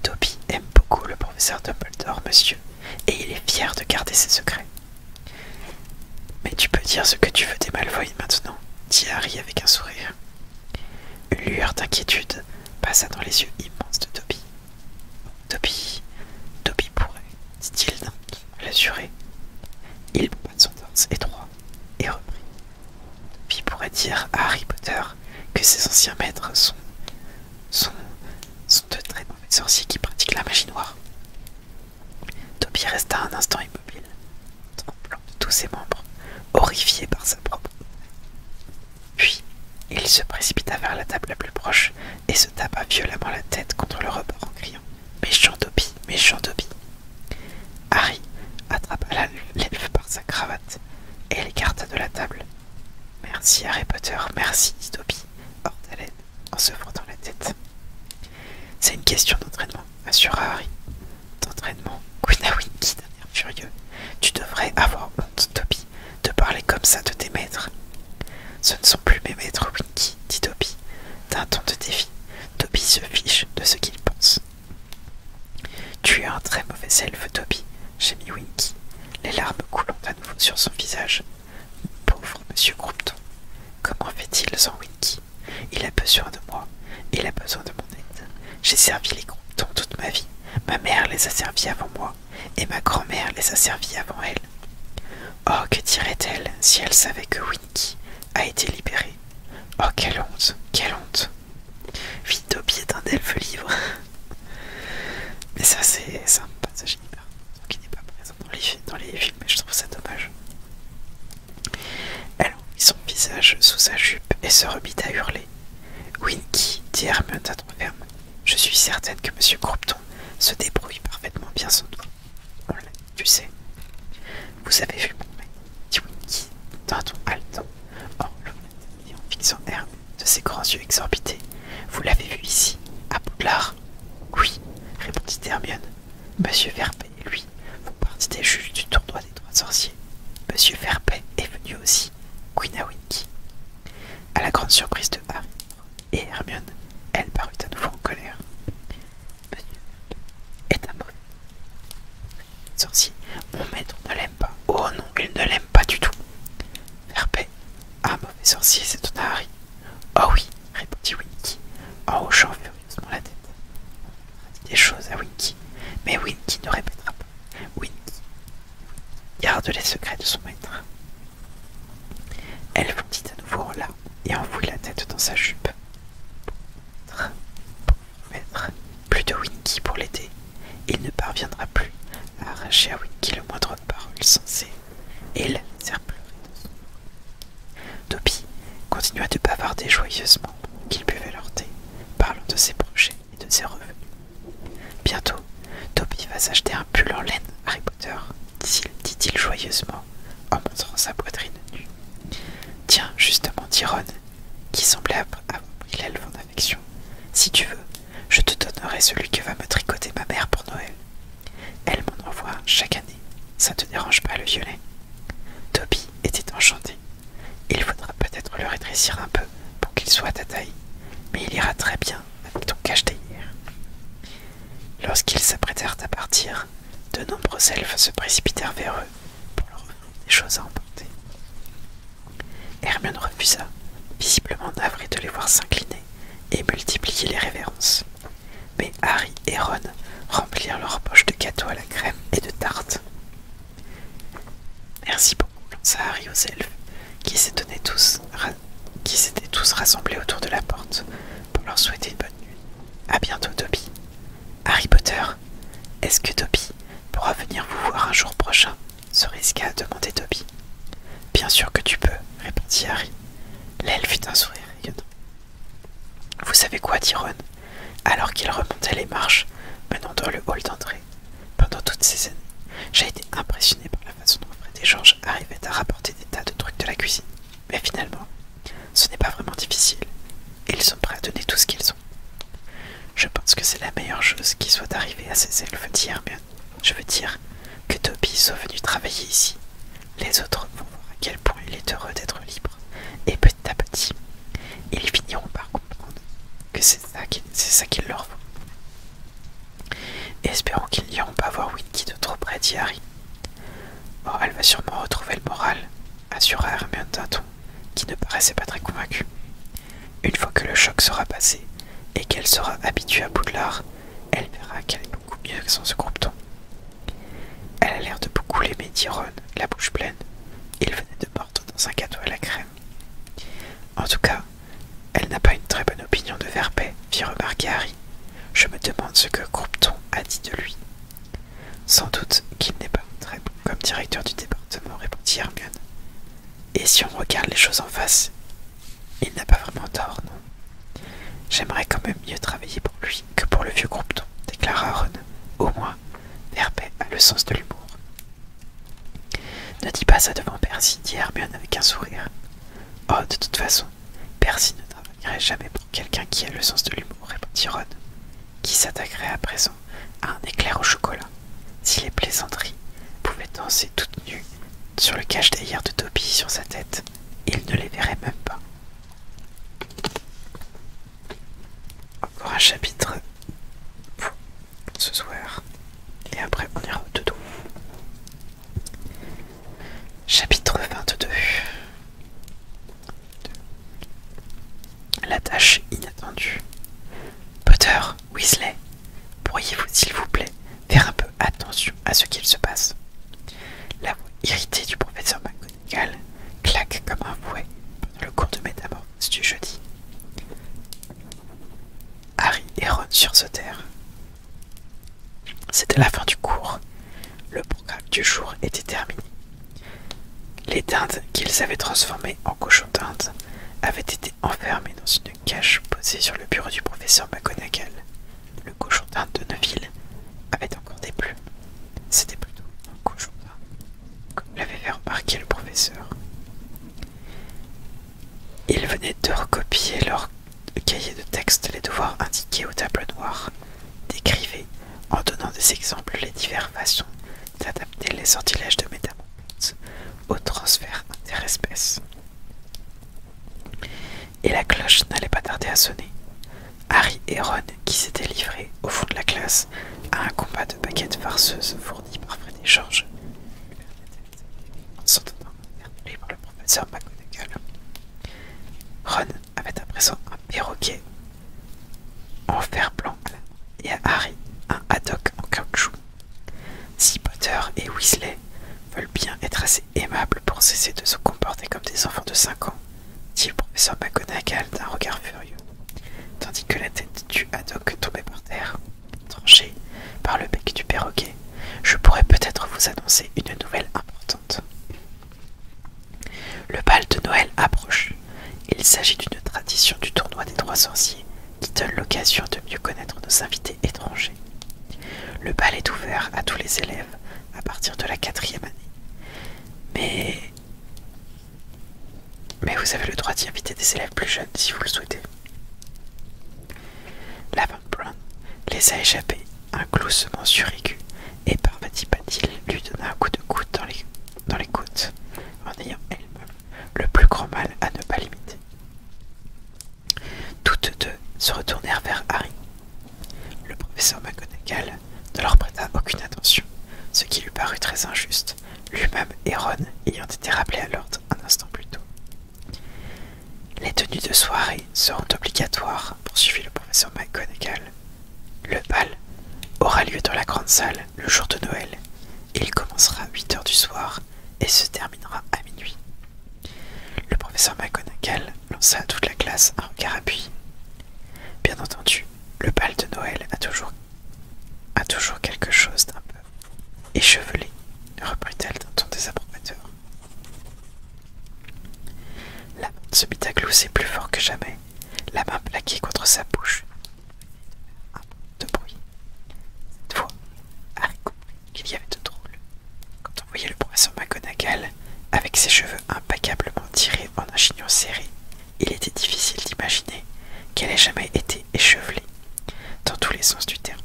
Toby aime beaucoup le professeur Dumbledore, monsieur, et il est fier de garder ses secrets. Mais tu peux dire ce que tu veux des Malfoy maintenant, dit Harry avec un sourire. Une lueur d'inquiétude passa dans les yeux immenses de Toby. Toby, Toby pourrait, dit-il l'assurer. Il bat son torse étroit et reprit. Toby pourrait dire à Harry Potter que ses anciens maîtres sont sont, sont de très mauvais sorciers qui pratiquent la magie noire. Toby resta un instant immobile, tremblant de tous ses membres, horrifié par sa propre. Puis, il se précipita vers la table la plus proche et se tapa violemment la tête contre le rebord en criant Méchant Toby méchant Toby !» Harry attrapa l'elfe par sa cravate et l'écarta de la table, Merci Harry Potter, merci, dit Dobby, hors d'haleine, en se frottant la tête. C'est une question d'entraînement, assure Harry. D'entraînement Quina Winky, d'un air furieux. Tu devrais avoir honte, Dobby, de parler comme ça de tes maîtres. Ce ne sont plus mes maîtres, Winky, dit Dobby, d'un ton de défi. Dobby se fiche de ce qu'il pense. Tu es un très mauvais elfe, Dobby, mis Winky, les larmes coulant à nouveau sur son visage. Pauvre monsieur Groupton, comment fait-il sans Winky Il a besoin de moi, il a besoin de mon aide. J'ai servi les Groupton toute ma vie, ma mère les a servis avant moi, et ma grand-mère les a servis avant elle. Oh, que dirait-elle si elle savait que Winky a été libérée Oh, quelle honte, quelle honte Vitopi est un elfe livre Mais ça, c'est un passage hyper il n'est pas présent dans les, films mais je trouve ça dommage. Elle mit son visage sous sa jupe et se remit à hurler. Winky, dit Hermione à ton ferme je suis certaine que Monsieur Gropton se débrouille parfaitement bien sans toi. tu sais. Vous avez vu mon mec, dit Winky d'un ton haletant, en il est en fixant Hermione de ses grands yeux exorbités. Vous l'avez vu ici, à Poudlard Oui, répondit Hermione. Monsieur Verpet et lui font partie des juges du tournoi des trois sorciers. Monsieur Verpet est venu aussi, Quinawinky. À la grande surprise de Harry et Hermione, elle parut à nouveau en colère. Monsieur est un sorcier, mon maître ne Oh non, il ne l'aime pas du tout. Herbet, ah, un mauvais sorcier, c'est ton Harry. Oh oui, répondit Winky, en hochant furieusement la tête. des choses à Winky, mais Winky ne répétera pas. Winky garde les secrets de son maître. Elle dit à nouveau là et enfouit la tête dans sa jupe. Maître, plus de Winky pour l'été. » Il ne parviendra plus à arracher à Winky le moindre parole sensée, et le faire pleurer de Toby continua de bavarder joyeusement qu'il buvait leur thé, parlant de ses projets et de ses revenus. Bientôt, Toby va s'acheter un pull en laine, Harry Potter, dit-il joyeusement en montrant sa poitrine nue. Tiens, justement, dit qui semblait avoir pris l'aile en affection, si tu veux, je te donnerai celui que va me tricoter ma mère pour Noël. Elle m'en envoie chaque année. Ça te dérange pas le violet Toby était enchanté. Il faudra peut-être le rétrécir un peu pour qu'il soit à ta taille, mais il ira très bien avec ton cache d'hier. Lorsqu'ils s'apprêtèrent à partir, de nombreux elfes se précipitèrent vers eux pour leur donner des choses à emporter. Hermione refusa, visiblement navré de les voir s'incliner et multiplier les révérences. Mais Harry et Ron remplirent leurs poches de gâteaux à la crème et de tartes. Merci beaucoup, lança Harry aux elfes, qui s'étaient tous, rassemblés autour de la porte pour leur souhaiter une bonne nuit. À bientôt, Toby. Harry Potter, est-ce que Toby pourra venir vous voir un jour prochain se risqua à demander Toby. Bien sûr que tu peux, répondit Harry. L'elfe fit un sourire rayonnant. Vous savez quoi, dit Ron, alors qu'il remontait les marches menant dans le hall d'entrée. Pendant toutes ces années, j'ai été impressionné par la façon dont Fred et George arrivaient à rapporter des tas de trucs de la cuisine. Mais finalement, ce n'est pas vraiment difficile. Et ils sont prêts à donner tout ce qu'ils ont. Je pense que c'est la meilleure chose qui soit arrivée à ces elfes, dit je veux dire que Toby soit venu travailler ici. Les autres vont voir à quel point il est heureux d'être libre. Et petit à petit, ils finiront par comprendre que c'est ça qu'il leur faut. Espérons qu'ils n'iront pas voir Winky de trop près, dit Harry. Oh, elle va sûrement retrouver le moral, assura Hermione d'un qui ne paraissait pas très convaincu. Une fois que le choc sera passé et qu'elle sera habituée à Boudlard, elle verra qu'elle est beaucoup mieux que son ce Elle a l'air de beaucoup l'aimer, dit Ron, la bouche pleine. Il venait de mordre dans un gâteau à la crème. En tout cas, elle n'a pas une très bonne opinion de Verpet, fit remarquer Harry. Je me demande ce que Croupton a dit de lui. Sans doute qu'il n'est pas très bon comme directeur du département, répondit Hermione. Et si on regarde les choses en face, il n'a pas vraiment tort, non J'aimerais quand même mieux travailler pour lui que pour le vieux croupeton, déclara Ron. Au moins, Herbey a le sens de l'humour. Ne dis pas ça devant Percy, dit Hermione avec un sourire. Oh, de toute façon, Percy ne travaillerait jamais pour quelqu'un qui a le sens de l'humour, répondit Ron, qui s'attaquerait à présent à un éclair au chocolat. Si les plaisanteries pouvaient danser toutes nues sur le cache d'ailleurs de Toby sur sa tête. Il ne les verrait même pas. Encore un chapitre ce soir. Et après on ira au dedans. Chapitre 22 La tâche inattendue. Potter Weasley, pourriez-vous, s'il vous plaît, faire un peu attention à ce qu'il se passe La voix irritée du professeur McGonagall claque comme un fouet pendant le cours de métamorphose du jeudi. Harry et Ron terre. C'était la fin du cours. Le programme du jour était terminé. Les dindes qu'ils avaient transformées en cochon dindes avaient été enfermé dans une cache posée sur le bureau du professeur McGonagall. Le cochon d'un de Neville avait encore des plumes. C'était plutôt un cochon d'un, comme l'avait fait remarquer le professeur. Il venait de recopier leur cahier de texte les devoirs indiqués au tableau noir, décrivait en donnant des exemples les diverses façons d'adapter les sortilèges de métamorphose au transfert interespèces. Et la cloche n'allait pas tarder à sonner. Harry et Ron, qui s'étaient livrés au fond de la classe à un combat de baguettes farceuses fournies par Fred George, par le professeur McGonagall. Ron avait à présent un perroquet en fer blanc et à Harry un haddock en caoutchouc. Si Potter et Weasley veulent bien être assez aimables pour cesser de se comporter comme des enfants de cinq ans, dit le professeur McGonagall d'un regard furieux, tandis que la tête du Haddock tombait par terre, tranchée par le bec du perroquet, je pourrais peut-être vous annoncer une nouvelle importante. Le bal de Noël approche. Il s'agit d'une tradition du tournoi des trois sorciers qui donne l'occasion de mieux connaître nos invités étrangers. Le bal est ouvert à tous les élèves à partir de la quatrième année. Mais... Mais vous avez le droit d'y inviter des élèves plus jeunes si vous le souhaitez. La Van Brown les a échappés, un gloussement surécu et par Patil lui donna un coup de coude dans les, dans les côtes, en ayant elle-même le plus grand mal à ne pas limiter. Toutes deux se retournèrent vers Harry. Le professeur McGonagall ne leur prêta aucune attention, ce qui lui parut très injuste, lui-même et Ron ayant été rappelés à l'ordre un instant plus tôt. Les tenues de soirée seront obligatoires, poursuivit le professeur McGonagall. Le bal aura lieu dans la grande salle le jour de Noël. Il commencera à 8 heures du soir et se terminera à minuit. Le professeur McGonagall lança à toute la classe un regard appuyé. Bien entendu, le bal de Noël a toujours, a toujours quelque chose d'un peu échevelé, reprit-elle d'un ton désapprobateur. La porte se mit à glousser plus fort que jamais, la main plaquée contre sa bouche. Un peu de bruit. Cette fois, qu'il y avait de drôle. Quand on voyait le professeur McGonagall, avec ses cheveux impeccablement tirés en un chignon serré, il était difficile d'imaginer qu'elle ait jamais été échevelée, dans tous les sens du terme.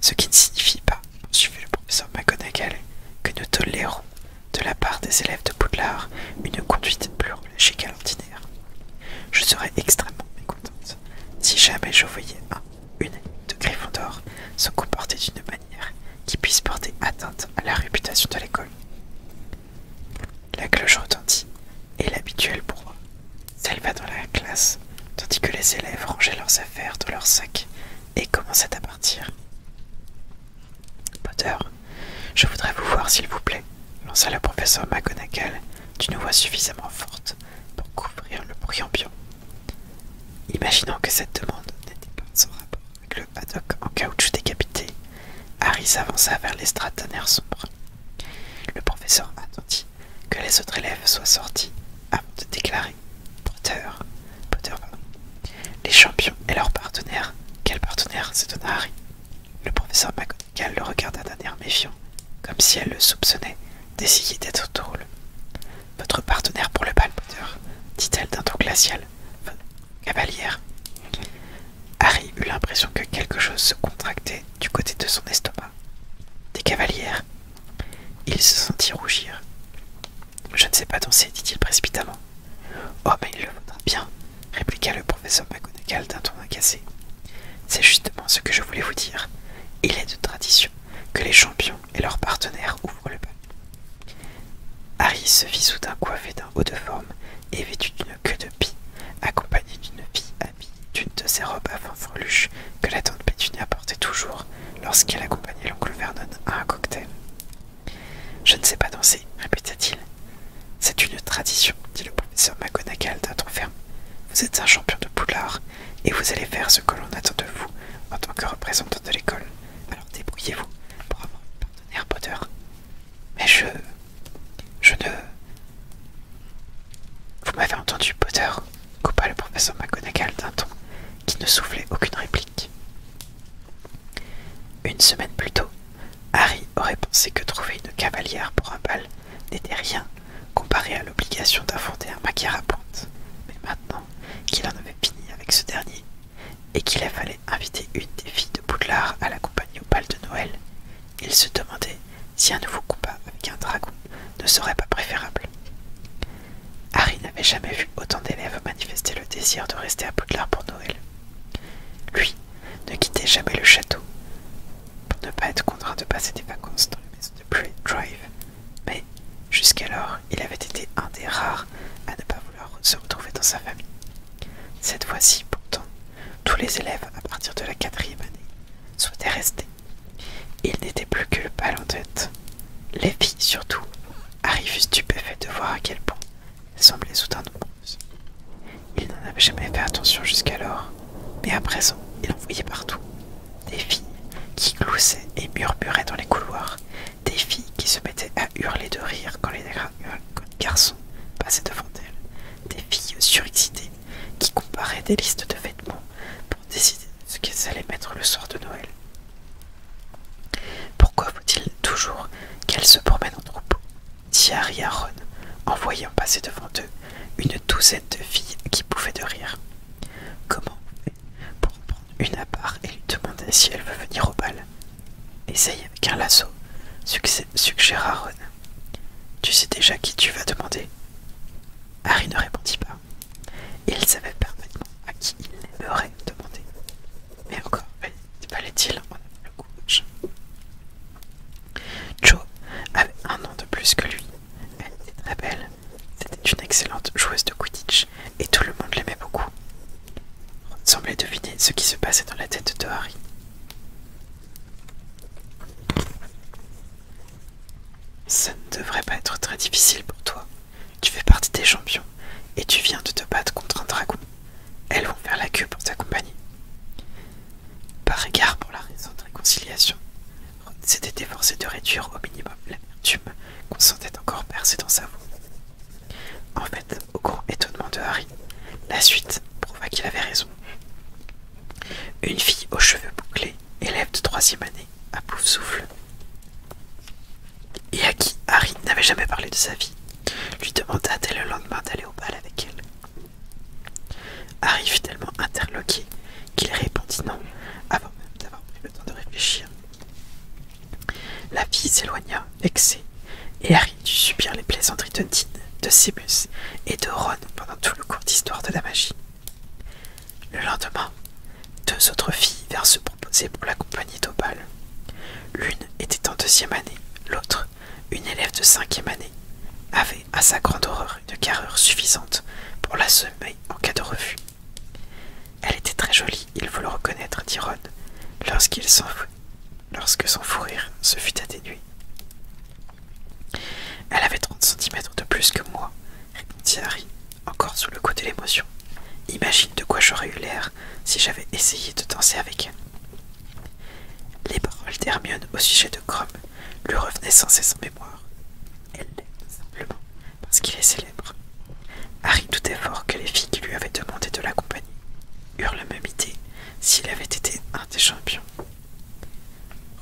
Ce qui ne signifie pas, poursuivit le professeur McGonagall, que nous tolérons, de la part des élèves de Poudlard, une conduite plus relâchée l'ordinaire. Je serais extrêmement mécontente si jamais je voyais un une de d'or se comportait d'une manière qui puisse porter atteinte à la réputation de l'école. La cloche retentit, et l'habituel bourreau s'éleva dans la classe, tandis que les élèves rangeaient leurs affaires dans leurs sacs et commençaient à partir. Potter, je voudrais vous voir s'il vous plaît, lança le professeur McGonagall d'une voix suffisamment forte pour couvrir le bruit ambiant. Imaginant que cette demande n'était pas sans rapport avec le paddock en caoutchouc décapité, Harry s'avança vers l'estrade d'un air sombre. Le professeur attendit que les autres élèves soient sortis avant de déclarer Potter, Potter les champions et leurs partenaires. Quel partenaire s'étonna Harry. Le professeur McGonagall le regarda d'un air méfiant, comme si elle le soupçonnait D'essayer d'être drôle. Votre partenaire pour le bal, dit-elle d'un ton glacial. Cavalière. Harry eut l'impression que quelque chose se contractait du côté de son estomac. Des cavalières. Il se sentit rougir. Je ne sais pas danser, dit-il précipitamment. Oh, mais il le faudra bien, répliqua le professeur McGonagall d'un ton incassé. C'est justement ce que je voulais vous dire. Il est de tradition que les champions et leurs partenaires ouvrent le bal. Harry se vit soudain coiffé d'un haut de forme et vêtu d'une queue de pie, accompagné d'une fille habillée d'une de ses robes à fin freluche que la tante Pétunia portait toujours lorsqu'elle accompagnait l'oncle Vernon à un cocktail. Je ne sais pas danser, répéta-t-il. C'est une tradition, dit le professeur McGonagall d'un ton ferme. Vous êtes un champion de poulard et vous allez faire ce que l'on attend de vous en tant que représentant de l'école. Alors débrouillez-vous pour avoir un partenaire, Potter. Mais je... Je ne... Vous m'avez entendu, Potter coupa le professeur McGonagall d'un ton qui ne soufflait aucune réplique. Une semaine plus tôt, Harry aurait pensé que trouver une cavalière pour un bal n'était rien comparé à l'obligation d'affronter un pointe. Mais maintenant qu'il en avait fini avec ce dernier, et qu'il fallu inviter une des filles de Poudlard à compagnie au bal de Noël, il se demandait si un nouveau combat avec un dragon ne serait pas préférable. Harry n'avait jamais vu autant d'élèves manifester le désir de rester à Poudlard pour Noël. Lui ne quittait jamais le château pour ne pas être contraint de passer des vacances dans la maison de Bray Drive mais jusqu'alors, il avait été un des rares à ne pas vouloir se retrouver dans sa famille. Cette fois-ci, pourtant, tous les élèves à partir de la quatrième année souhaitaient rester. Il n'était plus que le pal en tête. Les filles, surtout, arrivaient stupéfaites de voir à quel point elles semblaient soudain nombreuses. Il n'en avait jamais fait attention jusqu'alors, mais à présent, il en voyait partout, des filles qui gloussaient et murmuraient dans les couloirs, des filles qui se mettaient à hurler de rire quand les euh, garçons passaient devant elles, des filles surexcitées qui comparaient des listes de vêtements pour décider ce qu'elles allaient mettre le soir de Noël. Pourquoi faut-il toujours qu'elles se promènent en troupeau dit Harry en voyant passer devant eux une douzaine de filles qui pouvaient de rire. Comment Pour prendre une à part et lui demander si elle veut venir au bal. Essaye avec un lasso, Suggère Ron. Tu sais déjà qui tu vas demander Harry ne répondit pas. Il savait parfaitement à qui il aimerait demandé. Mais encore, fallait-il le Joe avait un an de plus que lui elle était très belle, c'était une excellente joueuse de Quidditch et tout le monde l'aimait beaucoup. On semblait deviner ce qui se passait dans la tête de Harry. Ça ne devrait pas être très difficile pour toi. Tu fais partie des champions et tu viens de te battre contre un dragon. Elles vont faire la queue pour t'accompagner. Par égard pour la raison de réconciliation, s'était efforcé de réduire au minimum l'amertume qu'on sentait encore percer dans sa voix. En fait, au grand étonnement de Harry, la suite prouva qu'il avait raison. Une fille aux cheveux bouclés, élève de troisième année, à pouf souffle, et à qui Harry n'avait jamais parlé de sa vie, lui demanda dès le lendemain d'aller au bal avec elle. Harry fut tellement interloqué qu'il répondit non, avant même d'avoir pris le temps de réfléchir. La fille s'éloigna, vexée, et Harry dut subir les plaisanteries de Dean, de Simus et de Ron pendant tout le cours d'histoire de la magie. Le lendemain, deux autres filles vinrent se proposer pour la compagnie d'Opal. L'une était en deuxième année, l'autre, une élève de cinquième année, avait à sa grande horreur une carrure suffisante pour la sommeil en cas de refus. Elle était très jolie, il faut le reconnaître, dit Ron, lorsqu'il lorsque son fou rire se fut atténué. Elle avait 30 cm de plus que moi, répondit Harry, encore sous le coup de l'émotion. Imagine de quoi j'aurais eu l'air si j'avais essayé de danser avec elle. Les paroles d'Hermione au sujet de Grom lui revenaient sans cesse en mémoire. Elle simplement parce qu'il est célèbre. Harry doutait fort que les filles qui lui avaient demandé de l'accompagner eurent la même idée s'il avait été un des champions.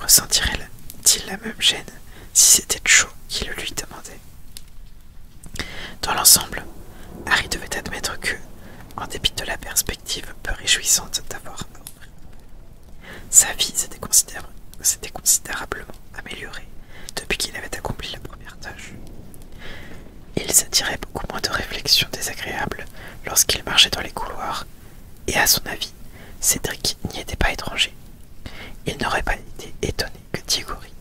Ressentirait-il la même gêne si c'était Cho qui le lui demandait Dans l'ensemble, Harry devait admettre que, en dépit de la perspective peu réjouissante d'avoir sa vie s'était considérablement améliorée depuis qu'il avait accompli la première tâche. Il s'attirait beaucoup moins de réflexions désagréables lorsqu'il marchait dans les couloirs, et à son avis, Cédric n'y était pas étranger. Il n'aurait pas été étonné que Tigori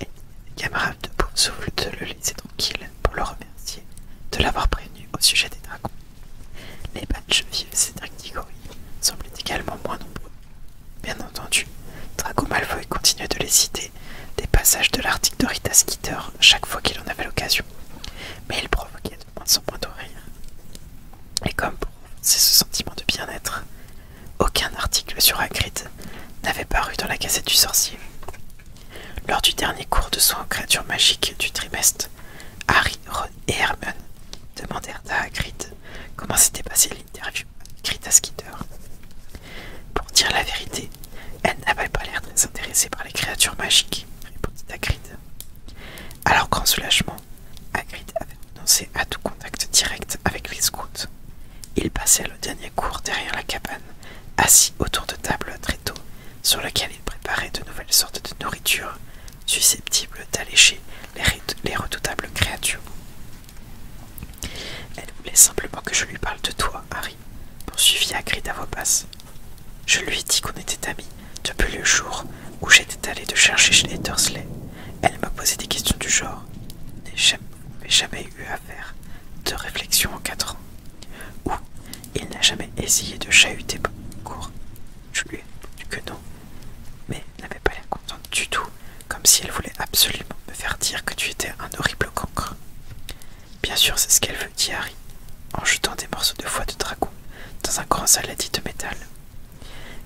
et camarades de Paume de le laisser tranquille pour le remercier de l'avoir prévenu au sujet des dragons. Les badges de Cédric Tigori semblaient également moins nombreux Bien entendu, Draco Malfoy continuait de les citer, des passages de l'article de Rita Skeeter chaque fois qu'il en avait l'occasion, mais il provoquait de moins en moins de Et comme c'est ce sentiment de bien-être, aucun article sur Hagrid n'avait paru dans la cassette du sorcier. Lors du dernier cours de soins aux créatures magiques du trimestre, Harry, et Hermione demandèrent à Hagrid comment s'était passée l'interview Skitter. Pour dire la vérité, elle n'avait pas l'air très intéressée par les créatures magiques, répondit Hagrid. Alors qu'en soulagement, Hagrid avait renoncé à tout contact direct avec les scouts. Il passait le dernier cours derrière la cabane, assis autour de table très tôt, sur laquelle il préparait de nouvelles sortes de nourriture susceptible d'alléger les redoutables créatures. Elle voulait simplement que je lui parle de toi, Harry, poursuivit Hagrid à voix basse. Je lui ai dit qu'on était amis depuis le jour où j'étais allé te chercher chez les Elle m'a posé des questions du genre. N'ai jamais, jamais eu à faire de réflexion en quatre ans. Ou il n'a jamais essayé de chahuter cours. Je lui ai dit que non, mais n'avait pas l'air contente du tout, comme si elle voulait absolument me faire dire que tu étais un horrible concre. Bien sûr, c'est ce qu'elle veut, dit Harry, en jetant des morceaux de foie de dragon dans un grand saladier de métal.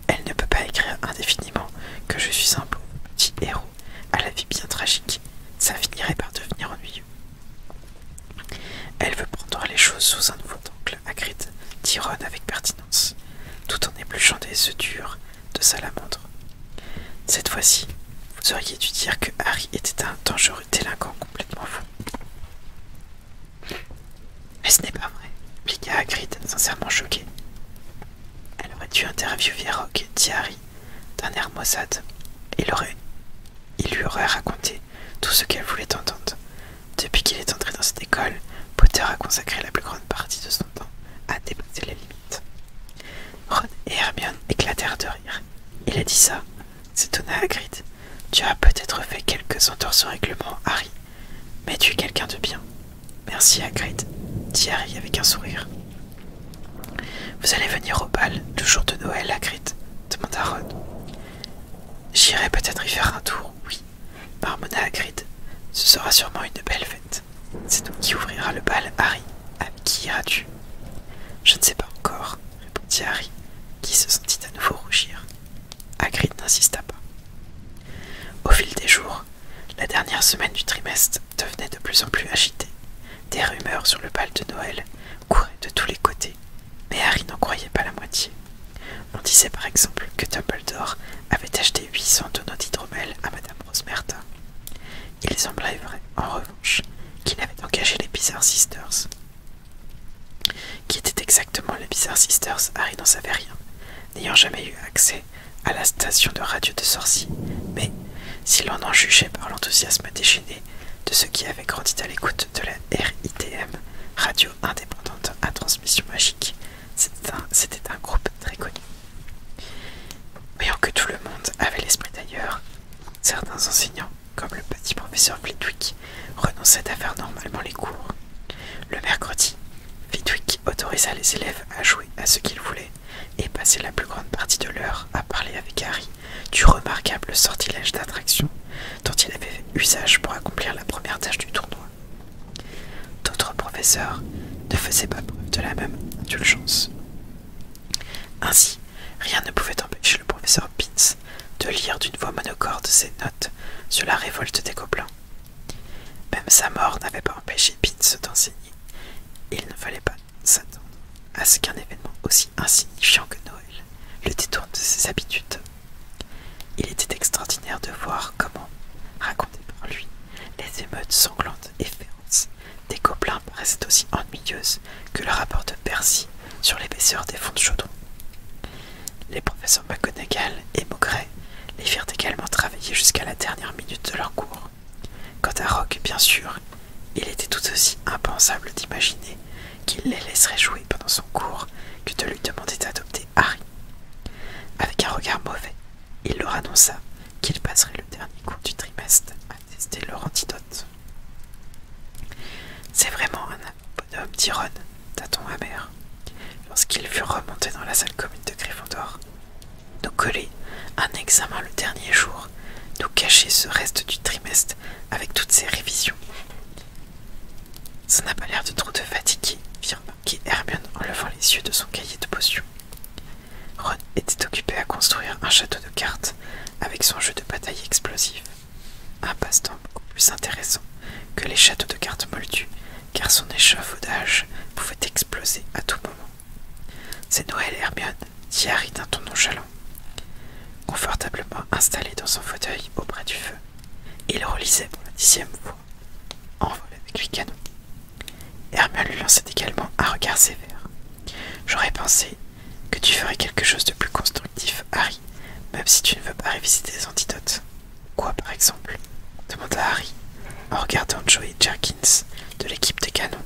Elle ne peut pas écrire indéfiniment que je suis un beau petit héros à la vie bien tragique, ça finirait par devenir ennuyeux. Elle veut prendre les choses sous un nouveau angle, acrite dit avec pertinence tout en épluchant des œufs durs de salamandre. Cette fois-ci, vous auriez dû dire que Harry était un dangereux délinquant complètement fou. Mais ce n'est pas vrai, répliqua Hagrid, sincèrement choquée. « Elle aurait dû interviewer Rogue, dit Harry, d'un air maussade. et Il lui aurait raconté tout ce qu'elle voulait entendre, depuis qu'il est entré dans cette école, Potter a consacré la plus grande partie de son temps à dépasser les limites. Ron et Hermione éclatèrent de rire. Il a dit ça, s'étonna Hagrid. Tu as peut-être fait quelques au règlement, Harry, mais tu es quelqu'un de bien. Merci, Hagrid, dit Harry avec un sourire. Vous allez venir au bal le jour de Noël, Hagrid demanda Ron. J'irai peut-être y faire un tour, oui, Marmonna Hagrid, ce sera sûrement une belle fête. C'est donc qui ouvrira le bal, Harry. À ah, qui iras-tu Je ne sais pas encore, répondit Harry, qui se sentit à nouveau rougir. Hagrid n'insista pas. Au fil des jours, la dernière semaine du trimestre devenait de plus en plus agitée. Des rumeurs sur le bal de Noël couraient de tous les côtés, mais Harry n'en croyait pas la moitié. On disait par exemple que Tumbledore avait acheté 800 tonneaux d'hydromel à Madame Rosmerta. Il semblait vrai, en revanche, qu'il avait engagé les Bizarre Sisters. Qui étaient exactement les Bizarre Sisters, Harry n'en savait rien, n'ayant jamais eu accès à la station de radio de sorciers, mais, si l'on en jugeait par l'enthousiasme déchaîné de ceux qui avaient grandi à l'écoute de la RITM, radio indépendante à transmission magique, c'était un, groupe très connu. Voyant que tout le monde avait l'esprit d'ailleurs, certains enseignants, comme le petit professeur Flitwick, renonçaient à faire normalement les cours. Le mercredi, Flitwick autorisa les élèves à jouer à ce qu'ils voulaient et passait la plus grande partie de l'heure à parler avec Harry du remarquable sortilège d'attraction dont il avait fait usage pour accomplir la première tâche du tournoi. D'autres professeurs ne faisaient pas preuve de la même indulgence. Ainsi, rien ne pouvait empêcher le professeur Pins de lire d'une voix monocorde ses notes sur la révolte des gobelins. Même sa mort n'avait pas empêché Pins d'enseigner. Il ne fallait pas s'attendre à ce qu'un événement aussi insignifiant que Noël le détourne de ses habitudes. Il était extraordinaire de voir comment, raconter par lui, les émeutes sanglantes et féroces des gobelins paraissaient aussi ennuyeuses que le rapport de Percy sur l'épaisseur des fonds de chaudron. Les professeurs McGonagall et Maugret les firent également travailler jusqu'à la dernière minute de leur cours. Quant à Rock, bien sûr, il était tout aussi impensable d'imaginer qu'il les laisserait jouer pendant son cours que de lui demander d'adopter Harry. Avec un regard mauvais, il leur annonça qu'il passerait le dernier cours du trimestre à tester leur antidote. C'est vraiment un bonhomme, dit Ron, t amer. Lorsqu'ils furent remontés dans la salle commune de Gryffondor, nous coller un examen le dernier jour, nous cacher ce reste du trimestre avec toutes ses révisions. Ça n'a pas l'air de trop te fatiguer, firma qui Hermione en levant les yeux de son cahier de potions. Ron était occupé à construire un château de cartes avec son jeu de bataille explosif Un passe-temps beaucoup plus intéressant que les châteaux de cartes moldus, car son échafaudage pouvait exploser à tout moment. C'est Noël, Hermione, qui Harry d'un ton nonchalant. Confortablement installé dans son fauteuil auprès du feu, il relisait pour la dixième fois. En vol avec les canons. Hermione lui lançait également un regard sévère. J'aurais pensé que tu ferais quelque chose de plus constructif, Harry, même si tu ne veux pas révisiter les antidotes. Quoi, par exemple demanda Harry en regardant Joey Jerkins de l'équipe des canons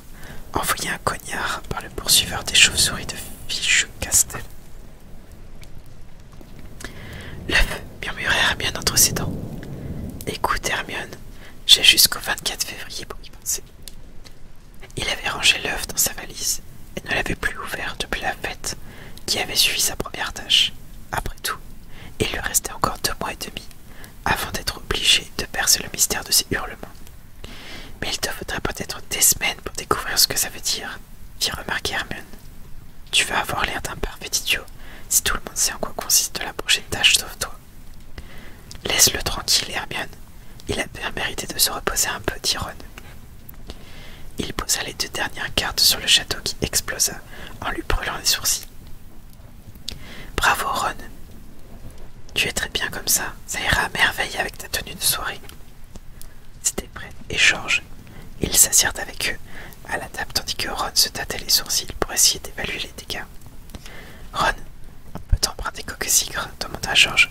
envoyer un cognard par le poursuiveur des chauves-souris de Fichu Castel. Murmurait Hermione entre ses dents. Écoute, Hermione, j'ai jusqu'au 24 février pour y penser. Il avait rangé l'œuf dans sa valise et ne l'avait plus ouvert depuis la fête qui avait suivi sa première tâche. Après tout, il lui restait encore deux mois et demi avant d'être obligé de percer le mystère de ses hurlements. Mais il te faudrait peut-être des semaines pour découvrir ce que ça veut dire, fit remarquer Hermione. Tu vas avoir l'air d'un parfait idiot si tout le monde sait en quoi consiste la prochaine tâche sauf toi. Laisse-le tranquille, Hermione. Il a bien mérité de se reposer un peu, dit Ron. Il posa les deux dernières cartes sur le château qui explosa en lui brûlant les sourcils. Bravo, Ron. Tu es très bien comme ça, ça ira à merveille avec ta tenue de soirée. C'était prêt et George, Ils s'assirent avec eux à la table tandis que Ron se tâtait les sourcils pour essayer d'évaluer les dégâts. Ron, peut-on coques Coquesigre demanda George.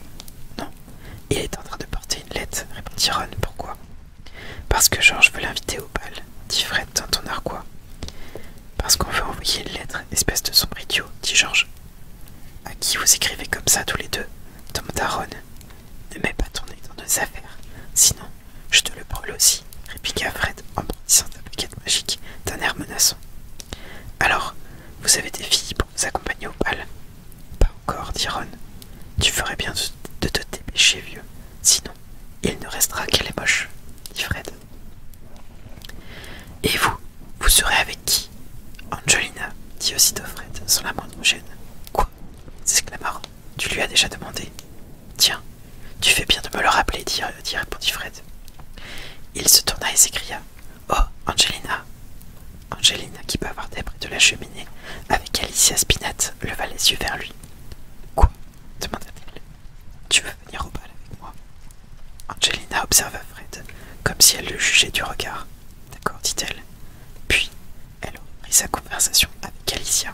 Non, il est en train de porter une lettre, répondit Ron. Pourquoi Parce que George veut l'inviter au bal, dit Fred dans ton arquois. Parce qu'on veut envoyer une lettre, espèce de sombre dit George. À qui vous écrivez comme ça tous les deux demanda Ron. Ne mets pas ton nez dans nos affaires, sinon je te le brûle aussi, répliqua Fred en brandissant sa baguette magique d'un air menaçant. Alors, vous avez des filles pour vous accompagner au bal Pas encore, dit Ron. Tu ferais bien de te dépêcher, vieux. Sinon, il ne restera qu'elle est moche, dit Fred. Et vous, vous serez avec qui Angelina, dit aussitôt Fred, sans la moindre gêne. Quoi s'exclamera. Tu lui as déjà demandé Tiens, tu fais bien de me le rappeler, euh, dit, répondit Fred. Il se tourna et s'écria Oh, Angelina Angelina, qui peut avoir des près de la cheminée, avec Alicia Spinat, leva les yeux vers lui. Quoi demanda-t-elle. Tu veux venir au bal avec moi Angelina observa Fred, comme si elle le jugeait du regard. D'accord, dit-elle. Puis, elle reprit sa conversation avec Alicia.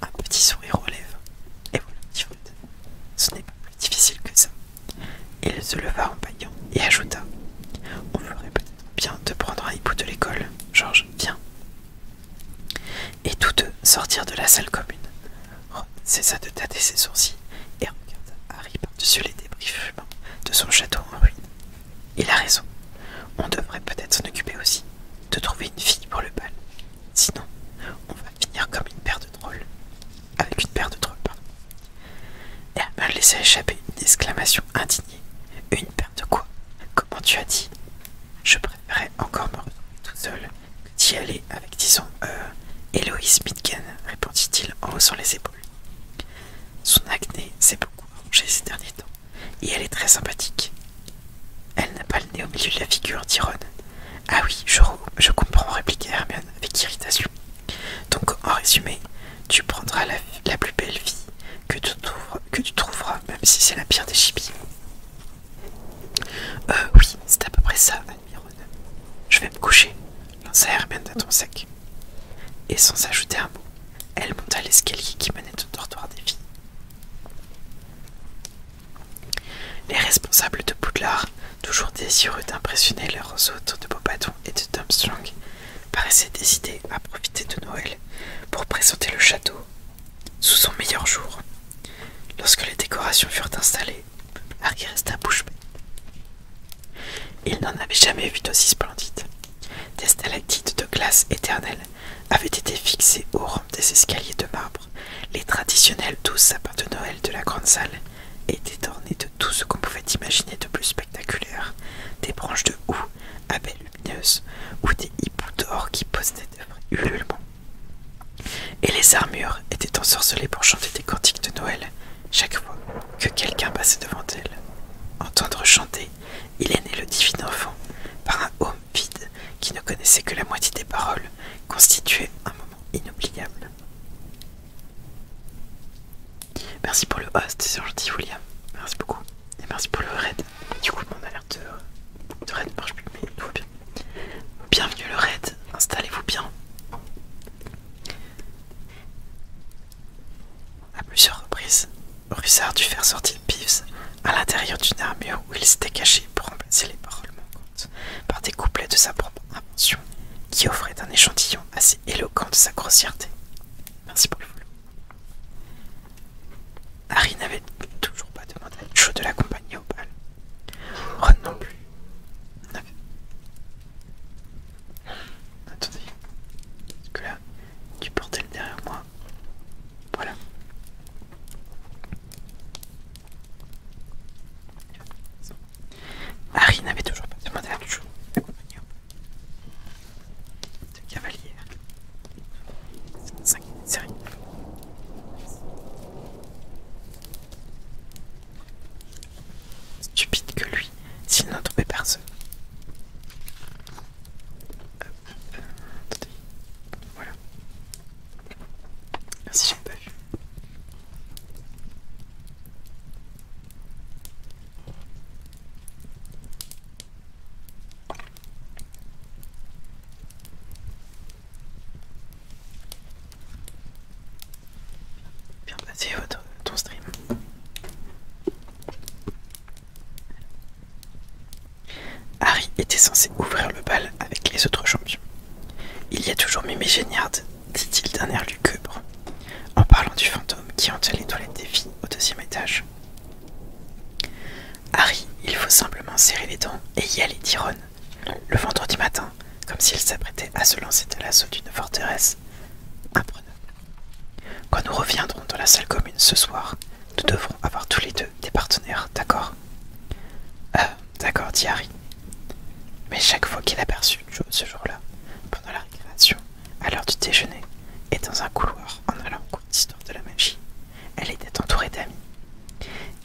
Un petit sourire relève Et voilà, Ce n'est pas plus difficile que ça. Il se leva en baillant et ajouta On ferait peut-être bien de prendre un hibou de l'école. Georges, viens. Et tous deux sortirent de la salle commune. Ron cessa de tâter ses sourcils et regarda Harry par-dessus les débris fumants de son château en ruine. Il a raison. On devrait peut-être s'en occuper aussi, de trouver une fille pour le bal. Sinon, on va finir comme une paire de trolls. Avec une paire de trolls, pardon. Herman laissé échapper une exclamation indignée. Une paire de quoi Comment tu as dit Je préférerais encore me retrouver tout seul que d'y aller avec, disons, euh, Héloïse Midgen, répondit-il en haussant les épaules. Son acné s'est beaucoup arrangé ces derniers temps et elle est très sympathique. Elle n'a pas le nez au milieu de la figure, dit Ron. Ah oui, je, je comprends, répliqua Hermione avec irritation. Donc, en résumé, tu prendras la, plus belle fille que tu, que trouveras, même si c'est la pire des chippies. Euh, oui, c'est à peu près ça, dit Je vais me coucher, lança Hermione d'un ton sec. Et sans ajouter un mot, elle monta l'escalier qui menait au dortoir des filles. Les responsables de Poudlard, toujours désireux d'impressionner leurs hôtes de Bobaton et de Dumstrong, paraissaient décidés à profiter de Noël pour présenter le château sous son meilleur jour. Lorsque les décorations furent installées, Harry resta bouche bée. Il n'en avait jamais vu d'aussi splendide. Des stalactites de glace éternelle avaient été fixées aux rampes des escaliers de marbre. Les traditionnels douze sapins de Noël de la grande salle étaient ornés de tout ce qu'on pouvait imaginer de plus spectaculaire, des branches de houx à baies lumineuses ou des hiboux d'or qui posaient des vrais Et les armures étaient ensorcelées pour chanter des cantiques de Noël chaque fois que quelqu'un passait devant elles. Entendre chanter, il est né le divin enfant par un homme vide, qui ne connaissait que la moitié des paroles, constituait un moment inoubliable. Merci pour le host, c'est gentil William. Merci beaucoup. Et merci pour le raid. Du coup, mon alerte euh, de, raid ne marche plus, mais tout va bien. Bienvenue le raid, installez-vous bien. À plusieurs reprises, Russard dû faire sortir Peeves à l'intérieur d'une armure où il s'était caché pour remplacer les paroles manquantes par des couplets de sa propre invention qui offraient un échantillon assez éloquent de sa grossièreté. Merci pour le Harry n'avait toujours pas demandé à Joe de l'accompagner au bal. Ron non plus. Attendez, parce que là, du bordel derrière moi. Voilà. Marie n'avait toujours pas demandé à de compagnon de cavalière. Stupide que lui, s'il n'a personne. Euh, euh, voilà. Merci, j'ai pas vu. Bien passé ton stream. Harry était censé ouvrir le bal avec les autres champions. Il y a toujours mes Géniard, dit-il d'un air lugubre, en parlant du fantôme qui dans les toilettes des filles au deuxième étage. Harry, il faut simplement serrer les dents et y aller, dit Ron. Le vendredi matin, comme s'il s'apprêtait à se lancer dans l'assaut d'une forteresse imprenable. Quand nous reviendrons dans la salle commune ce soir, nous devrons avoir tous les deux des partenaires, d'accord euh, D'accord, dit Mais chaque fois qu'il aperçut ce jour-là, pendant la récréation, à l'heure du déjeuner, et dans un couloir en allant au cours d'histoire de la magie, elle était entourée d'amis.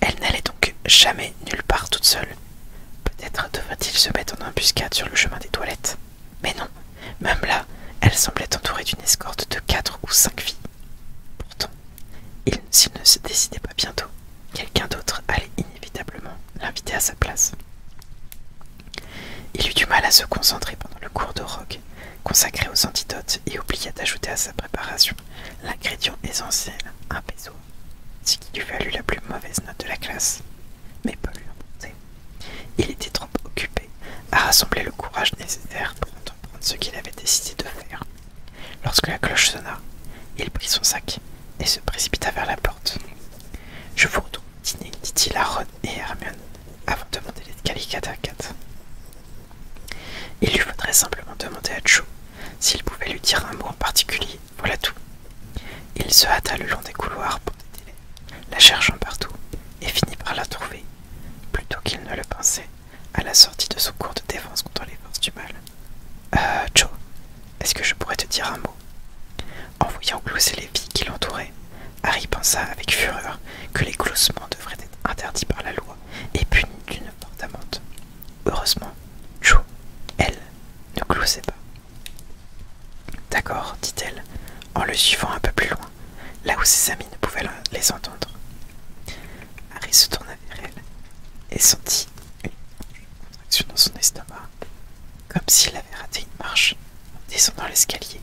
Elle n'allait donc jamais nulle part toute seule. Peut-être devrait-il se mettre en embuscade sur le chemin des toilettes. Mais non, même là, elle semblait entourée d'une escorte de quatre ou cinq filles. Pourtant, s'il ne se décidait pas bientôt, quelqu'un d'autre allait inévitablement l'inviter à sa place. Il eut du mal à se concentrer pendant le cours de rock, consacré aux antidotes, et oublia d'ajouter à sa préparation l'ingrédient essentiel, un peso, ce qui lui valut la plus mauvaise note de la classe. Mais Paul lui importait. Il était trop occupé à rassembler le courage nécessaire pour entreprendre ce qu'il avait décidé de faire. Lorsque la cloche sonna, il prit son sac et se précipita vers la porte. Je vous retrouve dîner, dit-il à Ron et Hermione, avant de demander les calicata à Kat. Il lui faudrait simplement demander à Joe s'il pouvait lui dire un mot en particulier, voilà tout. Il se hâta le long des couloirs pour des la cherchant partout, et finit par la trouver, plutôt qu'il ne le pensait à la sortie de son cours de défense contre les forces du mal. Euh, Joe, est-ce que je pourrais te dire un mot En voyant glousser les vies qui l'entouraient, Harry pensa avec fureur que les gloussements devraient être interdits par la loi et punis d'une mort amende. Heureusement, Joe, elle, ne gloussait pas. D'accord, dit-elle, en le suivant un peu plus loin, là où ses amis ne pouvaient les entendre. Harry se tourna et sentit une contraction dans son estomac, comme s'il avait raté une marche en descendant l'escalier.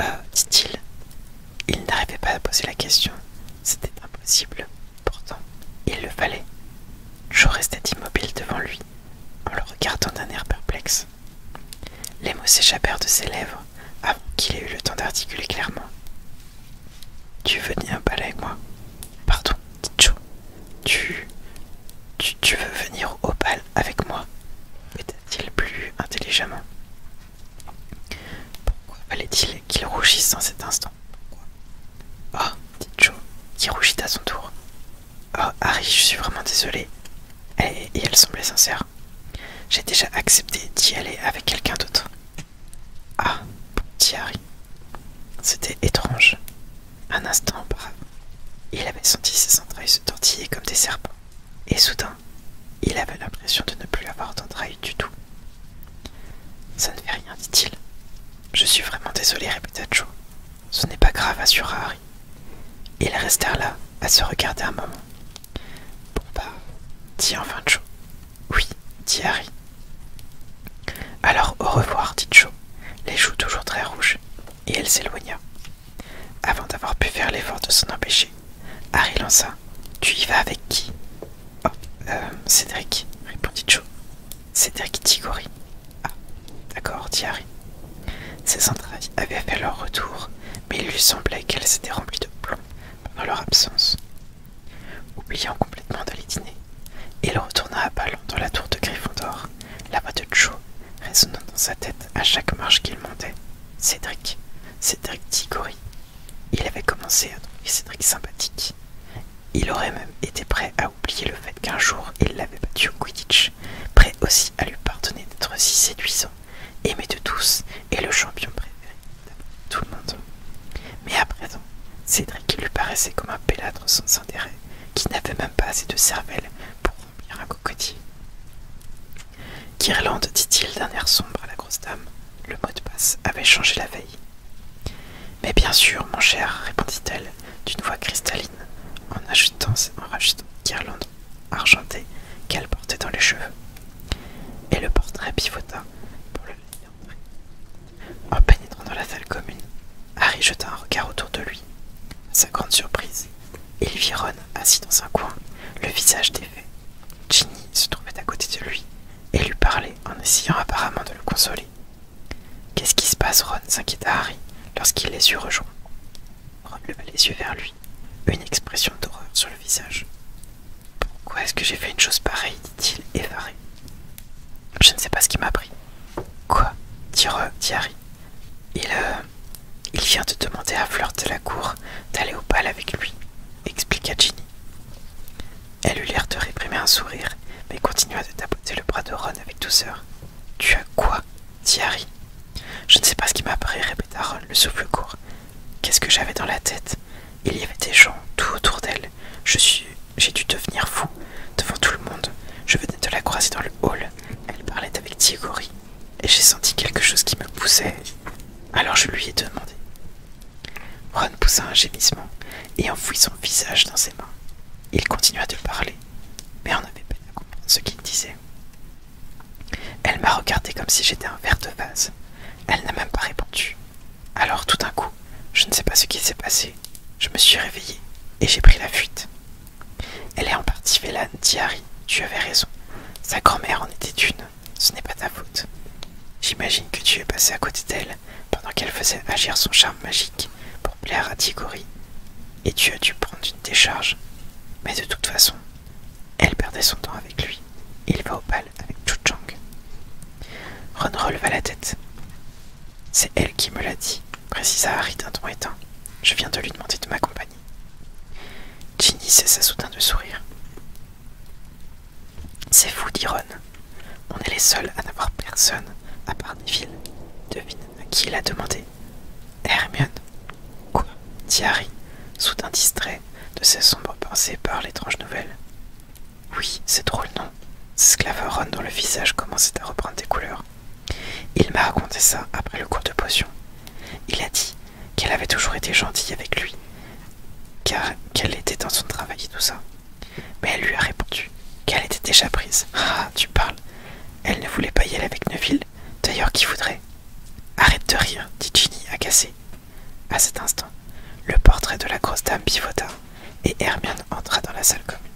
Euh, dit-il. Il n'arrivait pas à poser la question, c'était impossible. Pourtant, il le fallait. Joe restait immobile devant lui, en le regardant d'un air perplexe. Les mots s'échappèrent de ses lèvres avant qu'il ait eu le temps d'articuler clairement. Tu veux venir au bal avec moi Pardon, Tu, tu, veux venir au bal avec moi Péta-t-il plus intelligemment. Pourquoi fallait-il qu'il rougisse en cet instant Oh, dit Joe, qui rougit à son tour. Oh, Harry, je suis vraiment désolé. et elle semblait sincère. J'ai déjà accepté d'y aller avec quelqu'un d'autre. Ah, petit Harry. C'était étrange. Un instant auparavant, il avait senti ses entrailles se tortiller comme des serpents, et soudain, il avait l'impression de ne plus avoir d'entrailles du tout. Ça ne fait rien, dit-il. Je suis vraiment désolé, répéta Joe. Ce n'est pas grave, assura Harry. Ils restèrent là, à se regarder un moment. Bon bah, dit enfin Joe, oui, dit Harry. Alors au revoir, dit Joe, les joues toujours très rouges, et elle s'éloigna. Avant d'avoir pu faire l'effort de s'en empêcher, Harry lança Tu y vas avec qui Oh, euh, Cédric, répondit Joe. Cédric Tigori. Ah, d'accord, dit Harry. Ses entrailles avaient fait leur retour, mais il lui semblait qu'elles étaient remplies de plomb pendant leur absence, Oubliant complètement de les dîner, il retourna à ballon dans la tour de Gryffondor, la voix de Joe résonnant dans sa tête à chaque marche qu'il montait. Cédric, Cédric Tigori, Il avait commencé à trouver Cédric sympathique. Il aurait même été prêt à oublier le fait qu'un jour il l'avait battu au Quidditch, prêt aussi à lui pardonner d'être si séduisant, aimé de tous et le champion préféré tout le monde. Mais à présent, Cédric lui paraissait comme un pélâtre sans intérêt, qui n'avait même pas assez de cervelle pour remplir un cocotier. Guirlande, dit-il d'un air sombre à la grosse dame, le mot de passe avait changé la veille. Mais bien sûr, mon cher, répondit-elle d'une voix cristalline, en rajoutant guirlande argentée qu'elle portait dans les cheveux. Et le portrait pivota pour le en pénétrant dans la salle commune, Harry jeta un regard autour de lui. À sa grande surprise, il vit Ron assis dans un coin, le visage défait. Ginny se trouvait à côté de lui et lui parlait en essayant apparemment de le consoler. Qu'est-ce qui se passe, Ron s'inquiéta Harry lorsqu'il les eut rejoints. Ron leva les yeux vers lui, une expression d'horreur sur le visage. Pourquoi est-ce que j'ai fait une chose pareille dit-il, effaré. Je ne sais pas ce qui m'a pris. Quoi dit, Il, euh, il vient de demander à Fleur de la Cour d'aller au bal avec lui, expliqua Ginny. Elle eut l'air de réprimer un sourire, mais continua de tapoter le bras de Ron avec douceur. Tu as quoi dit Harry. Je ne sais pas ce qui m'a pris, répéta Ron, le souffle court. Qu'est-ce que j'avais dans la tête il y avait des gens tout autour d'elle. Je suis, j'ai dû devenir fou devant tout le monde. Je venais de la croiser dans le hall. Elle parlait avec Tigori et j'ai senti quelque chose qui me poussait. Alors je lui ai demandé. Ron poussa un gémissement et enfouit son visage dans ses mains. Il continua de parler, mais on n'avait pas à comprendre ce qu'il disait. Elle m'a regardé comme si j'étais un verre de vase. Elle n'a même pas répondu. Alors tout d'un coup, je ne sais pas ce qui s'est passé, je me suis réveillée et j'ai pris la fuite. Elle est en partie Vélan, dit Harry, tu avais raison. Sa grand-mère en était une, ce n'est pas ta faute. J'imagine que tu es passé à côté d'elle pendant qu'elle faisait agir son charme magique pour plaire à Tigori, et tu as dû prendre une décharge. Mais de toute façon, elle perdait son temps avec lui. Il va au bal avec Ron releva la tête. C'est elle qui me l'a dit, précisa Harry d'un ton éteint. Je viens de lui demander de m'accompagner. Ginny cessa soudain de sourire. C'est fou, dit Ron. On est les seuls à n'avoir personne, à part Neville. Devine à qui l'a a demandé. Hermione. Quoi dit Harry, soudain distrait de ses sombres pensées par l'étrange nouvelle. Oui, c'est drôle, non Sclaveron, dont le visage commençait à reprendre des couleurs. Il m'a raconté ça après le cours de potion. Il a dit qu'elle avait toujours été gentille avec lui, car qu'elle était dans son travail et tout ça. Mais elle lui a répondu qu'elle était déjà prise. Ah, tu parles. Elle ne voulait pas y aller avec Neville. D'ailleurs, qui voudrait Arrête de rire, dit Ginny, agacée. À cet instant, le portrait de la grosse dame pivota et Hermione entra dans la salle commune.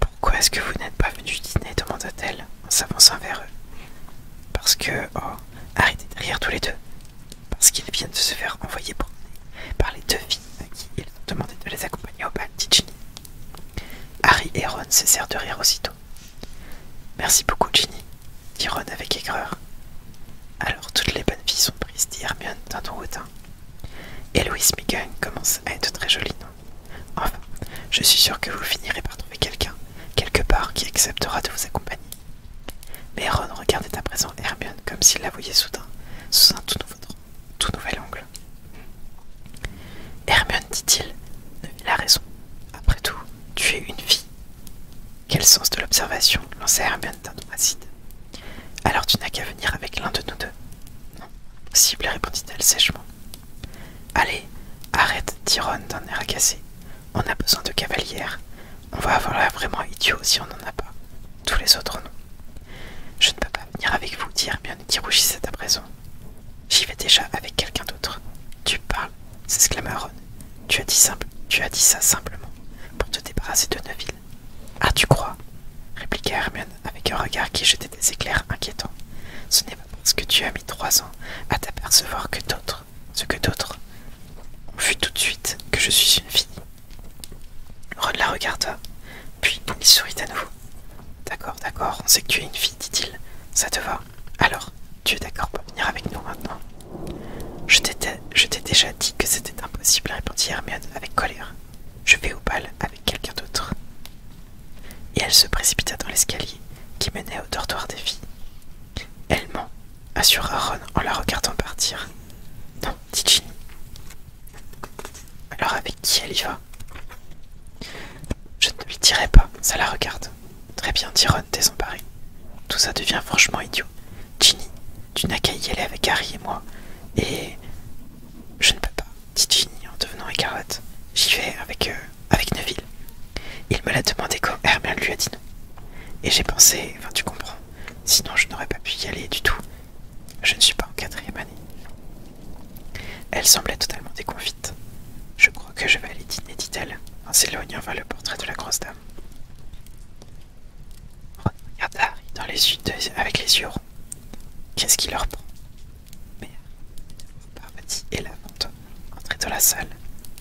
Pourquoi est-ce que vous n'êtes pas venu dîner demanda-t-elle en s'avançant vers eux. Parce que. Oh, arrêtez de rire tous les deux. Parce qu'ils viennent de se faire envoyer promener par les deux filles à qui ils ont demandé de les accompagner au bal, dit Ginny. Harry et Ron cessèrent de rire aussitôt. Merci beaucoup, Ginny, dit Ron avec aigreur. Alors toutes les bonnes filles sont prises, dit Hermione d'un ton hautain. Et Louise megan commence à être très jolie, non Enfin, je suis sûre que vous finirez par trouver quelqu'un, quelque part, qui acceptera de vous accompagner. Mais Ron regardait à présent Hermione comme s'il la voyait soudain, sous un tout, nouvel angle. Hermione, dit-il, il a la raison. Après tout, tu es une fille. Quel sens de l'observation lançait Hermione acide. Alors tu n'as qu'à venir avec l'un de nous deux. Non, cible, répondit-elle sèchement. Allez, arrête, Ron d'un air agacé. On a besoin de cavalières. On va avoir l'air vraiment idiot si on n'en a pas. Tous les autres non. Je ne peux pas venir avec vous, dit Hermione qui rougissait à présent. J'y vais déjà avec quelqu'un d'autre. Tu parles, s'exclama Ron. Tu as dit simple, tu as dit ça simplement pour te débarrasser de Neville. Ah, tu crois répliqua Hermione avec un regard qui jetait des éclairs inquiétants. Ce n'est pas parce que tu as mis trois ans à t'apercevoir que d'autres, ce que d'autres, ont vu tout de suite que je suis une fille. Ron la regarda, puis il sourit à nouveau. D'accord, d'accord, on sait que tu es une fille, dit-il. Ça te va Alors, tu es d'accord pour venir avec nous maintenant je t'ai déjà dit que c'était impossible, répondit Hermione avec colère. Je vais au bal avec quelqu'un d'autre. Et elle se précipita dans l'escalier qui menait au dortoir des filles. Elle ment, assura Ron en la regardant partir. Non, dit Ginny. Alors avec qui elle y va Je ne lui dirai pas, ça la regarde. Très bien, dit Ron désemparé. Tout ça devient franchement idiot. Ginny, tu n'as qu'à y aller avec Harry et moi. Et. Je ne peux pas, dit Ginny en devenant carotte. J'y vais avec, euh, avec Neville. Il me l'a demandé quand Hermione lui a dit non. Et j'ai pensé, enfin tu comprends, sinon je n'aurais pas pu y aller du tout. Je ne suis pas en quatrième année. Elle semblait totalement déconfite. Je crois que je vais aller dîner, dit-elle, en s'éloignant vers le portrait de la grosse dame. Regarde Harry dans les yeux avec les yeux ronds. Qu'est-ce qui leur prend Mais Parvati et la vente dans la salle.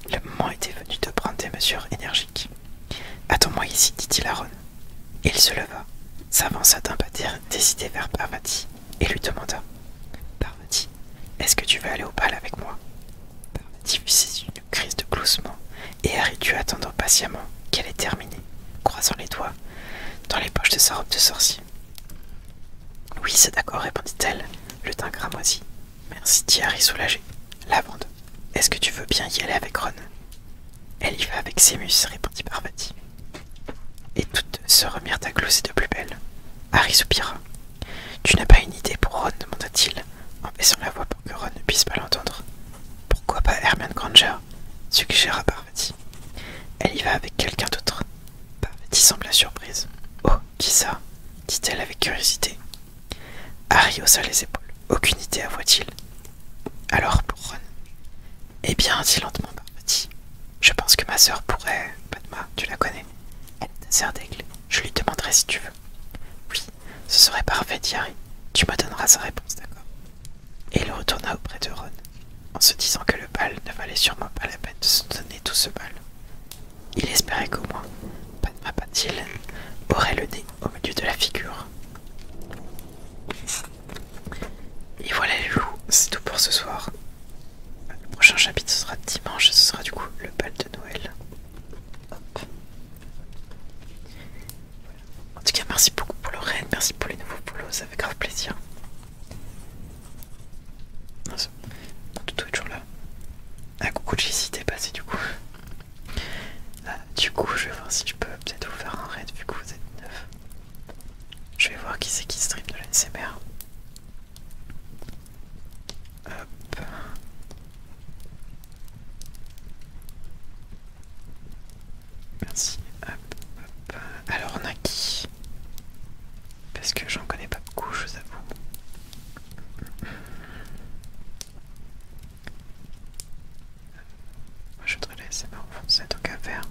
Le moment était venu de prendre des mesures énergiques. Attends-moi ici, dit-il à Ron. Il se leva, s'avança d'un pas décidé vers Parvati et lui demanda Parvati, est-ce que tu veux aller au bal avec moi Parvati fit une crise de gloussement et Harry tu attendant patiemment qu'elle ait terminé, croisant les doigts dans les poches de sa robe de sorcier. Oui, c'est d'accord, répondit-elle, le teint cramoisi. Merci, dit Harry soulagé. Lavande, est-ce que tu veux bien y aller avec Ron Elle y va avec Sémus, répondit Parvati. Et toutes se remirent à gloser de plus belle. Harry soupira. Tu n'as pas une idée pour Ron demanda-t-il, en baissant la voix pour que Ron ne puisse pas l'entendre. Pourquoi pas Hermione Granger suggéra Parvati. Elle y va avec quelqu'un d'autre. Parvati sembla surprise. Oh, qui ça dit-elle avec curiosité. Harry haussa les épaules. Aucune idée, avoua-t-il. Alors, pour Ron Eh bien, dit lentement Parvati. Je pense que ma sœur pourrait. Padma, tu la connais. Elle sert d'aigle. Je lui demanderai si tu veux. Oui, ce serait parfait, Thierry. Tu me donneras sa réponse, d'accord Et il retourna auprès de Ron, en se disant que le bal ne valait sûrement pas la peine de se donner tout ce bal. Il espérait qu'au moins, Padma Dylan aurait le nez au milieu de la figure. Et voilà les loups, c'est tout pour ce soir. Le prochain chapitre sera dimanche, ce sera du coup le bal de Noël. En tout cas, merci beaucoup pour le raid, merci pour les nouveaux boulots, ça fait grave plaisir. Mon est toujours là. Ah, coucou Jessie, t'es passé du coup. Ah, du coup, je vais voir si je peux peut-être vous faire un raid vu que vous êtes neuf. Je vais voir qui c'est qui stream de la Hop. Merci. Alors on a qui Parce que j'en connais pas beaucoup, je vous avoue. Moi je voudrais laisser ma enfoncer, tant à faire.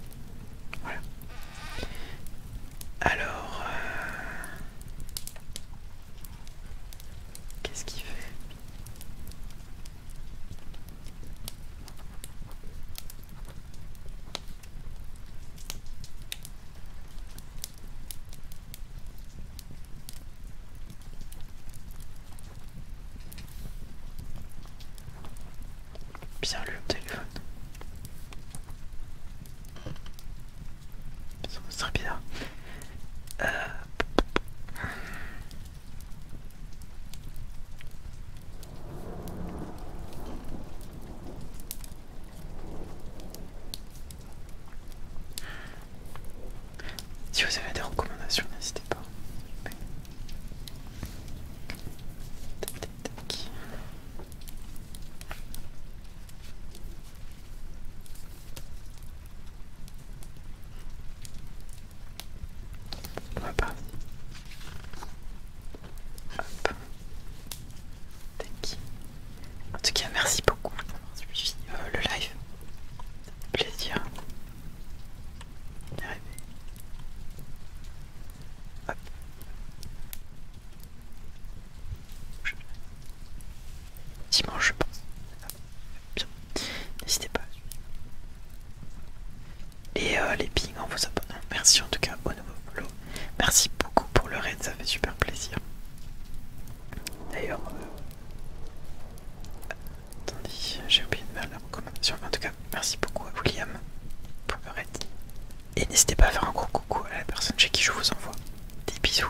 Voilà. Alors... Euh, qu'est-ce qu'il fait Bien le téléphone. Ça serait bien. Euh, si vous avez des recommandations, n'hésitez pas. En tout cas, merci beaucoup d'avoir euh, suivi le live. Plaisir. Arrivé. Dimanche, je pense. N'hésitez pas Et euh, les pings en vous abonnant Merci en tout cas au nouveau flow Merci beaucoup pour le raid, ça fait super plaisir. D'ailleurs, euh, attendez, j'ai oublié de mettre la recommandation. en tout cas, merci beaucoup à William pour le raid. Et n'hésitez pas à faire un gros coucou à la personne chez qui je vous envoie. Des bisous.